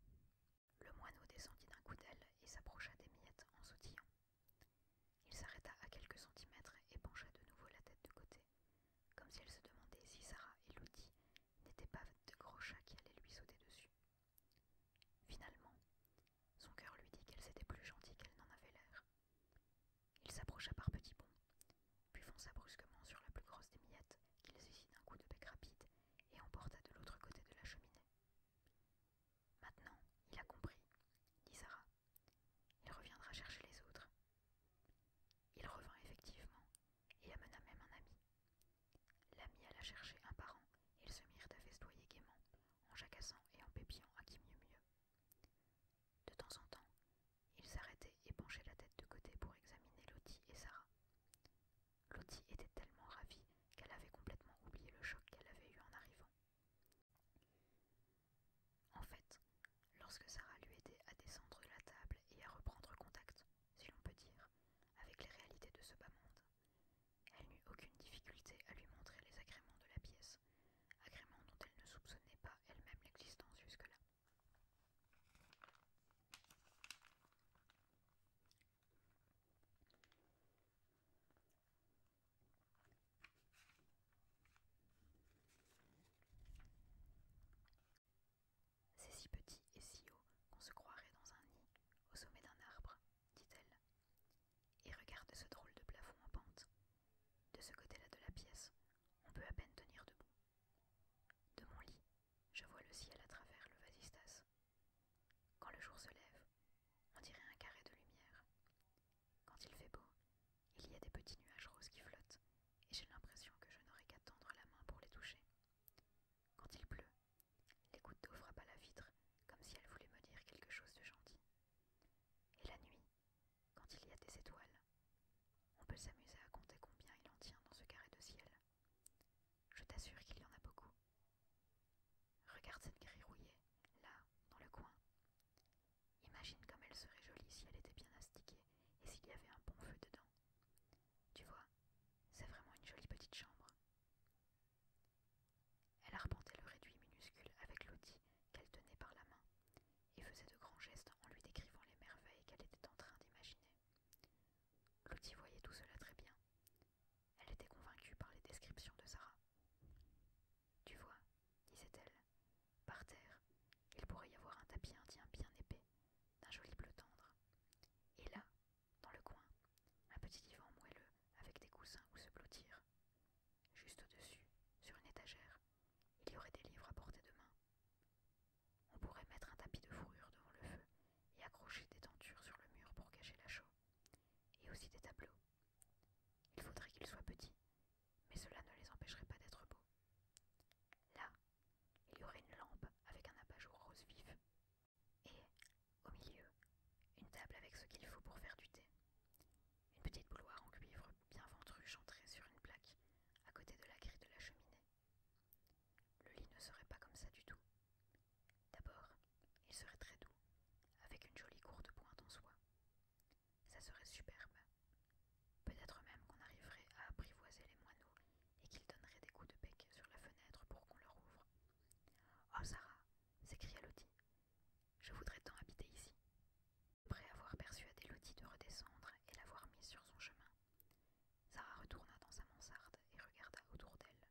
Speaker 1: Le moineau descendit d'un coup d'aile et s'approcha des miettes en sautillant. Il s'arrêta à quelques centimètres et pencha de nouveau la tête de côté, comme si elle se demandait si Sarah et Ludi n'étaient pas de gros chats qui allaient lui sauter dessus. Finalement, son cœur lui dit qu'elle s'était plus gentille qu'elle n'en avait l'air. Il s'approcha par petits bonds, puis fonça brusquement sur la plus grosse des miettes qu'il saisit d'un coup de bec rapide et emporta de l'autre côté de la cheminée. Maintenant, il a compris, dit Sarah. Il reviendra chercher les autres. Il revint effectivement et amena même un ami, L'ami alla chercher un parent et ils se mirent à festoyer gaiement, en jacassant et en pépillant à qui mieux mieux. De temps en temps, ils s'arrêtaient et penchaient la tête de côté pour examiner Lottie et Sarah. Lottie était tellement ravie qu'elle avait complètement oublié le choc qu'elle avait eu en arrivant. En fait, lorsque Sarah lui aidait à descendre la table et à reprendre contact, si l'on peut dire, avec les réalités de ce bas monde, elle n'eut aucune difficulté à lui montrer les agréments de la pièce, agréments dont elle ne soupçonnait pas elle-même l'existence jusque-là. C'est si petit et si haut qu'on se croirait dans un nid au sommet d'un arbre, dit-elle, et regarde ce drôle de plafond en pente. De ce côté-là de la pièce, on peut à peine tenir debout. De mon lit, je vois le ciel à travers le vasistas. Quand le jour se lève, on dirait un carré de lumière. Quand il fait beau, il y a des petits nuages roses qui flottent, et j'ai l'impression que je n'aurai qu'à tendre la main pour les toucher. Quand il pleut, les gouttes d'eau frappent à la vitre, comme si elle voulait me dire quelque chose de gentil. Et la nuit, quand il y a des étoiles, on peut s'amuser à compter combien il en tient dans ce carré de ciel. Je t'assure qu'il y en a beaucoup. Regarde cette grille rouillée, là, dans le coin. Imagine comme elle serait jolie si elle était bien astiquée et s'il y avait un bon feu dedans. Tu vois, c'est vraiment une jolie petite chambre. Elle arpentait le réduit minuscule avec l'outil qu'elle tenait par la main et faisait de grands gestes en lui décrivant les merveilles qu'elle était en train d'imaginer. L'outil voyait tout cela très bien. Elle était convaincue par les descriptions de Sarah. Tu vois, disait-elle, par terre, il pourrait y avoir un tapis indien bien épais, d'un joli bleu tendre. Et là, dans le coin, un petit divan moelleux avec des coussins où se blottir. Juste au-dessus, sur une étagère, il y aurait des livres à porter de main. On pourrait mettre un tapis de fourrure devant le feu et accrocher des tentures sur le mur pour cacher la chaux, et aussi des tableaux. Il faudrait qu'ils soient petits, mais cela ne les empêcherait pas d'être beaux. Là, il y aurait une lampe avec un abat-jour rose vif, et, au milieu, une table avec ce qu'il faut pour faire du thé. Une petite bouloire en cuivre bien ventrue entrée sur une plaque, à côté de la grille de la cheminée. Le lit ne serait pas comme ça du tout. D'abord, il serait très doux, avec une jolie courte pointe en soie. Ça serait superbe. Peut-être même qu'on arriverait à apprivoiser les moineaux et qu'ils donneraient des coups de bec sur la fenêtre pour qu'on leur ouvre. Oh Sarah, s'écria Lottie. Je voudrais tant habiter ici. Après avoir persuadé Lottie de redescendre et l'avoir mise sur son chemin, Sarah retourna dans sa mansarde et regarda autour d'elle.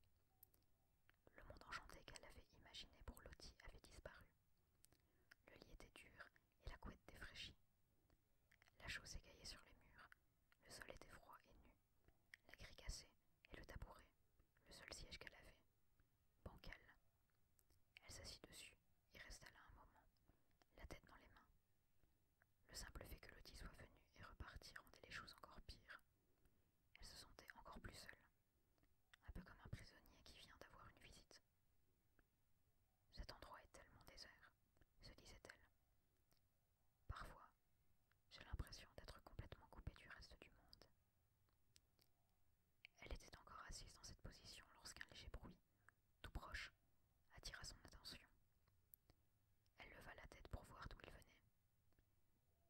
Speaker 1: Le monde enchanté qu'elle avait imaginé pour Lottie avait disparu. Le lit était dur et la couette défraîchie. La chose s'écaillait sur les murs, le sol était froid et nu. La grille cassée et le tabouret, le seul siège qu'elle avait. Bancal. Elle s'assit dessus et resta là un moment, la tête dans les mains. Le simple fait que Lottie soit venu et reparti rendait les choses encore pires. Elle se sentait encore plus seule, un peu comme un prisonnier qui vient d'avoir une visite. Cet endroit est tellement désert, se disait-elle. Parfois, j'ai l'impression d'être complètement coupée du reste du monde. Elle était encore assise dans cette position lorsqu'un léger bruit, tout proche, attira son attention. Elle leva la tête pour voir d'où il venait.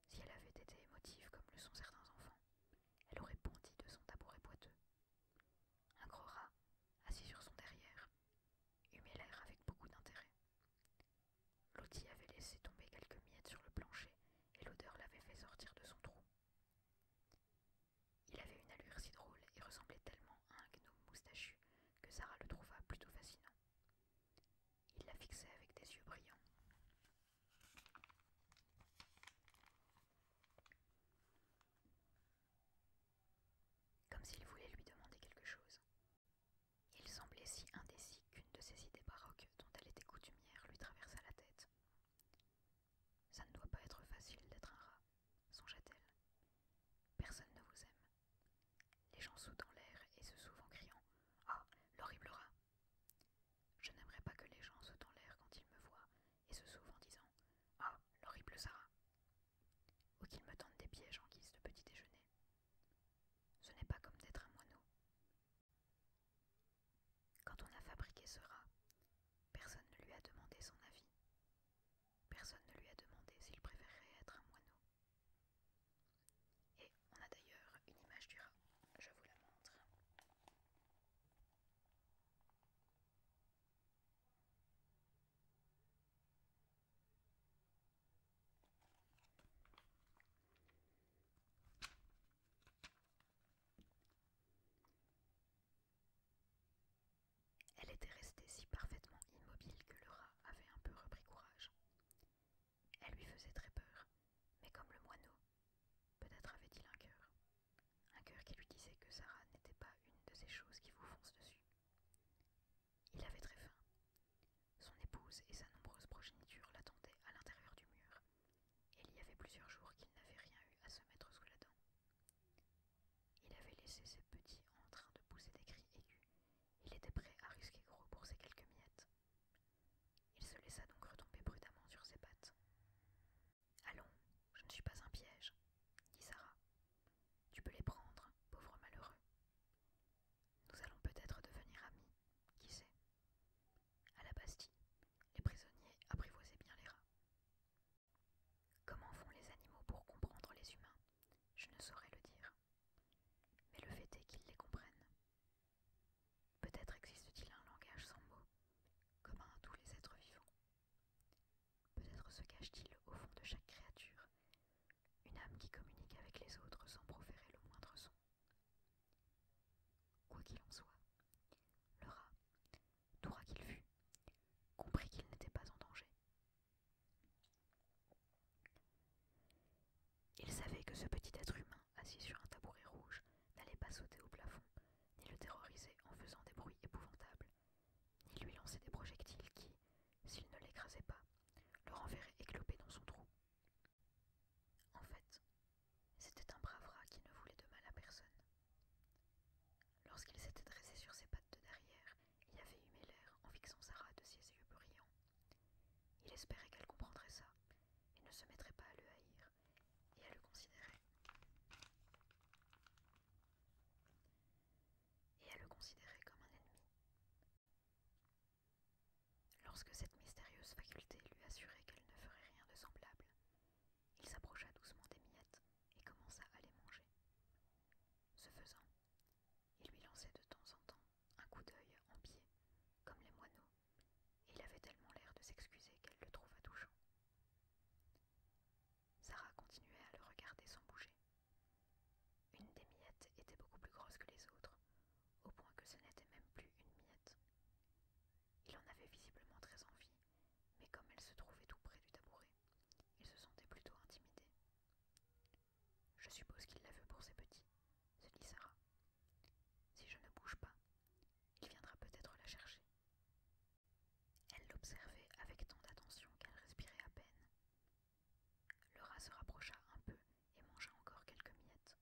Speaker 1: Si elle avait été émotive comme le sont certains enfants, elle aurait bondi de son tabouret boiteux. Un gros rat, assis sur son derrière, humait l'air avec beaucoup d'intérêt. Lottie avait laissé tomber quelques miettes sur le plancher et l'odeur l'avait fait sortir de son trou. Il avait une allure si drôle et ressemblait tellement à un gnome moustachu que Sarah le trouva plutôt fascinant. Il la fixait avec des yeux brillants. Comme s'il voulait lui demander quelque chose, il semblait si indécis qu'une de ces idées baroques dont elle était coutumière lui traversa la tête. Ça ne doit pas être facile d'être un rat, songea-t-elle. Personne ne vous aime. Les gens sautent en l'air et se sauvent en criant Ah, l'horrible rat Je n'aimerais pas que les gens sautent en l'air quand ils me voient et se souvent en disant Ah, l'horrible Sarah Ou qu'ils me tendent des pièges en guise de petit déjeuner. Ce n'est pas comme d'être un moineau. Quand on a fabriqué ce rat, personne ne lui a demandé son avis. Personne ne lui a demandé s'il préférait être un moineau. Et on a d'ailleurs une image du rat. Je vous la montre. Elle était restée si parfaitement immobile que le rat avait un peu repris courage. Elle lui faisait très peur, mais comme le moineau, peut-être avait-il un cœur. Un cœur qui lui disait que Sarah n'était pas une de ces choses qui vous foncent dessus. Il avait très faim. Son épouse et sa nombreuse progéniture l'attendaient à l'intérieur du mur, et il y avait plusieurs jours qu'il n'avait rien eu à se mettre sous la dent. Il avait laissé ses petits en train de pousser des cris aigus. Il était prêt à risquer gros pour ses quelques miettes. Il se laissa donc retomber prudemment sur ses pattes. Allons, je ne suis pas un piège, dit Sarah. Tu peux les prendre, pauvre malheureux. Nous allons peut-être devenir amis, qui sait. À la Bastille, les prisonniers apprivoisaient bien les rats. Comment font les animaux pour comprendre les humains Je ne saurais le dire. Mais le fait est qu'ils les comprennent. Peut-être existe-t-il un langage sans mots, commun à tous les êtres vivants. Peut-être se cache-t-il au fond de chaque créature une âme qui communique avec les autres sans proférer le moindre son. Quoi qu'il en soit, le rat, tout rat qu'il fût, comprit qu'il n'était pas en danger. Il savait que ce petit être humain assis sur un tabouret rouge n'allait pas sauter au plafond, ni le terroriser en faisant des bruits épouvantables, ni lui lancer des projectiles qui, s'il ne l'écrasait pas, le renverraient éclopé dans son trou. En fait, c'était un brave rat qui ne voulait de mal à personne. Lorsqu'il s'était dressé sur ses pattes de derrière il avait humé l'air en fixant Sarah de ses yeux brillants, il espérait qu'elle comprendrait ça et ne se mettrait pas à le haïr et à le considérer. Et à le considérer comme un ennemi. Lorsque cette mystérieuse faculté lui assurait qu'elle ne ferait rien de semblable, il s'approcha doucement des miettes et commença à les manger. Ce faisant, il lui lançait de temps en temps un coup d'œil en pied, comme les moineaux, et il avait tellement l'air de s'excuser qu'elle le trouva touchant. Sarah continuait à le regarder sans bouger. Une des miettes était beaucoup plus grosse que les autres, au point que ce n'était même plus une miette. Il en avait visiblement très envie, mais comme elle se trouvait tout près du tabouret, il se sentait plutôt intimidé. Je suppose qu'il la veut pour ses petits, se dit Sarah. Si je ne bouge pas, il viendra peut-être la chercher. Elle l'observait avec tant d'attention qu'elle respirait à peine. Le rat se rapprocha un peu et mangea encore quelques miettes,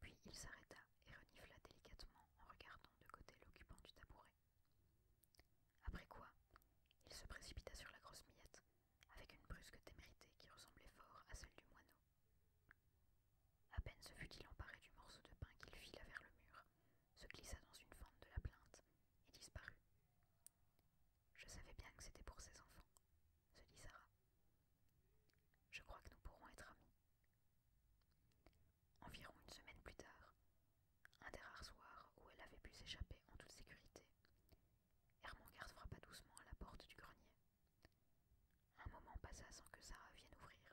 Speaker 1: puis il s'arrêta et renifla délicatement en regardant de côté l'occupant du tabouret. Après quoi, il se précipita sur la grosse miette, avec une brusque témérité qui ressemblait fort à celle du moineau. À peine se fut-il emparé du morceau de pain qu'il fila vers le mur, se glissa dans une fente de la plainte et disparut. Je savais bien que c'était pour ses enfants, se dit Sarah. Je crois que nous pourrons être amis. Environ une semaine plus tard, un des rares soirs où elle avait pu s'échapper en toute sécurité, Hermangarde frappa doucement à la porte du grenier. Un moment passa sans que Sarah vienne ouvrir.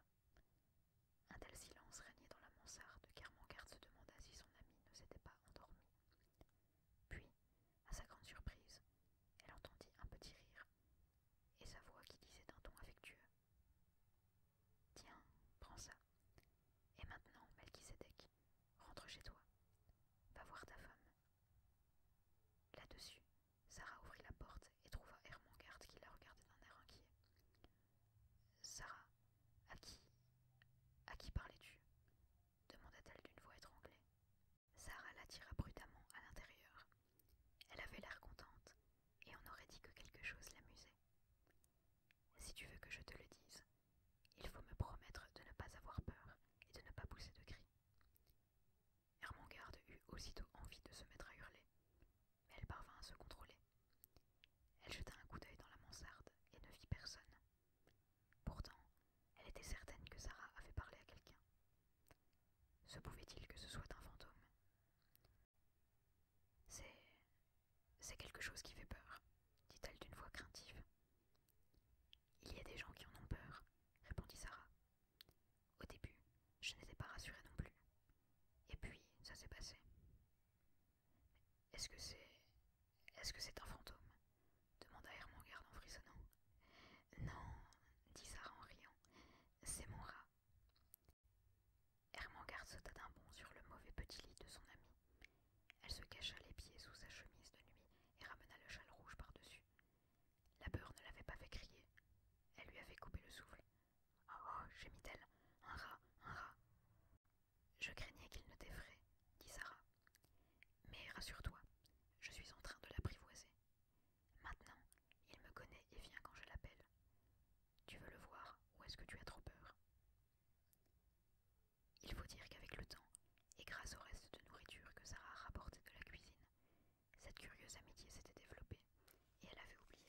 Speaker 1: Un tel silence régnait dans la mansarde garde se demanda si son amie ne s'était pas endormie. Puis, à sa grande surprise, elle entendit un petit rire et sa voix qui disait d'un ton affectueux Tiens, prends ça. Et maintenant, Melchisedec, rentre chez toi. Va voir ta femme. Là-dessus, Sarah ouvrit la porte et trouva Hermongarde qui la regardait d'un air inquiet. Sarah, à qui à qui parlais-tu demanda-t-elle d'une voix étranglée. Sarah l'attira prudemment à l'intérieur. Elle avait l'air contente, et on aurait dit que quelque chose l'amusait. Si tu veux que je te le dise, il faut me promettre de ne pas avoir peur et de ne pas pousser de cris. Hermengarde eut aussitôt envie de se mettre à hurler, mais elle parvint à se contrôler. Elle jeta un coup d'œil dans la mansarde et ne vit personne. Pourtant, elle était certaine que Sarah avait parlé à quelqu'un, se pouvait-il que ce soit un fantôme C'est. C'est quelque chose qui fait peur, dit-elle d'une voix craintive. Il y a des gens qui en ont peur, répondit Sarah. Au début, je n'étais pas rassurée non plus. Et puis, ça s'est passé. Est-ce que c'est. Est-ce que c'est un fantôme demanda Hermangarde en frissonnant. Non, dit Sarah en riant, c'est mon rat. Herman sauta d'un bond sur le mauvais petit lit de son amie. Elle se cacha les pieds sous sa chemise de nuit et ramena le châle rouge par-dessus. La peur ne l'avait pas fait crier. Elle lui avait coupé le souffle. Oh, oh gémit-elle. Un rat, un rat. Je craignais qu'il ne t'effraie, dit Sarah. Mais rassure-toi, je suis en train de l'apprivoiser. Maintenant, il me connaît et vient quand je l'appelle. Tu veux le voir ou est-ce que tu as trop peur Il faut dire qu'avec le temps, et grâce au reste de nourriture que Sarah rapportait de la cuisine, cette curieuse amitié s'était développée et elle avait oublié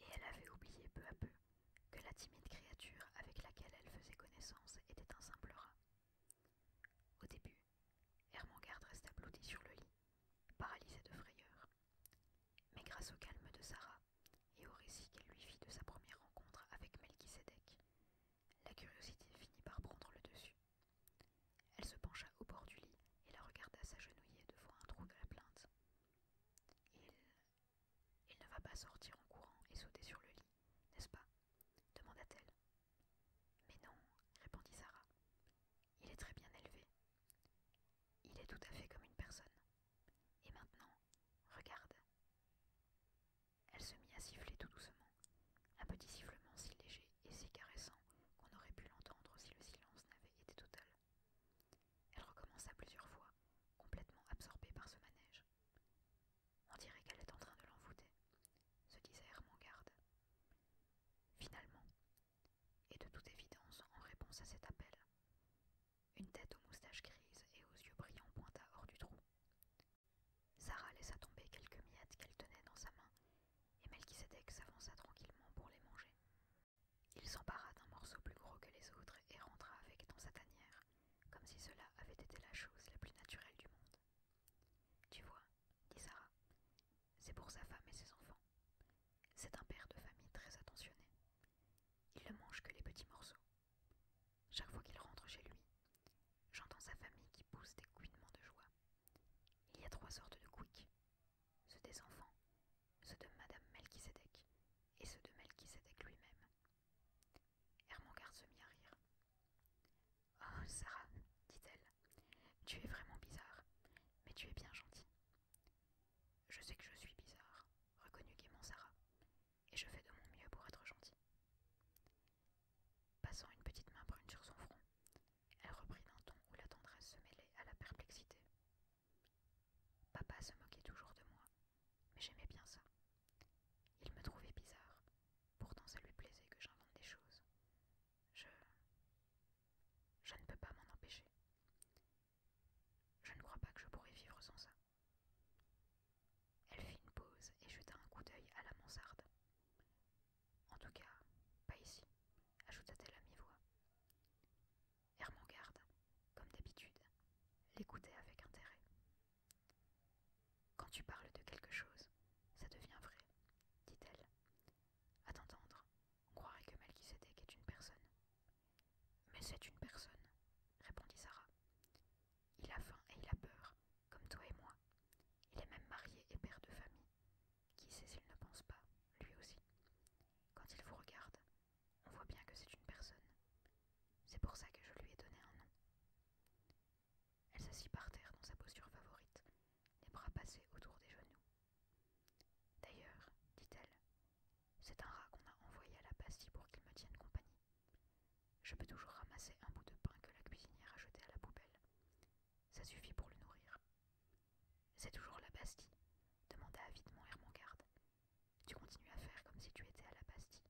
Speaker 1: et elle avait oublié peu à peu que la timide créature avec laquelle elle faisait connaissance était un simple rat. Au début, Hermangarde resta blotti sur le lit, paralysée de frayeur. Mais grâce au calme de Sarah et au récit qu'elle lui fit de sa première rencontre avec Melchisedec, la curiosité finit par prendre le dessus. Elle se pencha au bord du lit et la regarda s'agenouiller devant un trou de la plainte. Il il ne va pas sortir en courant et sauter sur le lit, n'est-ce pas demanda-t-elle. Mais non, répondit Sarah. Il est très bien élevé. Il est tout à fait comme une personne. Et maintenant, regarde. Elle se mit à siffler tout doucement, un petit sifflement si léger et si caressant qu'on aurait pu l'entendre si le silence n'avait été total. Elle recommença plusieurs fois, complètement absorbée par ce manège. On dirait qu'elle est en train de l'envoûter, se disait Garde. « Finalement, et de toute évidence en réponse à cet appel, une tête aux moustaches grises et aux yeux brillants pointa hors du trou. Sarah laissa tomber quelques miettes qu'elle tenait dans sa main, et Melchizedek s'avança tranquillement pour les manger, il s'empara d'un morceau plus gros que les autres et rentra avec dans sa tanière, comme si cela avait été la chose la plus naturelle du monde. Tu vois, dit Sarah, c'est pour sa femme et ses enfants. C'est un père de famille très attentionné. Il ne mange que les petits morceaux. Chaque fois qu'il rentre chez lui, j'entends sa famille qui pousse des couinements de joie. Il y a trois sortes de couics. Ceux des enfants, ceux de Madame Melchisedec et ceux de Melchisedec lui-même. Ermangarde se mit à rire. Oh, Sarah, dit-elle, tu es vraiment bizarre, mais tu es bien gentille. Je sais que je suis bizarre, reconnut gaiement Sarah, et je fais de mon mieux pour être gentille. Passant une petite main brune sur son front, elle reprit d'un ton où la tendresse se mêlait à la perplexité. Papa se moquait toujours de moi, mais j'aimais bien ça. Il me trouvait bizarre, pourtant ça lui plaisait que j'invente des choses. Je... Je ne peux pas m'en empêcher. Je ne crois pas que je pourrais vivre sans ça. Elle fit une pause et jeta un coup d'œil à la mansarde. En tout cas, pas ici, ajouta-t-elle à mi-voix. Hermangarde, comme d'habitude, l'écoutait avec intérêt. Quand tu parles de quelque chose, ça devient vrai, dit-elle. À t'entendre, on croirait que Melchisedec est une personne. Mais c'est une personne, répondit Sarah. Il a faim et il a peur, comme toi et moi. Il est même marié et père de famille. Qui sait s'il ne pense pas, lui aussi. Quand il vous regarde, on voit bien que c'est une personne. C'est pour ça que je lui ai donné un nom. Elle s'assit par terre dans sa posture favorite, les bras passés autour des genoux. D'ailleurs, dit-elle, c'est un rat qu'on a envoyé à la Bastille pour qu'il me tienne compagnie. Je peux toujours ramasser un bout de pain que la cuisinière a jeté à la poubelle. Ça suffit pour le nourrir. C'est toujours la Bastille demanda avidement Ermangarde. Tu continues à faire comme si tu étais à la Bastille.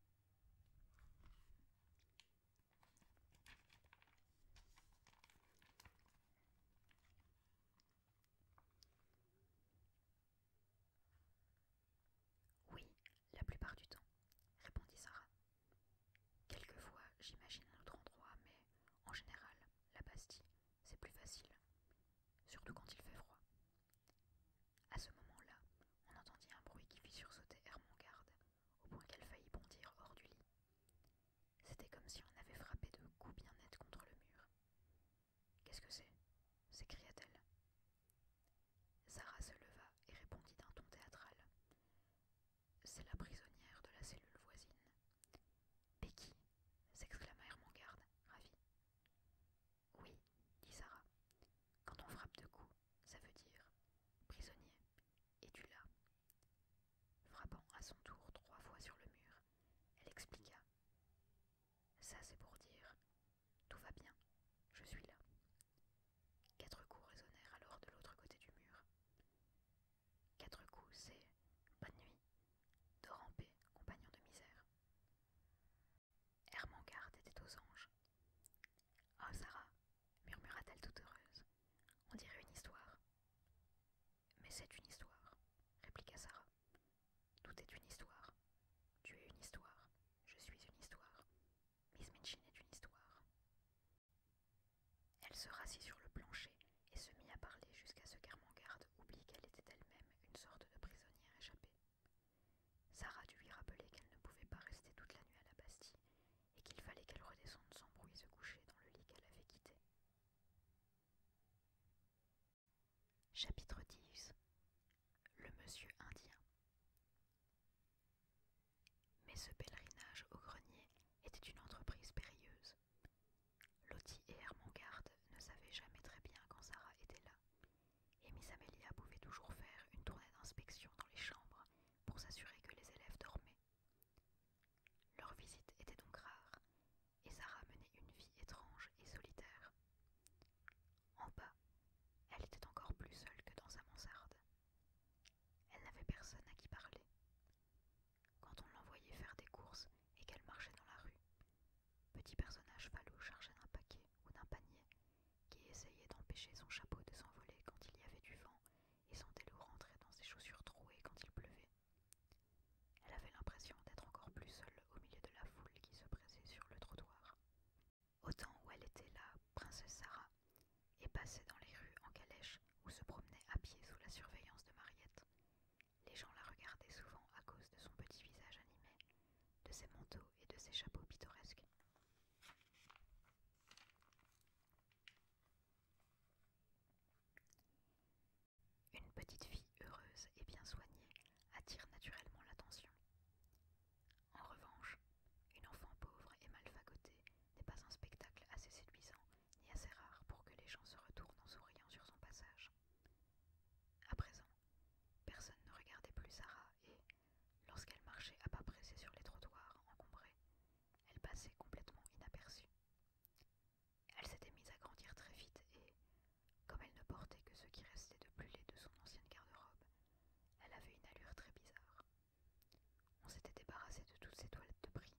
Speaker 1: Oui, la plupart du temps, répondit Sarah. Quelquefois, j'imagine un autre endroit, mais en général, la Bastille, c'est plus facile, surtout quand il fait froid. À ce moment-là, on entendit un bruit qui fit sursauter garde au point qu'elle faillit bondir hors du lit. C'était comme si on avait frappé de coups bien nets contre le mur. Qu'est-ce que c'est s'écria-t-elle. Sarah se leva et répondit d'un ton théâtral. C'est la prisonnière de la cellule voisine. Becky s'exclama Hermangarde, ravie. Oui, dit Sarah. Quand on frappe deux coups, ça veut dire prisonnier, et tu là? Frappant à son tour trois fois sur le mur, elle expliqua. Ça, c'est pour dire Tout va bien, je suis là. Quatre coups résonnèrent alors de l'autre côté du mur. Quatre coups, c'est Bonne nuit, de ramper, compagnon de misère. Hermangarde était aux anges. Oh, Sarah, murmura-t-elle toute heureuse, on dirait une histoire. Mais c'est une histoire, répliqua Sarah. Tout est une histoire. Tu es une histoire. Je suis une histoire. Miss Minchin est une histoire. Elle se rassit sur le plancher et se mit à parler jusqu'à ce qu'Hermangarde oublie qu'elle était elle-même une sorte de prisonnière échappée. Sarah dut lui rappeler qu'elle ne pouvait pas rester toute la nuit à la Bastille et qu'il fallait qu'elle redescende sans bruit et se coucher dans le lit qu'elle avait quitté. Chapitre 10 Le monsieur indien Mais ce pèlerinage au grenier était une entreprise périlleuse. Lottie et Garde ne savaient jamais très bien quand Sarah était là, et Miss Amelia pouvait toujours faire une tournée d'inspection dans les chambres pour s'assurer que les élèves dormaient. Leurs visites étaient donc rares, et Sarah menait une vie étrange et solitaire. En bas, elle était encore plus seule que dans sa mansarde. Elle n'avait personne à qui parler. Quand on l'envoyait faire des courses et qu'elle marchait dans la rue, petit personnage palou chargé d'un paquet ou d'un panier, qui essayait d'empêcher son chapeau de s'envoler quand il y avait du vent et sentait l'eau rentrer dans ses chaussures trouées quand il pleuvait. Elle avait l'impression d'être encore plus seule au milieu de la foule qui se pressait sur le trottoir. Au temps où elle était là, princesse Sarah, et passait dans les rues en calèche ou se promenait à pied sous la surveillance de Mariette, les gens la regardaient souvent à cause de son petit visage animé, de ses manteaux et de ses chapeaux pittoresques. Une petite fille heureuse et bien soignée attire naturellement l'attention. En revanche, une enfant pauvre et mal n'est pas un spectacle assez séduisant ni assez rare pour que les gens se retournent en souriant sur son passage. À présent, personne ne regardait plus Sarah et, Lorsqu'elle marchait à pas pressés sur les trottoirs encombrés, elle passait complètement inaperçue. Elle s'était mise à grandir très vite et, comme elle ne portait que ce qui restait de plus laid de son ancienne garde-robe, elle avait une allure très bizarre. On s'était débarrassé de toutes ses toilettes de prix,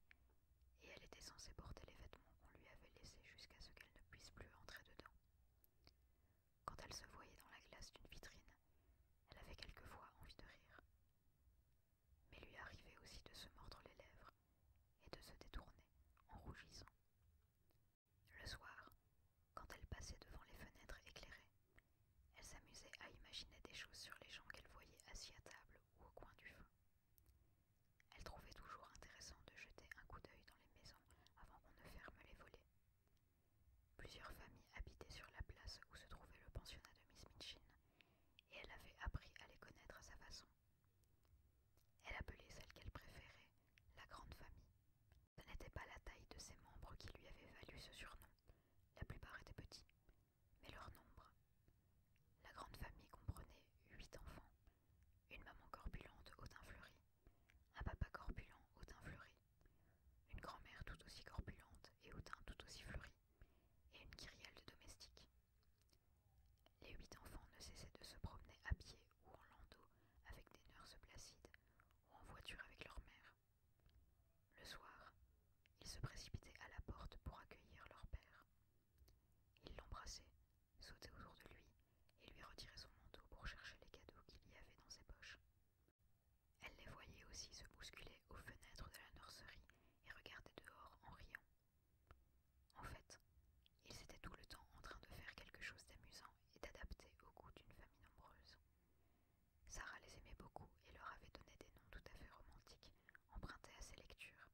Speaker 1: et elle était censée porter les vêtements qu'on lui avait laissés jusqu'à ce qu'elle ne puisse plus entrer dedans. Quand elle se voyait dans la glace d'une vitrine, elle avait quelquefois envie de rire. Mais lui arrivait aussi de se mordre les lèvres et de se détourner en rougissant. Le soir, quand elle passait devant les fenêtres éclairées, elle s'amusait à imaginer des choses sur les gens qu'elle voyait assis à table ou au coin du feu. Elle trouvait toujours intéressant de jeter un coup d'œil dans les maisons avant qu'on ne ferme les volets, Plusieurs familles habitaient sur la place où se trouvait le pensionnat de Miss mitchin et elle avait appris à les connaître à sa façon. Elle appelait celle qu'elle préférait la grande famille. Ce n'était pas la taille de ses membres qui lui avait valu ce surnom, la plupart étaient petits, mais leur nombre. La grande famille comprenait huit enfants, une maman corpulente au teint fleuri, un papa corpulent au teint une grand-mère tout aussi corpulente et au teint tout aussi fleuri, et une kyrielle de domestique Les huit enfants ne cessaient de se promener à pied ou en landau avec des nœurs placides ou en voiture avec leur mère. Le soir, ils se précipitaient à la porte pour accueillir leur père. Ils l'embrassaient, sautaient autour de lui et lui retiraient son manteau pour chercher les cadeaux qu'il y avait dans ses poches. Elle les voyait aussi se bousculer aux fenêtres de la nurserie et regarder dehors en riant. En fait, ils étaient tout le temps en train de faire quelque chose d'amusant et d'adapter au goût d'une famille nombreuse. Sarah les aimait beaucoup et leur avait donné des noms tout à fait romantiques, empruntés à ses lectures.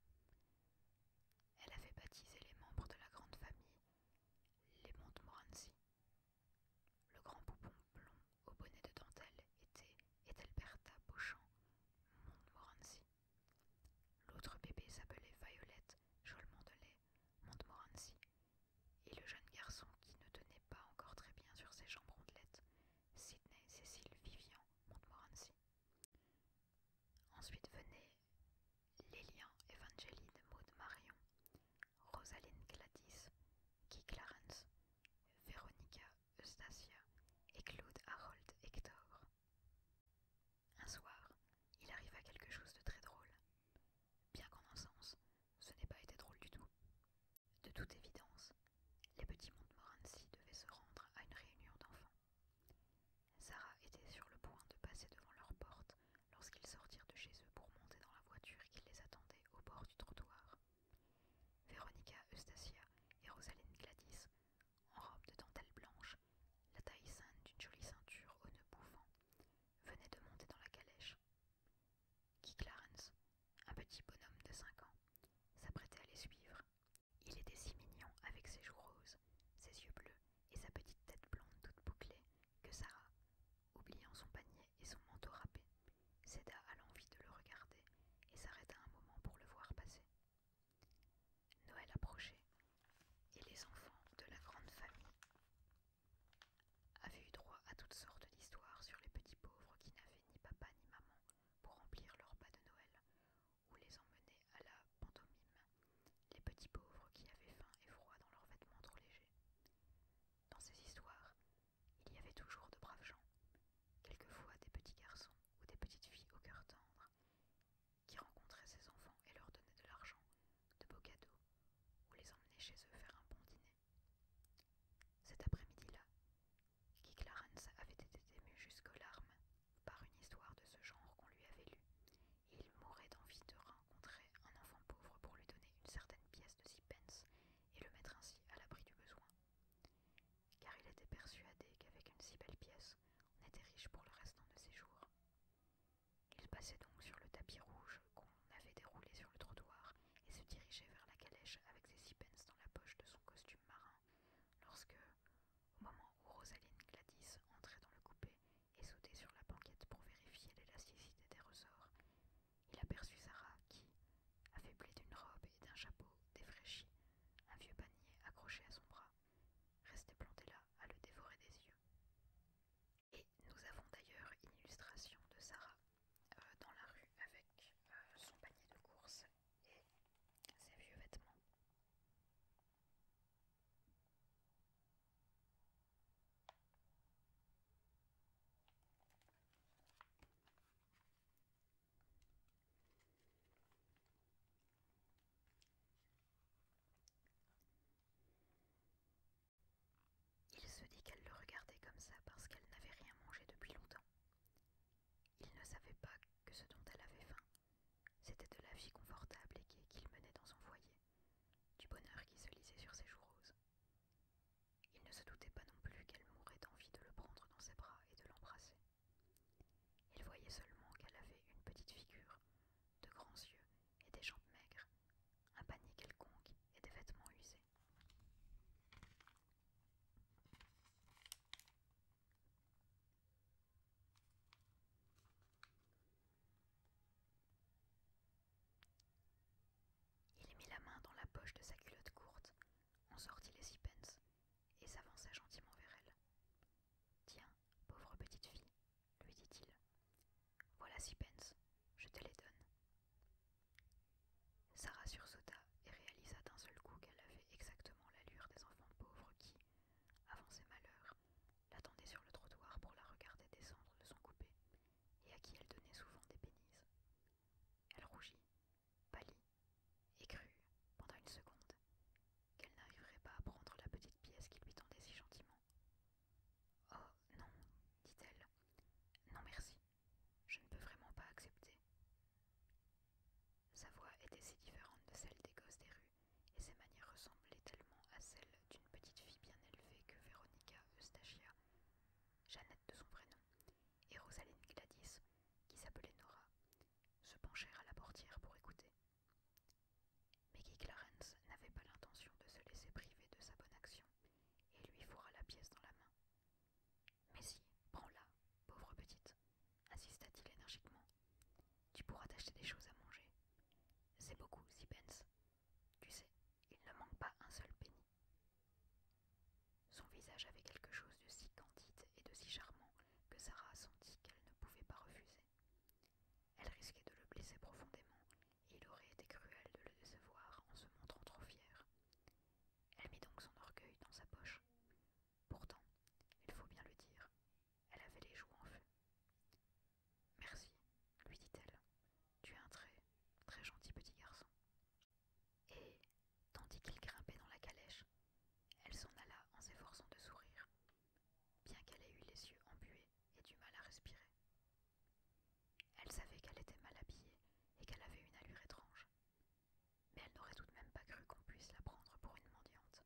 Speaker 1: Elle avait baptisé les membres de la grande famille les Montmorency, le grand poupon blond au bonnet de dentelle était Edelberta Beauchamp Montmorency. L'autre bébé s'appelait Violette Jolmondelet Montmorency, et le jeune garçon qui ne tenait pas encore très bien sur ses jambes rondelettes, Sydney Cécile Vivian Montmorency. Ensuite venaient Lilian Evangeline Maud Marion, Rosaline Gladys, Keith Clarence, Veronica Eustacia et Claude Harold Hector. Un soir, il arriva quelque chose de très drôle. Bien qu'en un sens, ce n'est pas été drôle du tout. De toute évidence, les petits Montmorency devaient se rendre à une réunion d'enfants. Sarah était sur le point de passer devant leur porte lorsqu'ils sortirent de chez eux pour monter dans la voiture qui les attendait au bord du trottoir. Véronica Eustacia et Rosaline Gladys, en robe de dentelle blanche, la taille saine d'une jolie ceinture au nœuds bouffants, venaient de monter dans la calèche. Guy Clarence, un petit bonhomme de cinq ans, s'apprêtait à les suivre. Il était si mignon avec ses joues roses, ses yeux bleus et sa petite tête blonde toute bouclée que Sarah, Oubliant son panier et son manteau râpé, Céda à l'envie de le regarder et s'arrêta un moment pour le voir passer. Noël approchait, et les enfants de la grande famille avaient eu droit à toutes sortes d'histoires sur les petits pauvres qui n'avaient ni papa ni maman pour remplir leur pas de Noël ou les emmener à la pantomime, les petits pauvres qui avaient faim et froid dans leurs vêtements trop légers. Dans ces histoires, il y avait toujours de braves gens, quelquefois des petits garçons ou des petites filles au cœur tendre, qui rencontraient ces enfants et leur donnaient de l'argent, de beaux cadeaux, ou les emmenaient chez eux faire un bon dîner. Cet après-midi-là, Kiklarens Clarence avait été ému jusqu'aux larmes par une histoire de ce genre qu'on lui avait lue, et il mourait d'envie de rencontrer un enfant pauvre pour lui donner une certaine pièce de six pence et le mettre ainsi à l'abri du besoin. Car il était persuadé qu'avec une si belle pièce, on était riche pour le restant de ses jours. Il passait donc sur le tapis rouge qu'on avait déroulé sur le trottoir et se dirigeait vers la calèche avec ses six dans la poche de son costume marin, lorsque, au moment où Rosaline Gladys entrait dans le coupé et sautait sur la banquette pour vérifier l'élasticité des ressorts, il aperçut Sarah qui, affaiblie d'une robe et d'un chapeau défraîchi, un vieux panier accroché à son bras, restait planté là à le dévorer des yeux. Et nous avons d'ailleurs une illustration de Sarah euh, dans la rue avec euh, son panier de course et ses vieux vêtements. Il se dit qu'elle le regardait comme ça parce qu'elle n'avait rien mangé depuis longtemps. Il ne savait pas que ce dont elle avait faim, c'était de la vie confortable et gaie qu'il menait dans son foyer, du bonheur qui se lisait sur ses joues roses, il ne se doutait pas non plus qu'elle mourrait d'envie de le prendre dans ses bras et de l'embrasser. Il voyait seulement qu'elle avait une petite figure, de grands yeux et des jambes maigres, un panier quelconque et des vêtements usés. Il mit la main dans la poche de sa culotte courte, en sortit les six pence, et s'avança gentiment vers elle. Tiens, pauvre petite fille, lui dit-il. Voilà sixpence, je te les donne. Sarah sursauta et réalisa d'un seul coup qu'elle avait exactement l'allure des enfants pauvres qui, avant ses malheurs, l'attendaient sur le trottoir pour la regarder descendre de son coupé, et à qui elle donnait souvent des bénises. Elle rougit, pâlit et crut, pendant une seconde, qu'elle n'arriverait pas à prendre la petite pièce qui lui tendait si gentiment. Oh non, dit-elle, non merci, je ne peux vraiment pas accepter. Sa voix était si différente de celle des gosses des rues, et ses manières ressemblaient tellement à celles d'une petite fille bien élevée que Véronica Eustachia Jeannette de son prénom, et Rosaline Gladys, qui s'appelait Nora, se penchèrent à la portière pour écouter. Maggie Clarence n'avait pas l'intention de se laisser priver de sa bonne action, et lui fourra la pièce dans la main. Mais si, prends-la, pauvre petite, insista-t-il énergiquement. Tu pourras t'acheter des choses à manger. C'est beaucoup, Zipens. Tu sais, il ne manque pas un seul penny. Son visage avait quelque chose de si candide et de si charmant que Sarah sentit qu'elle ne pouvait pas refuser. Elle risquait de le blesser profondément, et il aurait été cruel de le décevoir en se montrant trop fière. Elle mit donc son orgueil dans sa poche. Pourtant, il faut bien le dire, elle avait les joues en feu. Merci, lui dit-elle. Tu es un très, très gentil petit garçon. Et, tandis qu'il grimpait dans la calèche, elle s'en alla en s'efforçant de sourire, bien qu'elle ait eu les yeux embués et du mal à respirer. Elle savait qu'elle était mal habillée et qu'elle avait une allure étrange, mais elle n'aurait tout de même pas cru qu'on puisse la prendre pour une mendiante.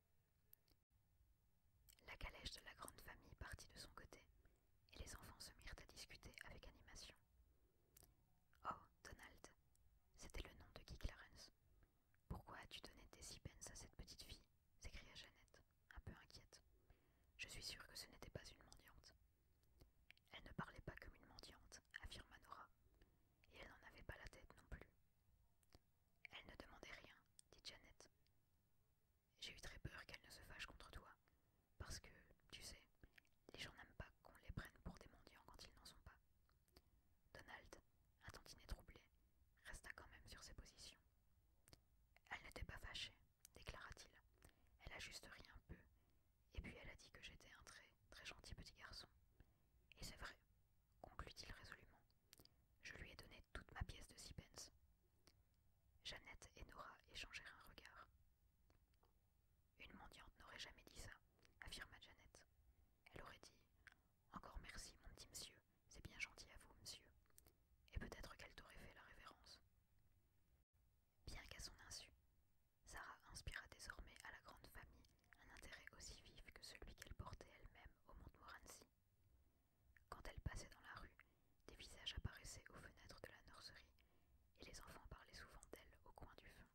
Speaker 1: La calèche de la grande famille partit de son côté et les enfants se mirent à discuter avec animation. Oh, Donald, c'était le nom de Guy Clarence. Pourquoi as-tu donné des six à cette petite fille s'écria Jeannette, un peu inquiète. Je suis sûre que ce n'était pas une mendiante. Elle ne parlait pas comme une mendiante, affirma Nora, et elle n'en avait pas la tête non plus. Elle ne demandait rien, dit Jeannette. « J'ai eu très peur qu'elle ne se fâche contre toi, parce que, tu sais, les gens n'aiment pas qu'on les prenne pour des mendiants quand ils n'en sont pas. Donald, un tantinet troublé, resta quand même sur ses positions. Elle n'était pas fâchée, déclara-t-il. Elle a rien un peu, et puis elle a dit que j'étais un très, très gentil petit garçon. Et c'est vrai, conclut-il résolument. Je lui ai donné toute ma pièce de sixpence. Jeannette et Nora échangèrent un regard. Une mendiante n'aurait jamais dit ça, affirma Janet. Elle aurait dit Encore merci, mon petit monsieur, c'est bien gentil à vous, monsieur. Et peut-être qu'elle t'aurait fait la révérence. Bien qu'à son insu, Sarah inspira désormais à la grande famille un intérêt aussi vif que celui qu'elle portait elle-même au Montmorency. Quand elle passait dans la rue, des visages apparaissaient aux fenêtres de la nurserie et les enfants parlaient souvent d'elle au coin du feu.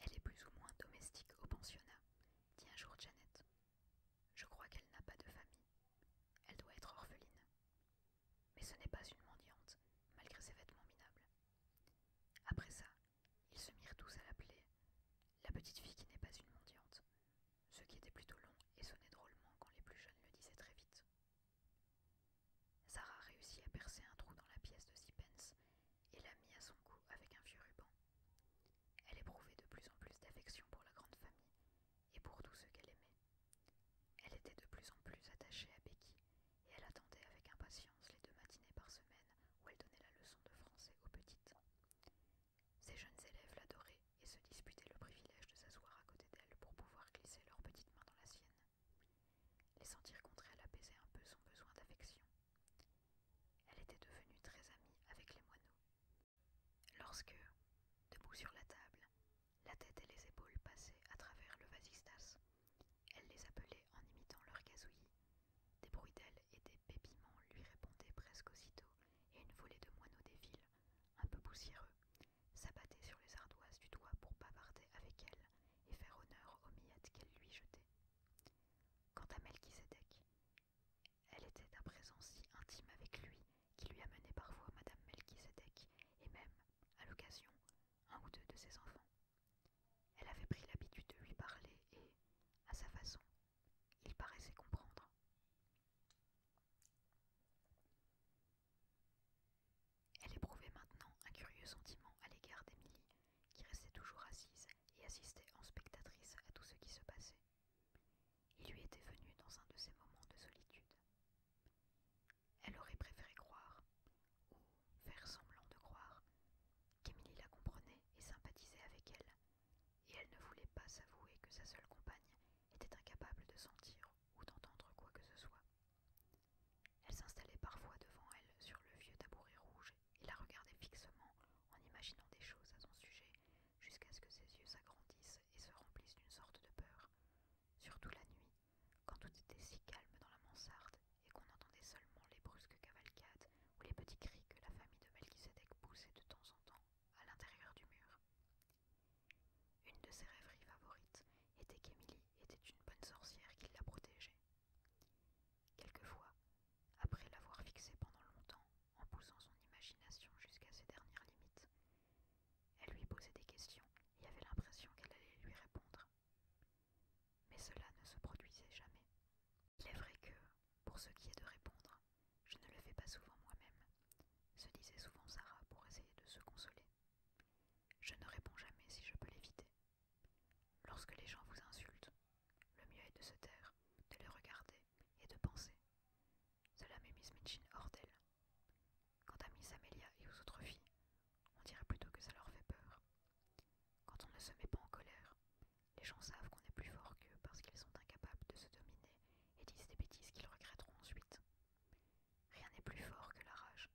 Speaker 1: Elle est plus ou moins domestique au pensionnat, dit un jour Janet. Je crois qu'elle n'a pas de famille. Elle doit être orpheline. Mais ce n'est pas une mendiante, malgré ses vêtements minables. Après ça, ils se mirent tous à l'appeler la petite fille qui n'est pas une mendiante, ce qui était plutôt long et sonnait drôlement quand les plus jeunes le disaient très vite. Sarah réussit à percer un trou dans la pièce de Sixpence et la mit à son cou avec un vieux ruban. Elle éprouvait de plus en plus d'affection pour la grande famille et pour tous ceux qu'elle aimait. Elle était de plus en plus attachée à Becky et elle attendait avec impatience les deux matinées par semaine où elle donnait la leçon de français aux petites. Ses jeunes élèves l'adoraient et se disputaient le privilège de s'asseoir à côté d'elle pour pouvoir glisser leurs petites mains dans la sienne. Les sentir contre elle apaisait un peu son besoin d'affection. Elle était devenue très amie avec les moineaux. Lorsque, debout sur la table, la tête et les épaules passaient à travers le vasistas, elle les appelait en imitant leurs gazouillis. Des bruits d'ailes et des pépiments lui répondaient presque aussitôt, et une volée de moineaux des villes, un peu poussiéreux, s'abattait sur les ardoises du toit pour bavarder avec elle et faire honneur aux miettes qu'elle lui jetait. Quant à Melchisedec, elle était à présent si intime avec lui qu'il lui amenait parfois Madame Melchisedec et même, à l'occasion, un ou deux de ses enfants. Elle avait pris l'habitude de lui parler et, à sa façon, il paraissait comprendre. Elle éprouvait maintenant un curieux sentiment à l'égard d'Émilie, qui restait toujours assise et assistait en spectatrice à tout ce qui se passait. Il lui était venu dans un de ces moments de solitude. Elle aurait préféré croire, ou faire semblant de croire, qu'Émilie la comprenait et sympathisait avec elle, et elle ne voulait pas s'avouer que sa seule compagne était incapable de sentir ou d'entendre quoi que ce soit. Elle s'installait parfois devant elle sur le vieux tabouret rouge et la regardait fixement en imaginant des choses à son sujet jusqu'à ce que ses yeux s'agrandissent et se remplissent d'une sorte de peur, surtout la nuit quand tout était si calme dans la mansarde et qu'on entendait seulement les brusques cavalcades ou les petits cris que la famille de Melchizedek poussait de temps en temps à l'intérieur du mur. Une de ses rêveries favorites était qu'Émilie était une bonne sorcière qui la protégeait. Quelquefois, après l'avoir fixée pendant longtemps, en poussant son imagination jusqu'à ses dernières limites, elle lui posait des questions et avait l'impression qu'elle allait lui répondre mais cela ne se produisait jamais. Il est vrai que, pour ce qui est de répondre, je ne le fais pas souvent moi-même, se disait souvent Sarah pour essayer de se consoler. Je ne réponds jamais si je peux l'éviter. Lorsque les gens vous insultent, le mieux est de se taire, de les regarder et de penser. Cela m'est Miss Mitchin hors d'elle. Quant à Miss Amelia et aux autres filles, on dirait plutôt que ça leur fait peur. Quand on ne se met pas en colère, les gens savent qu'on est plus fort qu'eux parce qu'ils sont incapables de se dominer et disent des bêtises qu'ils regretteront ensuite. Rien n'est plus fort que la rage,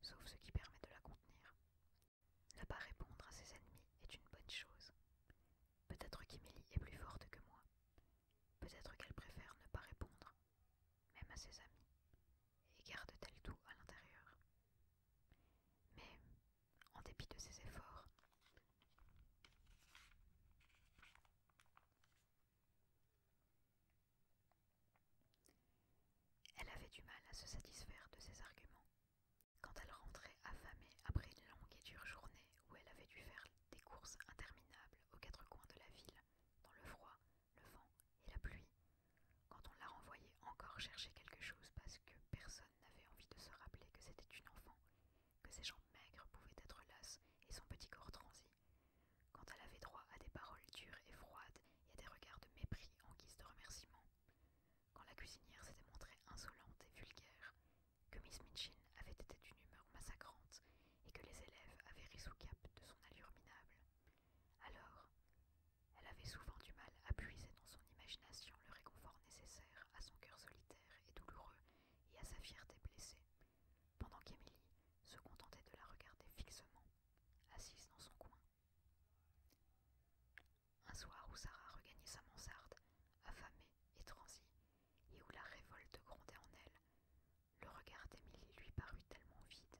Speaker 1: sauf ce qui permet de la contenir. Ne pas répondre à ses ennemis est une bonne chose. Peut-être qu'Émilie est plus forte que moi. Peut-être qu'elle préfère ne pas répondre, même à ses amis, et garde-t-elle tout à l'intérieur. Mais, en dépit de ses efforts, elle avait du mal à se satisfaire de ses arguments. Quand elle rentrait affamée après une longue et dure journée où elle avait dû faire des courses interminables aux quatre coins de la ville, dans le froid, le vent et la pluie, quand on l'a renvoyait encore chercher quelque chose parce que personne n'avait envie de se rappeler que c'était une enfant, que ses jambes maigres pouvaient être lasses et son petit corps transi, quand elle avait droit à des paroles dures et froides et à des regards de mépris en guise de remerciement, quand la cuisinière s'était montrée insolente et vulgaire, que Miss Minchin avait été d'une humeur massacrante et que les élèves avaient ris sous cap de son allure minable. Alors, elle avait souvent du mal à puiser dans son imagination le réconfort nécessaire à son cœur solitaire et douloureux et à sa fierté blessée, pendant qu'Émilie se contentait de la regarder fixement, assise dans son coin. Un soir où Sarah regagnait sa mansarde, affamée et transie, et où la révolte grondait en elle, le regard d'Émilie lui parut tellement vide,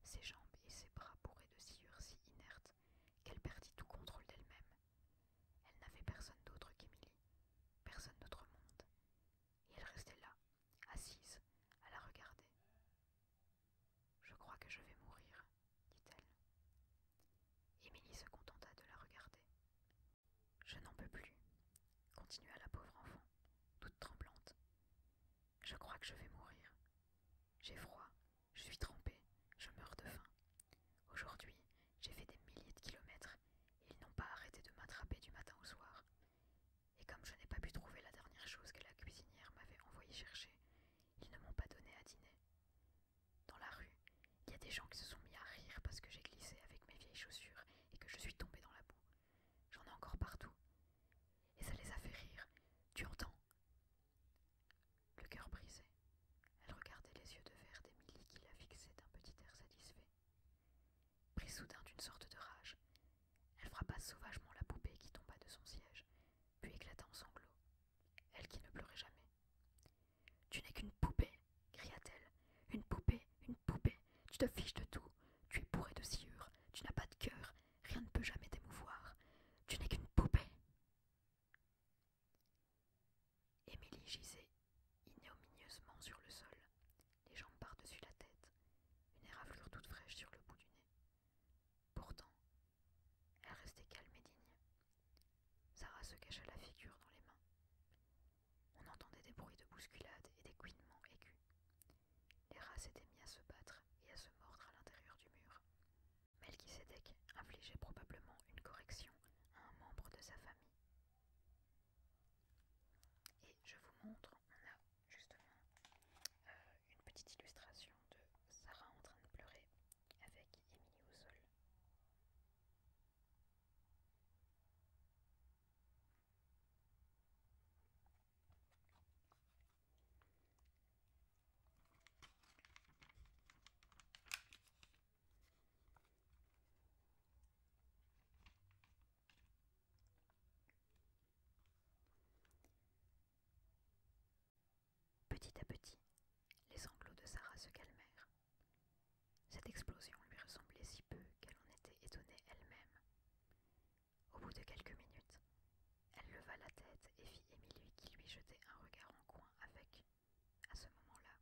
Speaker 1: ses jambes et ses bras bourrés de sciures si inertes qu'elle perdit tout contrôle d'elle-même. Elle, n'avait personne d'autre qu'Émilie, personne d'autre monde. Et elle restait là, assise, à la regarder. Je crois que je vais mourir, dit-elle. Émilie se contenta de la regarder. Je n'en peux plus, continua la pauvre enfant, toute tremblante. Je crois que je vais mourir. J'ai froid, je suis trempée, je meurs de faim. Aujourd'hui, j'ai fait des milliers de kilomètres et ils n'ont pas arrêté de m'attraper du matin au soir. Et comme je n'ai pas pu trouver la dernière chose que la cuisinière m'avait envoyée chercher, ils ne m'ont pas donné à dîner. Dans la rue, il y a des gens qui se sont mis à rire parce que j'ai glissé avec mes vieilles chaussures et que je suis tombée dans la boue. J'en ai encore partout. Et ça les a fait rire. Tu entends le cœur brisé, elle regardait les yeux de verre d'Émilie qui la fixait d'un petit air satisfait. Pris soudain d'une sorte de rage, elle frappa sauvagement la poupée qui tomba de son siège, puis éclata en sanglots, elle qui ne pleurait jamais. Tu n'es qu'une poupée, cria-t-elle. Une poupée, une poupée, tu te fiches de tout, tu es bourré de sciures tu n'as pas de cœur, rien ne peut jamais t'émouvoir. Tu n'es qu'une poupée. Émilie gisait ignominieusement sur le sol, les jambes par-dessus la tête, une éraflure toute fraîche sur le bout du nez. Pourtant, elle restait calme et digne. Sarah se cacha la figure dans les mains. On entendait des bruits de bousculade et des couinements aigus. Les rats s'étaient mis à se battre et à se mordre à l'intérieur du mur. Melchisedec infligeait probablement une correction à un membre de sa famille. Et je vous montre, on a justement euh, une petite illustration de Sarah en train de pleurer avec Émilie au sol. Petit à petit, les sanglots de Sarah se calmèrent. Cette explosion lui ressemblait si peu qu'elle en était étonnée elle-même. Au bout de quelques minutes, elle leva la tête et vit Émilie qui lui jetait un regard en coin avec, à ce moment-là,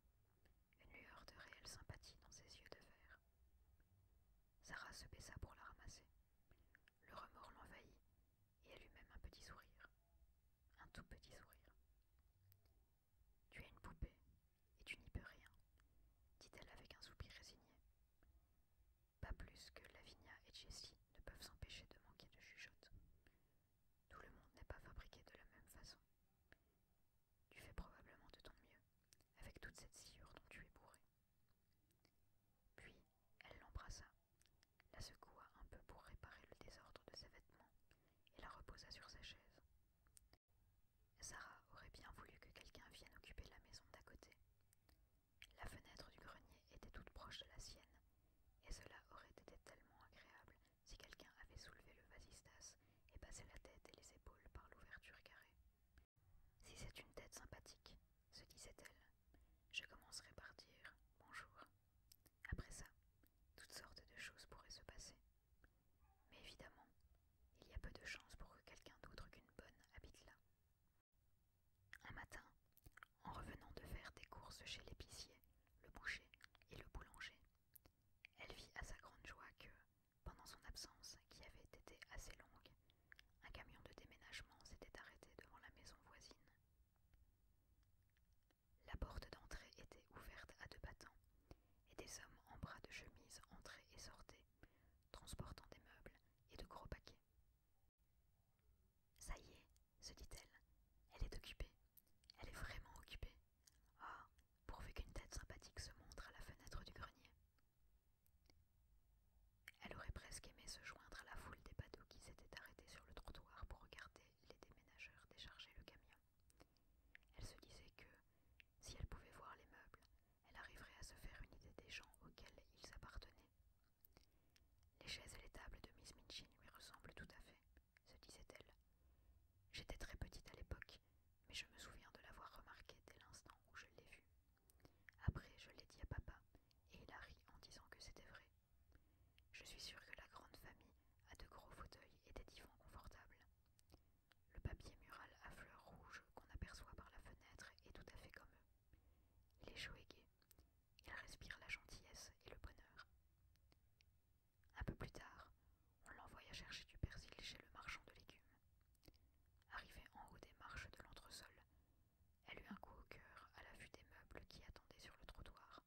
Speaker 1: une lueur de réelle sympathie dans ses yeux de verre. Sarah se baissa pour la ramasser. Le remords l'envahit et elle eut même un petit sourire. Un tout petit sourire. Tu es une poupée et tu n'y peux rien, dit-elle avec un soupir résigné. Pas plus que Lavinia et Jessie, ne peuvent s'empêcher de manquer de chuchote. Tout le monde n'est pas fabriqué de la même façon. Tu fais probablement de ton mieux, avec toute cette sciure dont tu es bourré. Puis, elle l'embrassa, la secoua un peu pour réparer le désordre de ses vêtements, et la reposa sur sa chaise. Sarah aurait bien voulu que quelqu'un vienne occuper la maison d'à côté. La fenêtre du grenier était toute proche de la sienne, et cela aurait été tellement agréable si quelqu'un avait soulevé le vasistas et passé la tête et les épaules par l'ouverture carrée. Si c'est une tête sympathique, se disait-elle, je commencerai par dire bonjour. Après ça, toutes sortes de choses pourraient se passer. Mais évidemment, il y a peu de chances pour que quelqu'un d'autre qu'une bonne habite là. Un matin, en revenant de faire des courses chez l'épicier, le boucher et le boulanger, elle vit à sa grande joie que, pendant son absence, qui avait été assez longue, un camion de déménagement s'était arrêté devant la maison voisine. La porte d'entrée était ouverte à deux battants, et des hommes en bras de chemise entraient et sortaient, transportant des meubles et de gros paquets. Ça y est, se dit-elle, elle est occupée, elle est vraiment occupée. Ah, pourvu qu'une tête sympathique se montre à la fenêtre du grenier. Elle aurait presque aimé se joindre à la foule des badauds qui s'étaient arrêtés sur le trottoir pour regarder les déménageurs décharger le camion. Elle se disait que, si elle pouvait voir les meubles, elle arriverait à se faire une idée des gens auxquels ils appartenaient, les chaises et les tables de Miss Minchin lui ressemblent tout à fait, se disait-elle. J'étais très petite à l'époque, mais je me souviens de l'avoir remarqué dès l'instant où je l'ai vue. Après, je l'ai dit à papa, et il a ri en disant que c'était vrai. Je suis sûre que la grande famille a de gros fauteuils et des divans confortables. Le papier mural à fleurs rouges qu'on aperçoit par la fenêtre est tout à fait comme eux. Les elle respire la gentillesse et le bonheur. Un peu plus tard, on l'envoya chercher du persil chez le marchand de légumes. Arrivée en haut des marches de l'entresol, elle eut un coup au cœur à la vue des meubles qui attendaient sur le trottoir.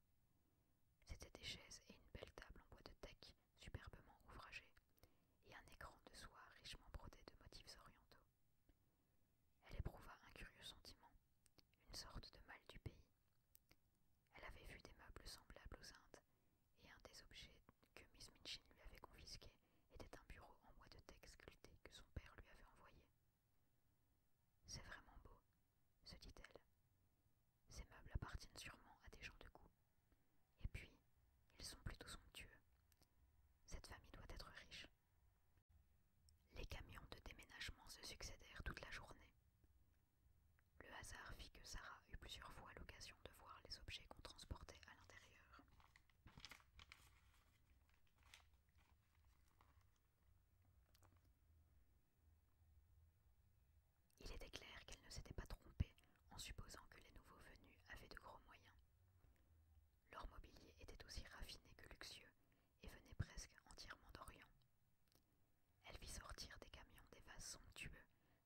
Speaker 1: C'étaient des chaises et une belle table en bois de teck superbement ouvragée, et un écran de soie richement brodé de motifs orientaux. Elle éprouva un curieux sentiment une sorte de mal du pays. Elle avait vu des meubles semblables aux Indes, et un des objets que Miss Minchin lui avait confisqué était un bureau en bois de texte sculpté que son père lui avait envoyé. C'est vraiment beau, se dit-elle. Ces meubles appartiennent sûrement à des gens de goût. Et puis, ils sont plutôt somptueux. Cette famille doit être riche. Les camions de déménagement se succédèrent toute la journée. Le hasard fit que Sarah eut plusieurs fois l'occasion de voir les objets qu'on transportait à l'intérieur. Il était clair qu'elle ne s'était pas trompée en supposant que les nouveaux venus avaient de gros moyens. Leur mobilier était aussi raffiné que luxueux et venait presque entièrement d'Orient. Elle vit sortir des camions des vases somptueux,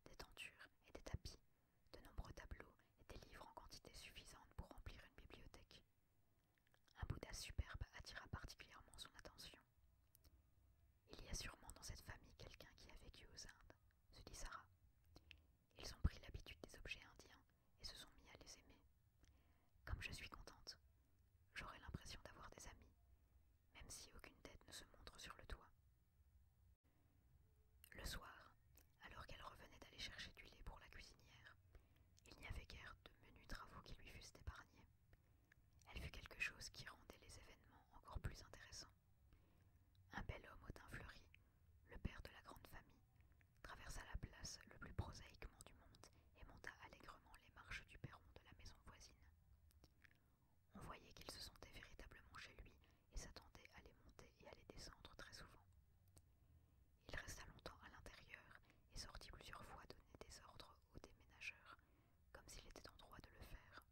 Speaker 1: des tentures et des tapis, de nombreux tableaux et des livres en quantité suffisante pour remplir une bibliothèque. Un Bouddha superbe attira particulièrement son attention. Il y a sûrement dans cette famille quelqu'un qui a vécu aux Indes, se dit Sarah. Ils ont pris l'habitude des objets indiens et se sont mis à les aimer. Comme je suis contente, j'aurai l'impression d'avoir des amis, même si aucune tête ne se montre sur le toit. Le soir, alors qu'elle revenait d'aller chercher du lait pour la cuisinière, il n'y avait guère de menus travaux qui lui fussent épargnés. Elle fut quelque chose qui rendait les événements encore plus intéressants. Un bel homme au teint fleuri, le père de la grande famille, traversa la place le plus prosaïquement du monde et monta allègrement les marches du perron de la maison voisine. On voyait qu'il se sentait véritablement chez lui et s'attendait à les monter et à les descendre très souvent. Il resta longtemps à l'intérieur et sortit plusieurs fois donner des ordres aux déménageurs, comme s'il était en droit de le faire.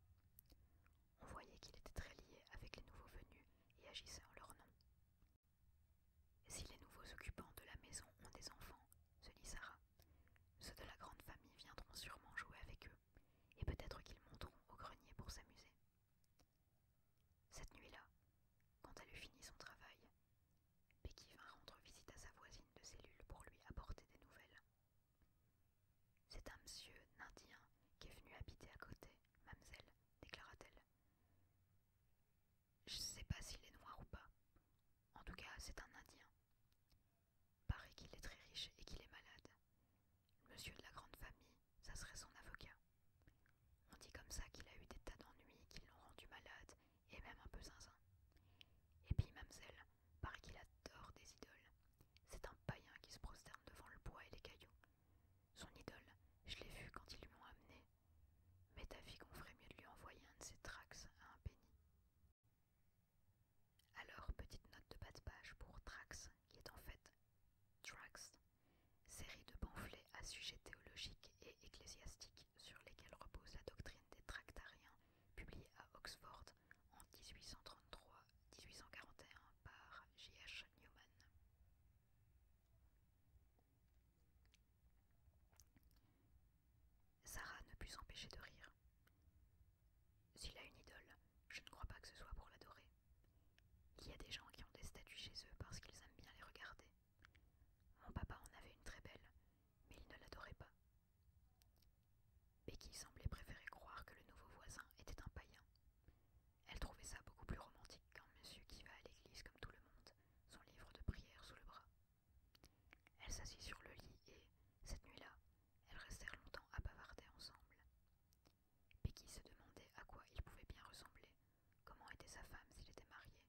Speaker 1: On voyait qu'il était très lié avec les nouveaux venus et agissait en leur nom. Si les nouveaux occupants de la maison ont des enfants, se dit Sarah, ceux de la grande famille viendront sûrement jouer avec eux, et peut-être qu'ils monteront au grenier pour s'amuser. Cette nuit-là, quand elle eut fini son travail, Becky vint rendre visite à sa voisine de cellule pour lui apporter des nouvelles. C'est un monsieur indien qui est venu habiter à côté, mademoiselle, déclara-t-elle. Je ne sais pas s'il est noir ou pas. En tout cas, c'est un Indien. Paraît qu'il est très riche et qu'il est malade. Monsieur de la grande famille, ça serait son avocat. On dit comme ça qu'il a eu des tas d'ennuis qui l'ont rendu malade et même un peu zinzin. Et puis, mamselle, paraît qu'il adore des idoles. C'est un païen qui se prosterne devant le bois et les cailloux. Son idole, je l'ai vue quand ils lui ont amené. Mais ta fille qu'on ferait mieux de lui envoyer un de ses traxes à un pénis. Alors, petite note de bas de page pour Trax, qui est en fait Trax, série de pamphlets à sujet théologique et ecclésiastique sur lesquels repose la doctrine des tractariens, publiée à Oxford en 1833-1841 par J.H. Newman. Sarah ne put s'empêcher de rire. S'il a une idole, je ne crois pas que ce soit pour l'adorer. Il y a des gens qui ont des statues chez eux parce qu'ils aiment bien les regarder. Mon papa en avait une très belle, mais il ne l'adorait pas. Becky semblait préférer croire que le nouveau voisin était un païen. Elle trouvait ça beaucoup plus romantique qu'un monsieur qui va à l'église comme tout le monde, son livre de prière sous le bras. Elle s'assit sur le lit et, cette nuit-là, elles restèrent longtemps à bavarder ensemble. Becky se demandait à quoi ils pouvait bien ressembler, comment était sa femme s'il était marié,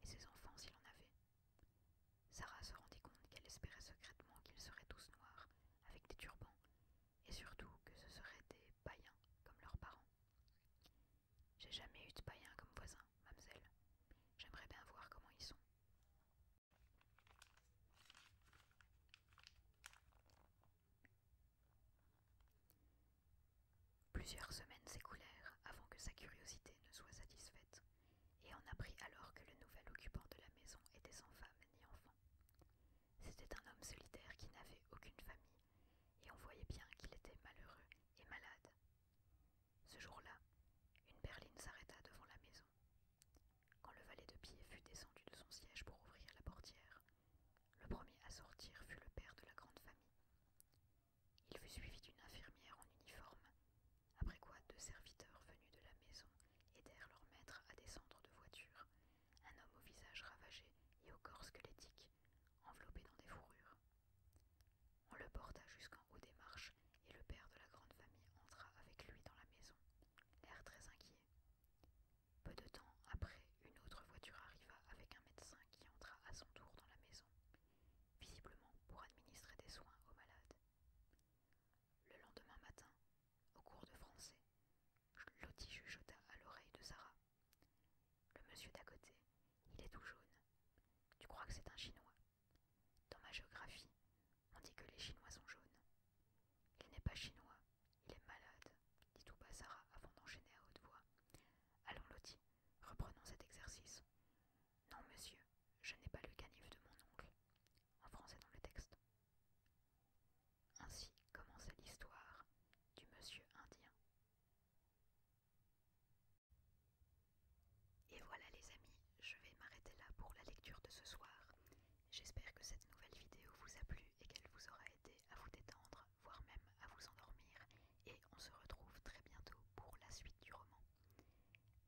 Speaker 1: et ses enfants s'il en avait. Sarah se rendit compte qu'elle espérait secrètement qu'ils seraient tous noirs, avec des turbans, et surtout que ce seraient des païens, comme leurs parents. J'ai jamais eu de païens comme voisins, mademoiselle. J'aimerais bien voir comment ils sont. Plusieurs semaines s'écoulèrent avant que sa curiosité ne soit satisfaite, et on apprit alors que le nouvel occupant de la maison était sans femme ni enfant. C'était un homme solitaire qui n'avait aucune famille, et on voyait bien qu'il était malheureux et malade. Ce jour-là, une berline s'arrêta devant la maison. Quand le valet de pied fut descendu de son siège pour ouvrir la portière, le premier à sortir fut le père de la grande famille. Il fut suivi d'une infirmière en uniforme, après quoi deux serviteurs venus de la maison aidèrent leur maître à descendre de voiture, un homme au visage ravagé et au corps squelettique, enveloppé dans des fourrures. On le porta jusqu'en haut des marches et le père de la grande famille entra avec lui dans la maison, l'air très inquiet. Peu de temps après, une autre voiture arriva avec un médecin qui entra à son tour dans la maison, visiblement pour administrer des soins aux malades. Le lendemain matin, au cours de français, Lottie chuchota à l'oreille de Sarah. Le monsieur d'à côté, il est tout jaune. Tu crois que c'est un Chinois dans ma géographie, on dit que les Chinois sont jaunes. Il n'est pas chinois, il est malade, dit tout bas Sarah avant d'enchaîner à haute voix. Allons, Loti, reprenons cet exercice. Non, monsieur, je n'ai pas le canif de mon oncle. En français dans le texte. Ainsi commençait l'histoire du monsieur indien. Et voilà les amis, je vais m'arrêter là pour la lecture de ce soir. J'espère que cette nouvelle vidéo vous a plu et qu'elle vous aura aidé à vous détendre, voire même à vous endormir, et on se retrouve très bientôt pour la suite du roman.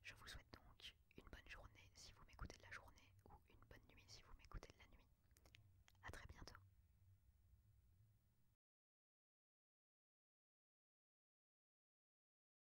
Speaker 1: Je vous souhaite donc une bonne journée si vous m'écoutez de la journée, ou une bonne nuit si vous m'écoutez de la nuit. A très bientôt